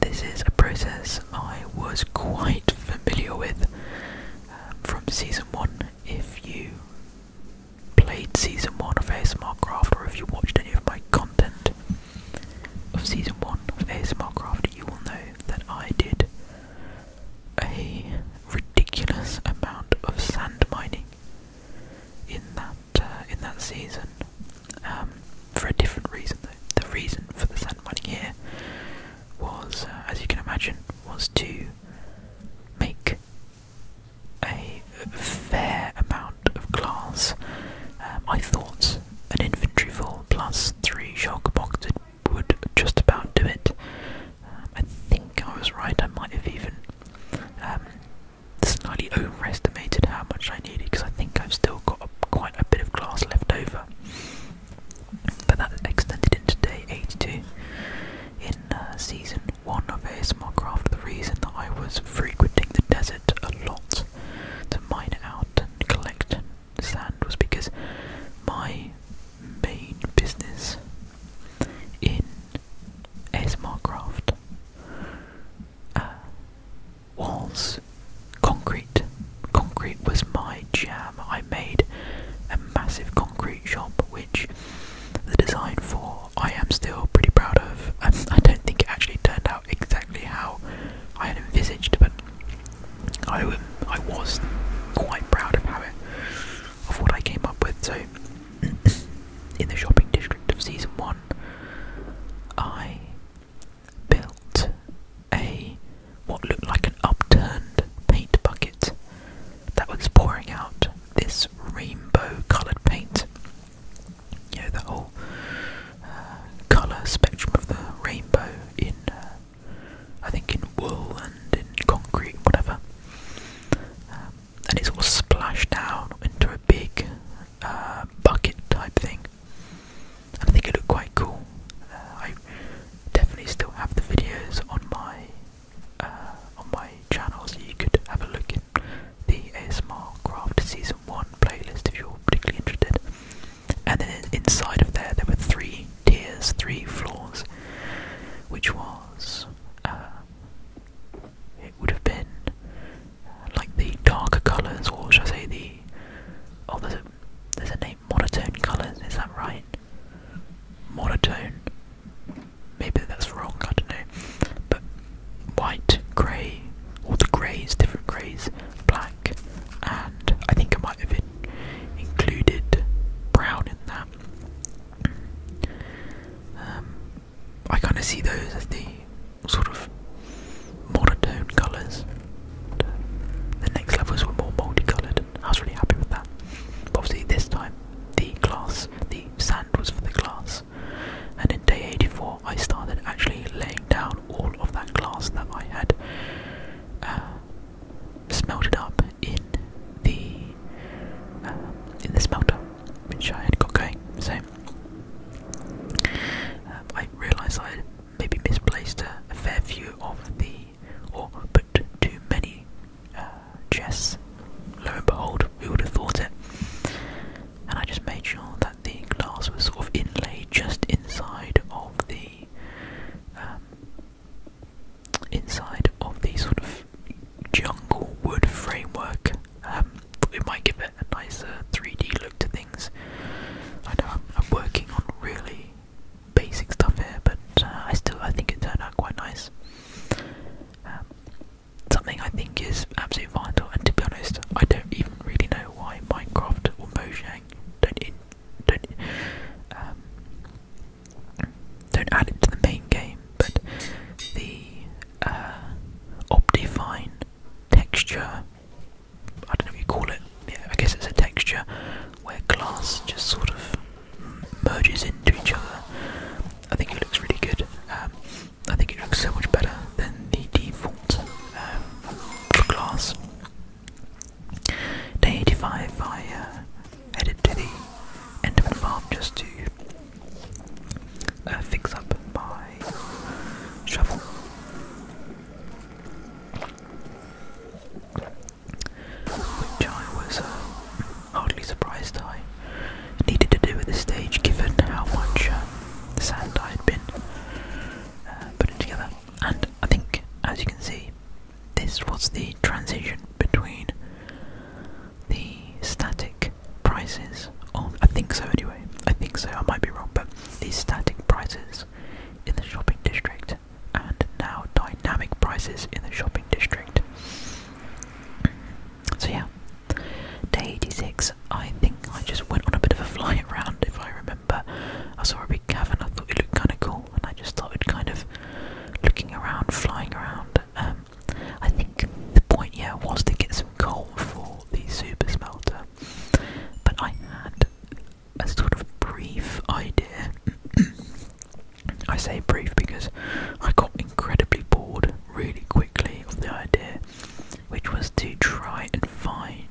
This is a process I was quite familiar with um, from season one. If you played season one of ASMR Craft, or if you watched any of my content of season one of ASMR Craft, you will know that I did a ridiculous amount of sand mining in that uh, in that season. Um, for a different reason, The reason for the sand and here was, uh, as you can imagine, was to make a fair amount of glass. Um, I thought an infantry full plus three shock boxes would just about do it. Um, I think I was right. I might have even um, slightly overestimated how much I needed because I think I've still got quite a bit of glass left over. But that extended into day 82 in uh, season 1 of ASMR The reason that I was frequenting the desert a lot to mine out and collect sand was because my main business in ASMR walls. Concrete. Concrete was my jam. I made a massive concrete shop, which the design for I am still pretty proud of. Um, I don't think it actually turned out exactly how I had envisaged, but I, um, I was quite proud of how it, of what I came up with. So, in the shopping district of season one, I built a what looked like an upturned paint bucket that was pouring out this rainbow coloured paint. You know, the whole uh, colour spectrum of the rainbow in, uh, I think, in wool and in concrete, whatever. Um, and it's all splashed down into a big uh, bucket type thing. I think it looked quite cool. Uh, I definitely still have the videos on my uh, on my channel, so you could have a look in the ASMR Craft Season One playlist if you're particularly interested. And then inside of there, there were three tiers, three floors, which was. Uh, it would have been like the darker colours, or should I say the, oh, there's there's a name, monotone colours, is that right? Monotone. Maybe that's wrong, I don't know. But white, grey, all the greys, different greys, black, and I think I might have in included brown in that. Um, I kind of see those as the sort of monotone colours. the next levels were more multicoloured, and I was really happy with that. obviously, this time the glass, the sand was for the glass, and in day 84, I started actually laying down all of that glass that I had uh, smelted up in the uh, in the smelter, which I had got going. So uh, I realised I had maybe misplaced a, fair view of the, or put too many uh, chess. Lo and behold, we would have thought it? And I just made sure that the glass was sort of inlaid just inside of the, um, inside of the sort of jungle wood framework. Um, it might give it a nicer 3D look to things. I know I'm working on really basic stuff here, but uh, I still I think it turned out quite nice. Um, something I think is absolutely vital, and to be honest, I don't even really know why Minecraft or Mojang don't don't um, don't add it to the main game, but the uh, Optifine texture I don't know if you call it. Yeah, I guess it's a texture where glass just sort of merges into each other. I think it looks really good. Um, I think it looks so much better than the default um, glass. Day 85, I uh, to the Enderman farm just to uh, fix up my shovel which I was uh, hardly surprised I needed to do at this stage given how much uh, sand I had been uh, putting together. And I think, as you can see, this was the transition between the static prices I think so anyway, I think so, I might be wrong, but these static prices in the shopping district and now dynamic prices in the shopping district. So yeah, day 86, I think I just went on a bit of a fly around if I remember. I saw a big cavern, I thought it looked kind of cool, and I just started kind of looking around, flying around. Um, I think the point, yeah, was to get some coal for the super smelter, but I had a sort of brief idea. I say brief because I got incredibly bored really quickly of the idea, which was to try and find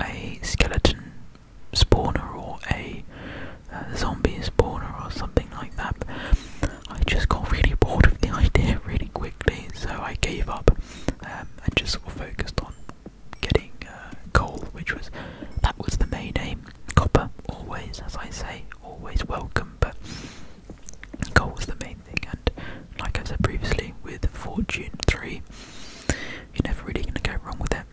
a skeleton spawner or a, uh, zombie spawner or something like that. I just got really bored of the idea really quickly, so I gave up um, and just sort focused on getting uh, coal, which was that was the main aim. Copper, always, as I say, always welcome, but coal was the main thing. And like I said previously, with Fortune 3, you're never really going to go wrong with it.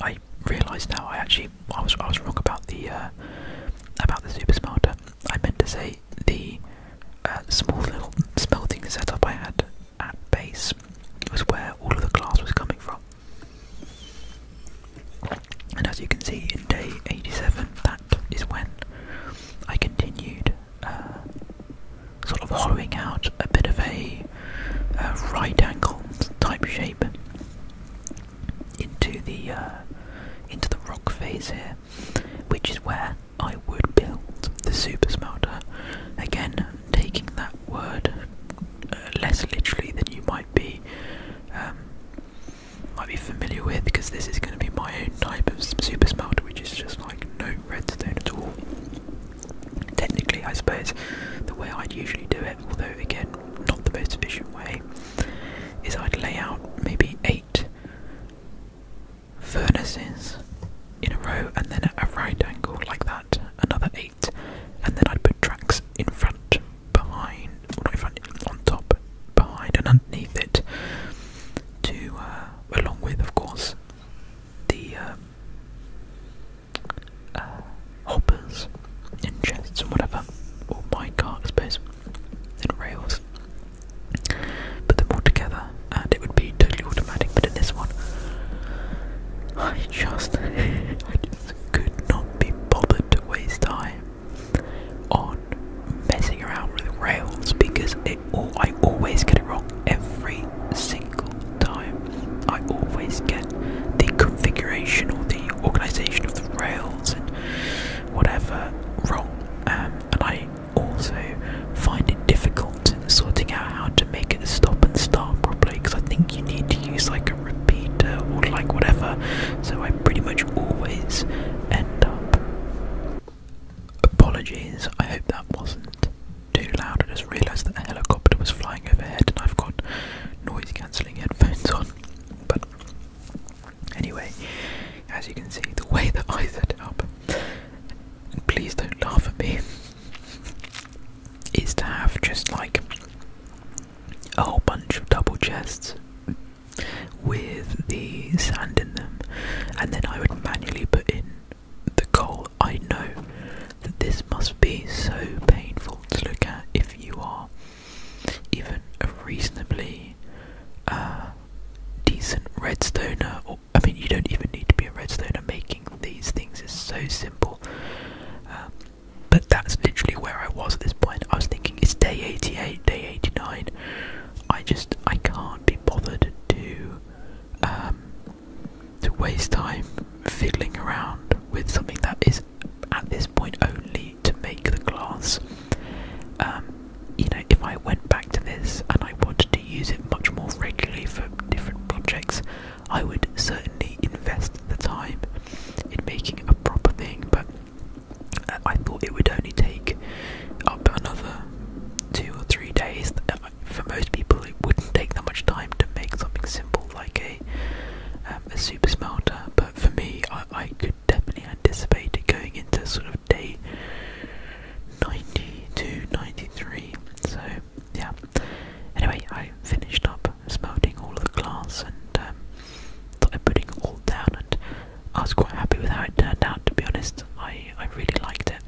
I realised now I actually I was I was wrong about the uh, about the super smelter. I meant to say the uh, small little smelting setup I had at base was where all of the glass was coming from. And as you can see in day 87, that is when I continued uh, sort of hollowing out a bit of a uh, right angle type shape into the uh, into the rock phase here, which is where I would build the super smelter. Again, taking that word uh, less literally than you might be um, might be familiar with, because this is going to be my own type of super smelter, which is just like no redstone at all. Technically, I suppose the way I'd usually do it, although again not the most efficient way, is I'd lay out maybe eight furnaces in a row and then at a right angle like that, another eight, and then I'd put tracks in front, behind, or in front, on top, behind, and underneath it, to uh, along with, of course, the um, uh, hoppers and chests and whatever, or my cart, I suppose, and rails. Put them all together, and it would be totally automatic, but in this one, I just could not be bothered to waste time on messing around with rails because I always get it wrong every single time. I always get the configuration or the organization of the rails and whatever wrong, um, and I also find it difficult out sorting out how to make it stop and start properly because I think you need to use like a repeater or like whatever. So I pretty much always end up. Apologies, I hope that wasn't too loud. I just realised that a helicopter was flying overhead and I've got noise cancelling headphones on. But anyway, as you can see, the way that I set up, please don't laugh at me is to have just like a whole bunch of double chests with the sand in them, and then I would manually put in the coal. I know that this must be so painful to look at if you are even a reasonably uh, decent redstoner, or I mean, you don't even need to be a redstoner, make these things are so simple. Um, but that's literally where I was at this point. I was thinking it's day 88, day 89. I just I can't be bothered to um, to waste time fiddling around with something that is at this point only to make the glass. Um, you know, if I went back to this and I wanted to use it much more regularly for different projects, I would certainly invest the time in making a proper thing, but uh, I thought it would only take up another two or three days. Uh, for most people, it wouldn't take that much time to make something simple like a um, a super smelter, but for me, I, could definitely anticipate it going into sort of day ninety to 93. So yeah, Anyway, I finished up smelting all of the glass and um, putting it all down, and I was quite happy with how it turned out. To be honest, I I really liked it.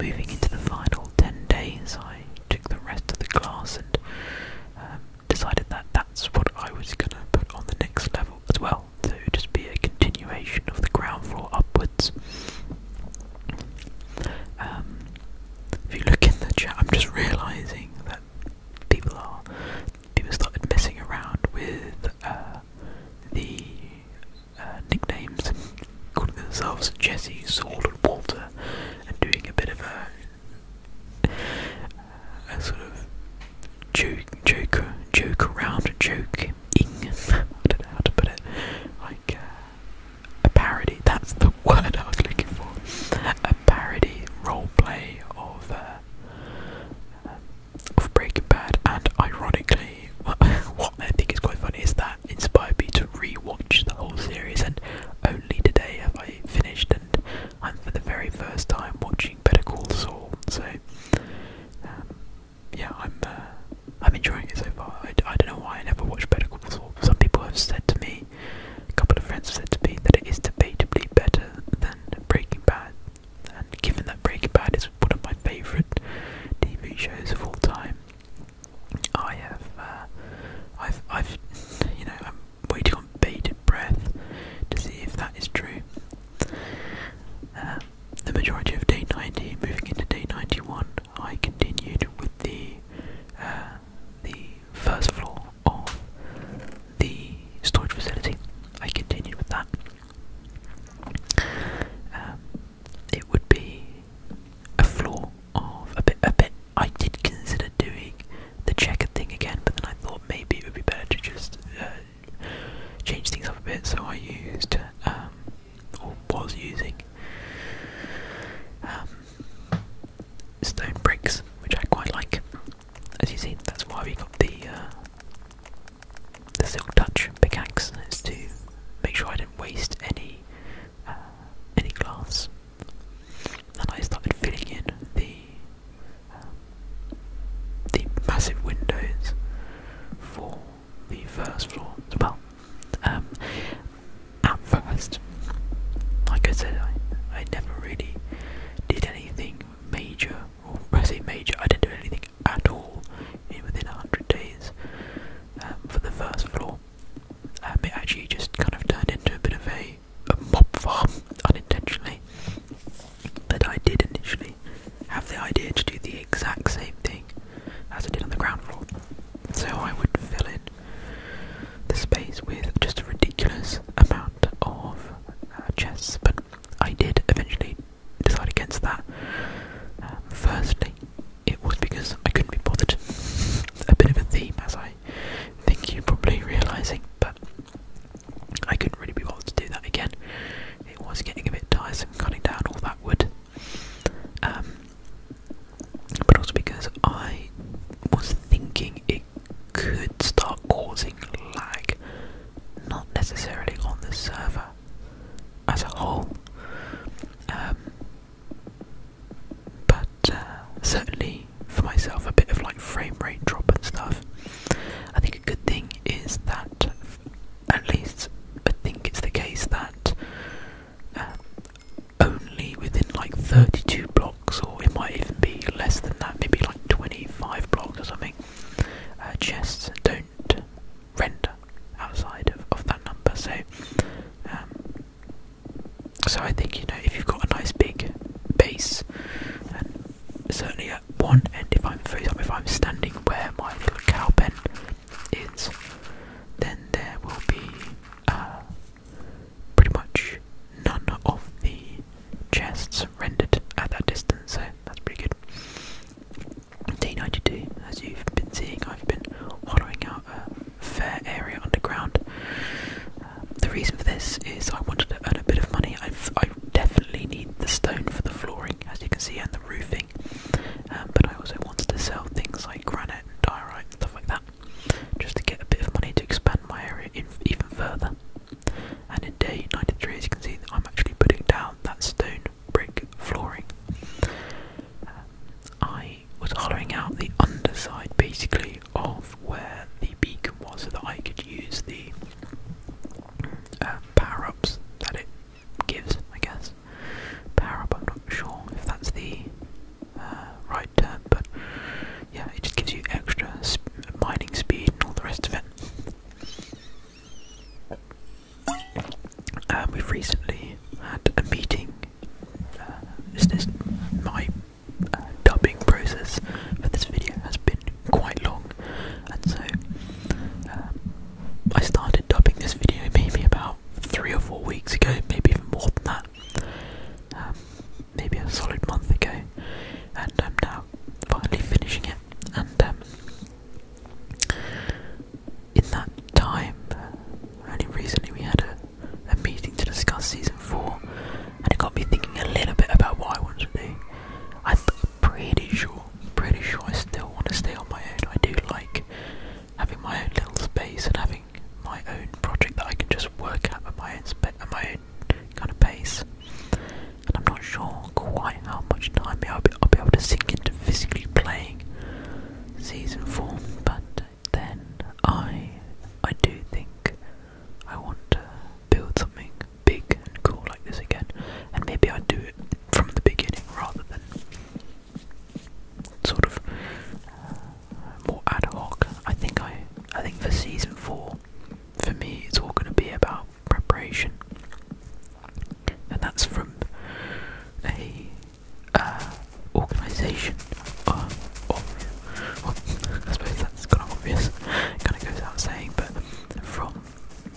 Moving into the final ten days, I took the rest of the glass and um, decided that that's what I was gonna put on the next level as well. So it would just be a continuation of the ground floor upwards. Um, if you look in the chat, I'm just realizing that people are people started messing around with uh, the uh, nicknames calling themselves Jesse, Saul, and Walter, and doing a bit of a, a sort of joke, joke, joke around, joke-ing. I don't know how to put it. Like uh, a parody, that's the word I was looking for, a parody role play of, uh, of Breaking Bad, and ironically, what I think is quite funny is that inspired me to re-watch the whole series, and only today have I finished, and I'm for the very first time watching Better Call Saul, so, um, yeah, I'm, uh, I'm enjoying it so far, I, I don't know why I never watched Better Call some people have said to me, a couple of friends have said to me, that it is debatably better than Breaking Bad. And given that Breaking Bad is one of my favourite TV shows of all time, I have, uh, I've, I've, you know, I'm waiting on bated breath to see if that is true. Uh, the majority of day 90, moving into day 91, I continued with the uh, the first floor of the storage facility. I continued with that. Um, it would be a floor of a bit. A bit. I did consider doing the checker thing again, but then I thought maybe it would be better to just uh, change things up a bit. So I used um, or was using um, stone bricks, which I quite like. As you see, that's why we got the uh, the silk touch pickaxe. Is to make sure I didn't waste any uh, any glass. And I started filling in the um, the massive windows for the first floor. Well, um, at first, like I said, I, I never really did anything major, or I say major, I didn't do anything at all in, within 100 days um, for the first floor. Um, it actually just kind of turned into a bit of a, a mob farm unintentionally. But I did initially have the idea to do the exact same thing as I did on the ground floor. So I would fill in the space with just a ridiculous amount of uh, chests, but I did eventually decide against that. Um, firstly, it was because I couldn't be bothered. a bit of a theme, as I think you're probably realising, but I couldn't really be bothered to do that again. It was getting a bit tiresome cutting down all that wood. Um, but also because I was thinking it could start causing lag, not necessarily on the server as a whole, um, but uh, certainly for myself, a bit of like frame rate drop and stuff. I think a good thing is that, at least I think it's the case that. Uh, only within like 32 blocks, or it might even be less than that, maybe like 25 blocks or something. Uh, chests don't render outside of, that number, so um, so I think you know if you've got a nice big base, and certainly at one end, if I'm if I'm standing where my little cow pen is, then there will be. Uh, pretty much none of the chests rendered at that distance, so that's pretty good. Day 92, as you've been seeing, I've been hollowing out a fair area underground. Um, the reason for this is I wanted to earn a bit of money. i definitely need the stone for the flooring, as you can see, and the roofing, um, but I also wanted to sell things like granite and diorite and stuff like that just to get a bit of money to expand my area even further. And in day 93, as you can see, I'm actually putting down that stone brick flooring. Uh, I was hollowing out the underside basically of where the beacon was so that I could use the uh, power ups that it gives, I guess. Power up, I'm not sure if that's the uh, right turn, but yeah, it just gives you extra mining speed and all the rest of it. Um, we've recently had a meeting. Uh, this is my uh, dubbing process for this video has been quite long, and so um, I started dubbing this video maybe about three or four weeks ago, maybe even more than that. Um, maybe a solid month ago, and I'm now finally finishing it. And um, in that time, only recently we had a, a meeting to discuss season four, and it got me thinking a little bit about what I want to do. I'm pretty sure, pretty sure I still want to stay on my own. I do like having my own little space and having my own project that I can just work at at my own at my own kind of pace. And I'm not sure quite how much time I'll be, I'll be able to sink into physically playing season four, but then I I do think I want to build something big and cool like this again, and maybe I do it from the beginning rather than sort of uh, more ad hoc. I think I, I think for season four, for me, it's all going to be about preparation, and that's from a organisation. Uh, um, obvious. I suppose that's kind of obvious. It kind of goes without saying, but from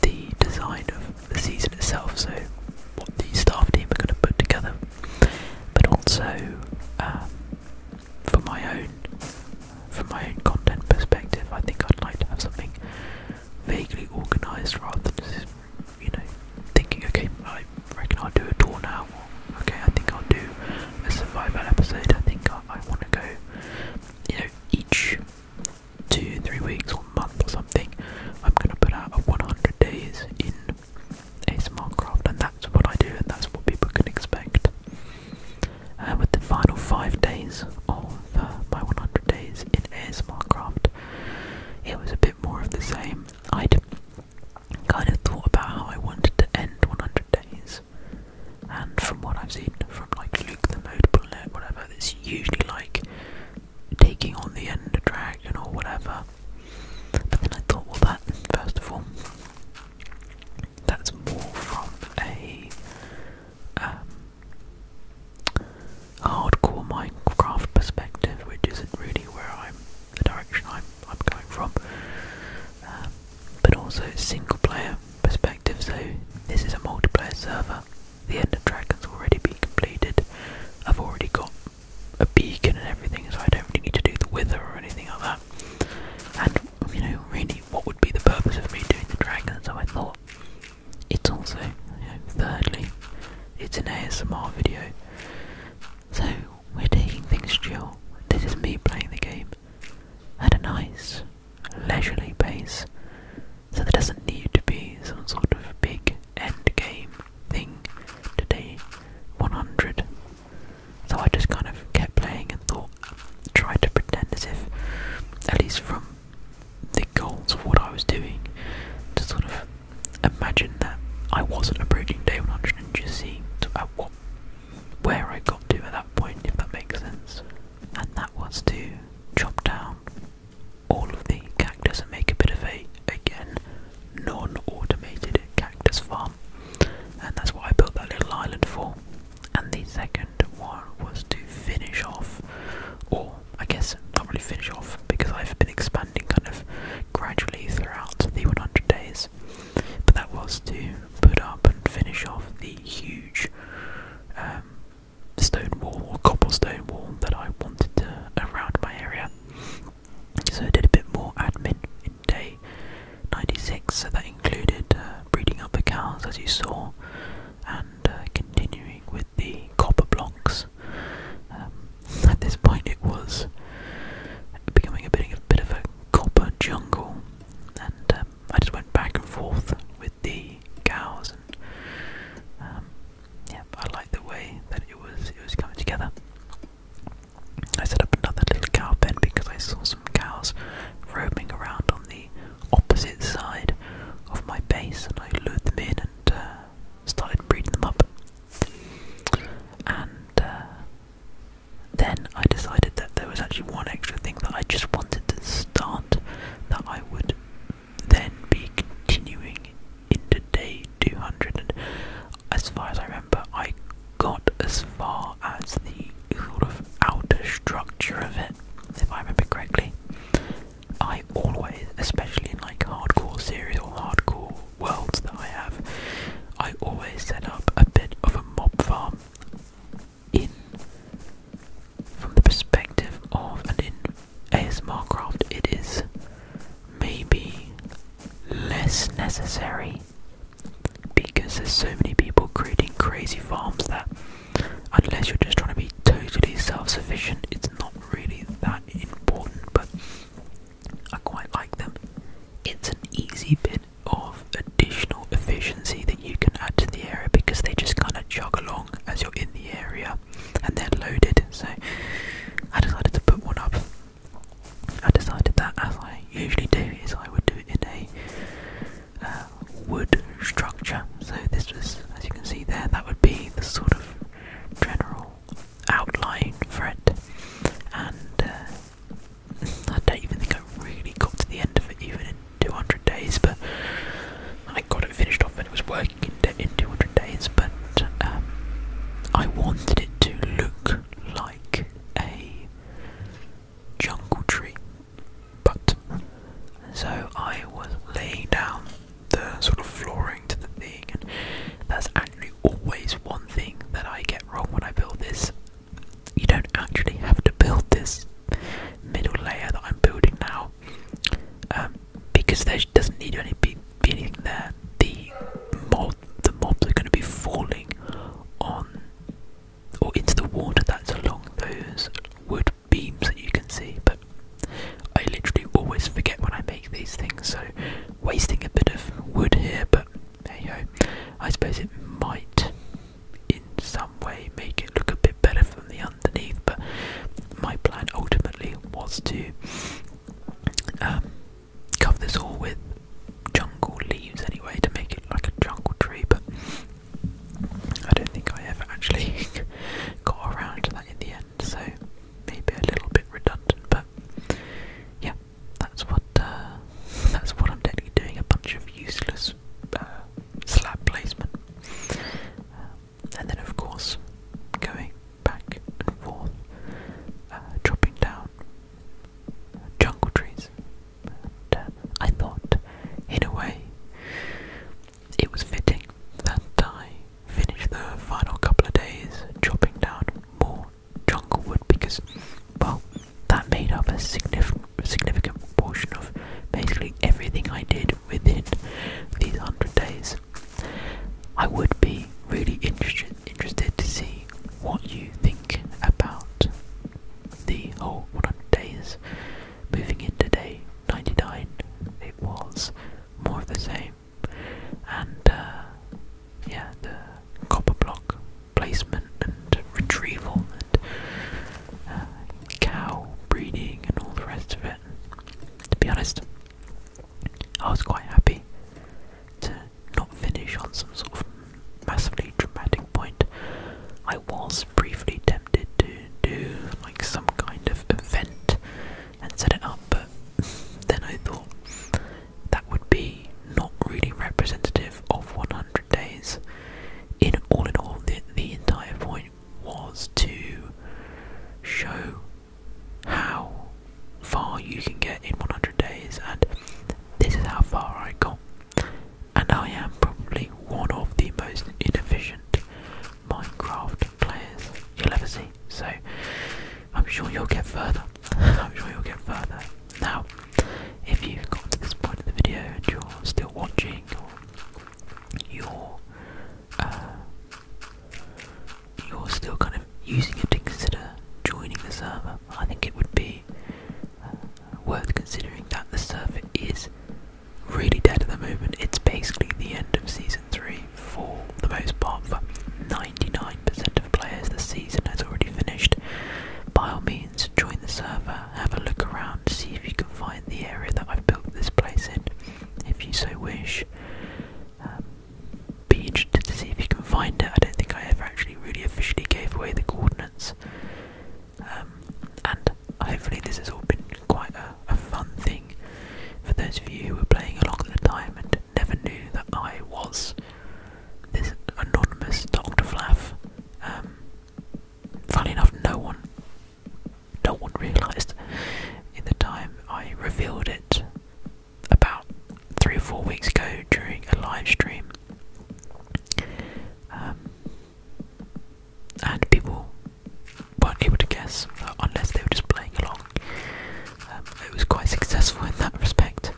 the design of the season itself. So what the staff team are going to put together, but also um, for my own from my own content perspective, I think I'd like to have something vaguely organised rather than just you know thinking, okay, I reckon I'll do a tour now. okay, I think I'll do a survival episode. I think I, I want to go, you know, each two, three weeks or month or something. I'm gonna put out a 100 days in ASMR craft, and that's what I do, and that's what people can expect. Uh, with the final five days of uh, my 100 days in ASMR craft, it was a bit more of the same. I'd kind of thought about how I wanted to end 100 days, and from what I've seen from like Luke the Mode Bullet, whatever, it's usually like taking on the Ender Dragon or whatever, but then I thought, well, that, first of all, that's more from a um, hardcore Minecraft perspective, which isn't really where I'm, the direction I'm, I'm going from. Um, but also single player perspective, so this is a multiplayer server. The End of Dragon's already been completed. I've already got a beacon and everything, so I don't really need to do the wither or anything like that. And, you know, really, what would be the purpose of me doing the dragon? So I thought it's also, thirdly, it's an ASMR video. So we're taking things chill. This is me playing the game at a nice, leisurely pace. So there doesn't need to be some sort of big end game thing today. 100 so I just kind of kept playing and thought, tried to pretend as if, at least from the goals of what I was doing, to sort of imagine that I wasn't approaching David 100 and just see at uh, what, where I got to at that point, if that makes sense. And that was to chop down all of the cactus and make a bit of a, again, non-automated cactus farm, and that's what I built that little island for. And the second one was to finish off, or I guess not really finish off, because I've been expanding kind of gradually throughout the 100 days. But that was to put up and finish off the huge um, stone wall or cobblestone wall that I wanted to around my area. So I did a bit more admin in day 96. So that included uh, breeding up the cows, as you saw, and uh, continuing with the copper blocks. Um, at this point, it was becoming a bit, of a copper jungle, and um, I just went back and forth with the cows. And um, I liked the way that it was it was coming together. I set up another little cow pen because I saw some cows roaming around on the opposite side of my base, and I lured them in and uh, started breeding them up. And uh, then I decided that there was actually one extra thing that I just wanted to start that I would then be continuing into day 200. as far as I remember. But I got as far as the sort of outer structure of it, if I remember correctly. I always, especially in like hardcore series or hardcore worlds that I have, I always set up a bit of a mob farm in from the perspective of an in ASMR craft it is maybe less necessary because there's so many people creating crazy farms that unless you're just trying to be totally self-sufficient, it's not really that important. But I quite like them. It's an easy bit of additional efficiency that you can add to the area because they just kind of jog along as you're in the area and they're loaded. So I decided to put one up I decided that, as I usually do, is I would do it in a uh, wood structure. So this was, as you can see there, that would be the sort of general outline for it. And uh, I don't even think I really got to the end of it, even in 200 days. But I got it finished off, and it was working in, 200 days. But um, I wanted it to look like a jungle tree. But so I was laying down the sort of flooring to the thing, and that's actually always one thing that I get wrong when I build this. You don't actually have to build this middle layer that I'm building now, um, because there doesn't need to be, be anything there. The mob, the mobs are going to be falling on or into the water that's along those wood beams that you can see. But I literally always forget when I make these things, so wasting a bit of wood here, but hey ho, I suppose it might in some way make it look a bit better from the underneath. But my plan ultimately was to um, cover this all with jungle leaves anyway to make it like a jungle tree, but I don't think I ever actually got around to that in the end, so maybe a little bit redundant, but yeah, that's what uh, that's what I'm doing, a bunch of useless uh, slab placement. Uh, and then of course going back and forth, uh, dropping down jungle trees. Uh, I thought, in a way, it was fitting that I finished the final couple of days chopping down more jungle wood because, well, that made up a significant significant proportion of basically everything I did within these hundred days. I would be really interested interested to see what you think about the whole 100 days. Moving into day 99, it was more of the same. And uh, yeah, the copper block placement and retrieval and uh, cow breeding and all the rest of it. To be honest, I was quite happy to not finish on some sort of massively dramatic point, I was briefly tempted to do like some kind of event and set it up, but then I thought that would be not really representative of 100 days. In all in all, the, the entire point was to show how far you can get in 100 days, and this is how far I got and I am probably one of the most inefficient Minecraft players you'll ever see. So I'm sure you'll get further. I'm sure you'll get further. Now, if you've got to this point of the video and you're still watching, or you're uh, you're still kind of using it to consider joining the server, I think it would be uh, worth considering that the server is really dead at the moment. It's basically the end of season 3 for the most part for 99% of players. The season has already finished. By all means, join the server, have a look around, see if you can find the area that I've built this place in, if you so wish. Um, be interested to see if you can find it. I don't think I ever actually really officially gave away the coordinates. Um, and hopefully, this has all been quite a, fun thing for those of you who were playing along at the time and never knew that I was this anonymous Doctor Flaff. Um, Funny enough, no one, no one realised. In the time I revealed it about three or four weeks ago during a live stream, um, and people weren't able to guess uh, unless they were just playing along. Um, it was quite successful in that respect.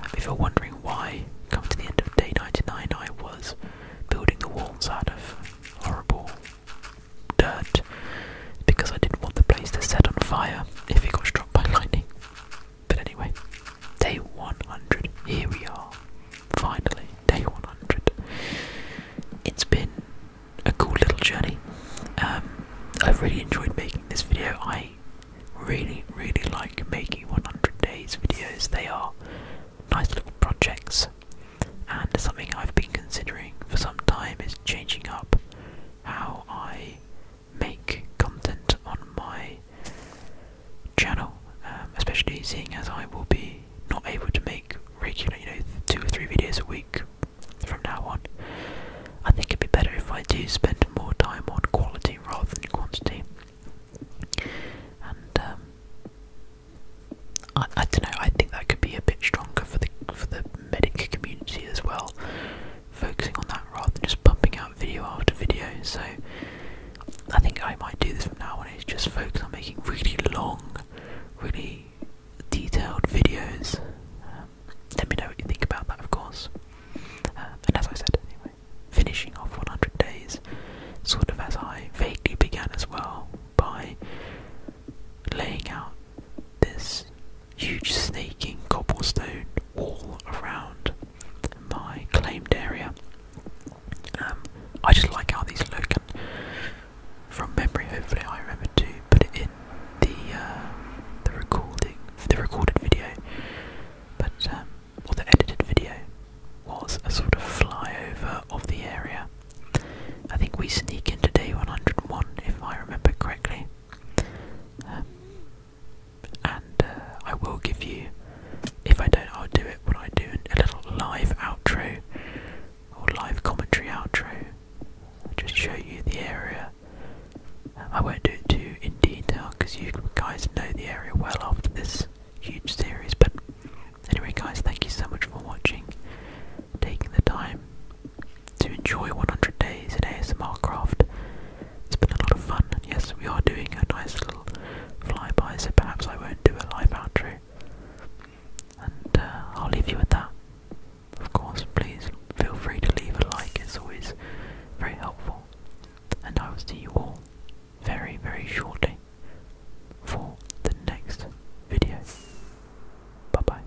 Um, if you're wondering why, coming to the end of day 99, I was building the walls out of horrible dirt because I didn't want the place to set on fire if it got struck by lightning. But anyway, day 100. Here we are. Finally, day 100. It's been a cool little journey. Um, I've really enjoyed making this video. I really, really like making 100 days videos. They are nice little projects, and something I've been considering for some time is changing up how I make content on my channel, um, especially seeing as I will be not able to make regular, you know, two or three videos a week from now on. I think it'd be better if I do spend more time on quality rather than quantity. And um, I, don't know. I think that could be a bit stronger for the for the medic community as well, focusing on that rather than just pumping out video after video, so I think I might do this from now on. Is just focus on making really long, really detailed videos. Um, let me know what you think about that, of course. Um, and as I said, anyway, finishing off 100 days, sort of as I vaguely began as well, by laying out this huge snaking cobblestone wall around my claimed area. Um, I just like how these look, from memory, hopefully, I remember to put it in the uh, the recording, the recorded video, but um, or the edited video was a sort of flyover of the area. I think we sneak into day 101 if I remember correctly. Um, and uh, I will give you, if I don't, I'll do it when I do a little live outro or live commentary outro. I'll just show you the area. I won't do it too in detail because you guys know the area well after this huge series. But anyway, guys, thank you so much for watching, taking the time to enjoy 100 days in ASMR Craft. It's been a lot of fun, yes, we are doing a nice little flyby, so perhaps I won't do a live outro. And uh, I'll leave you with that. Of course, please feel free to leave a like, it's always very helpful. And I will see you all very, very shortly for the next video. Bye bye.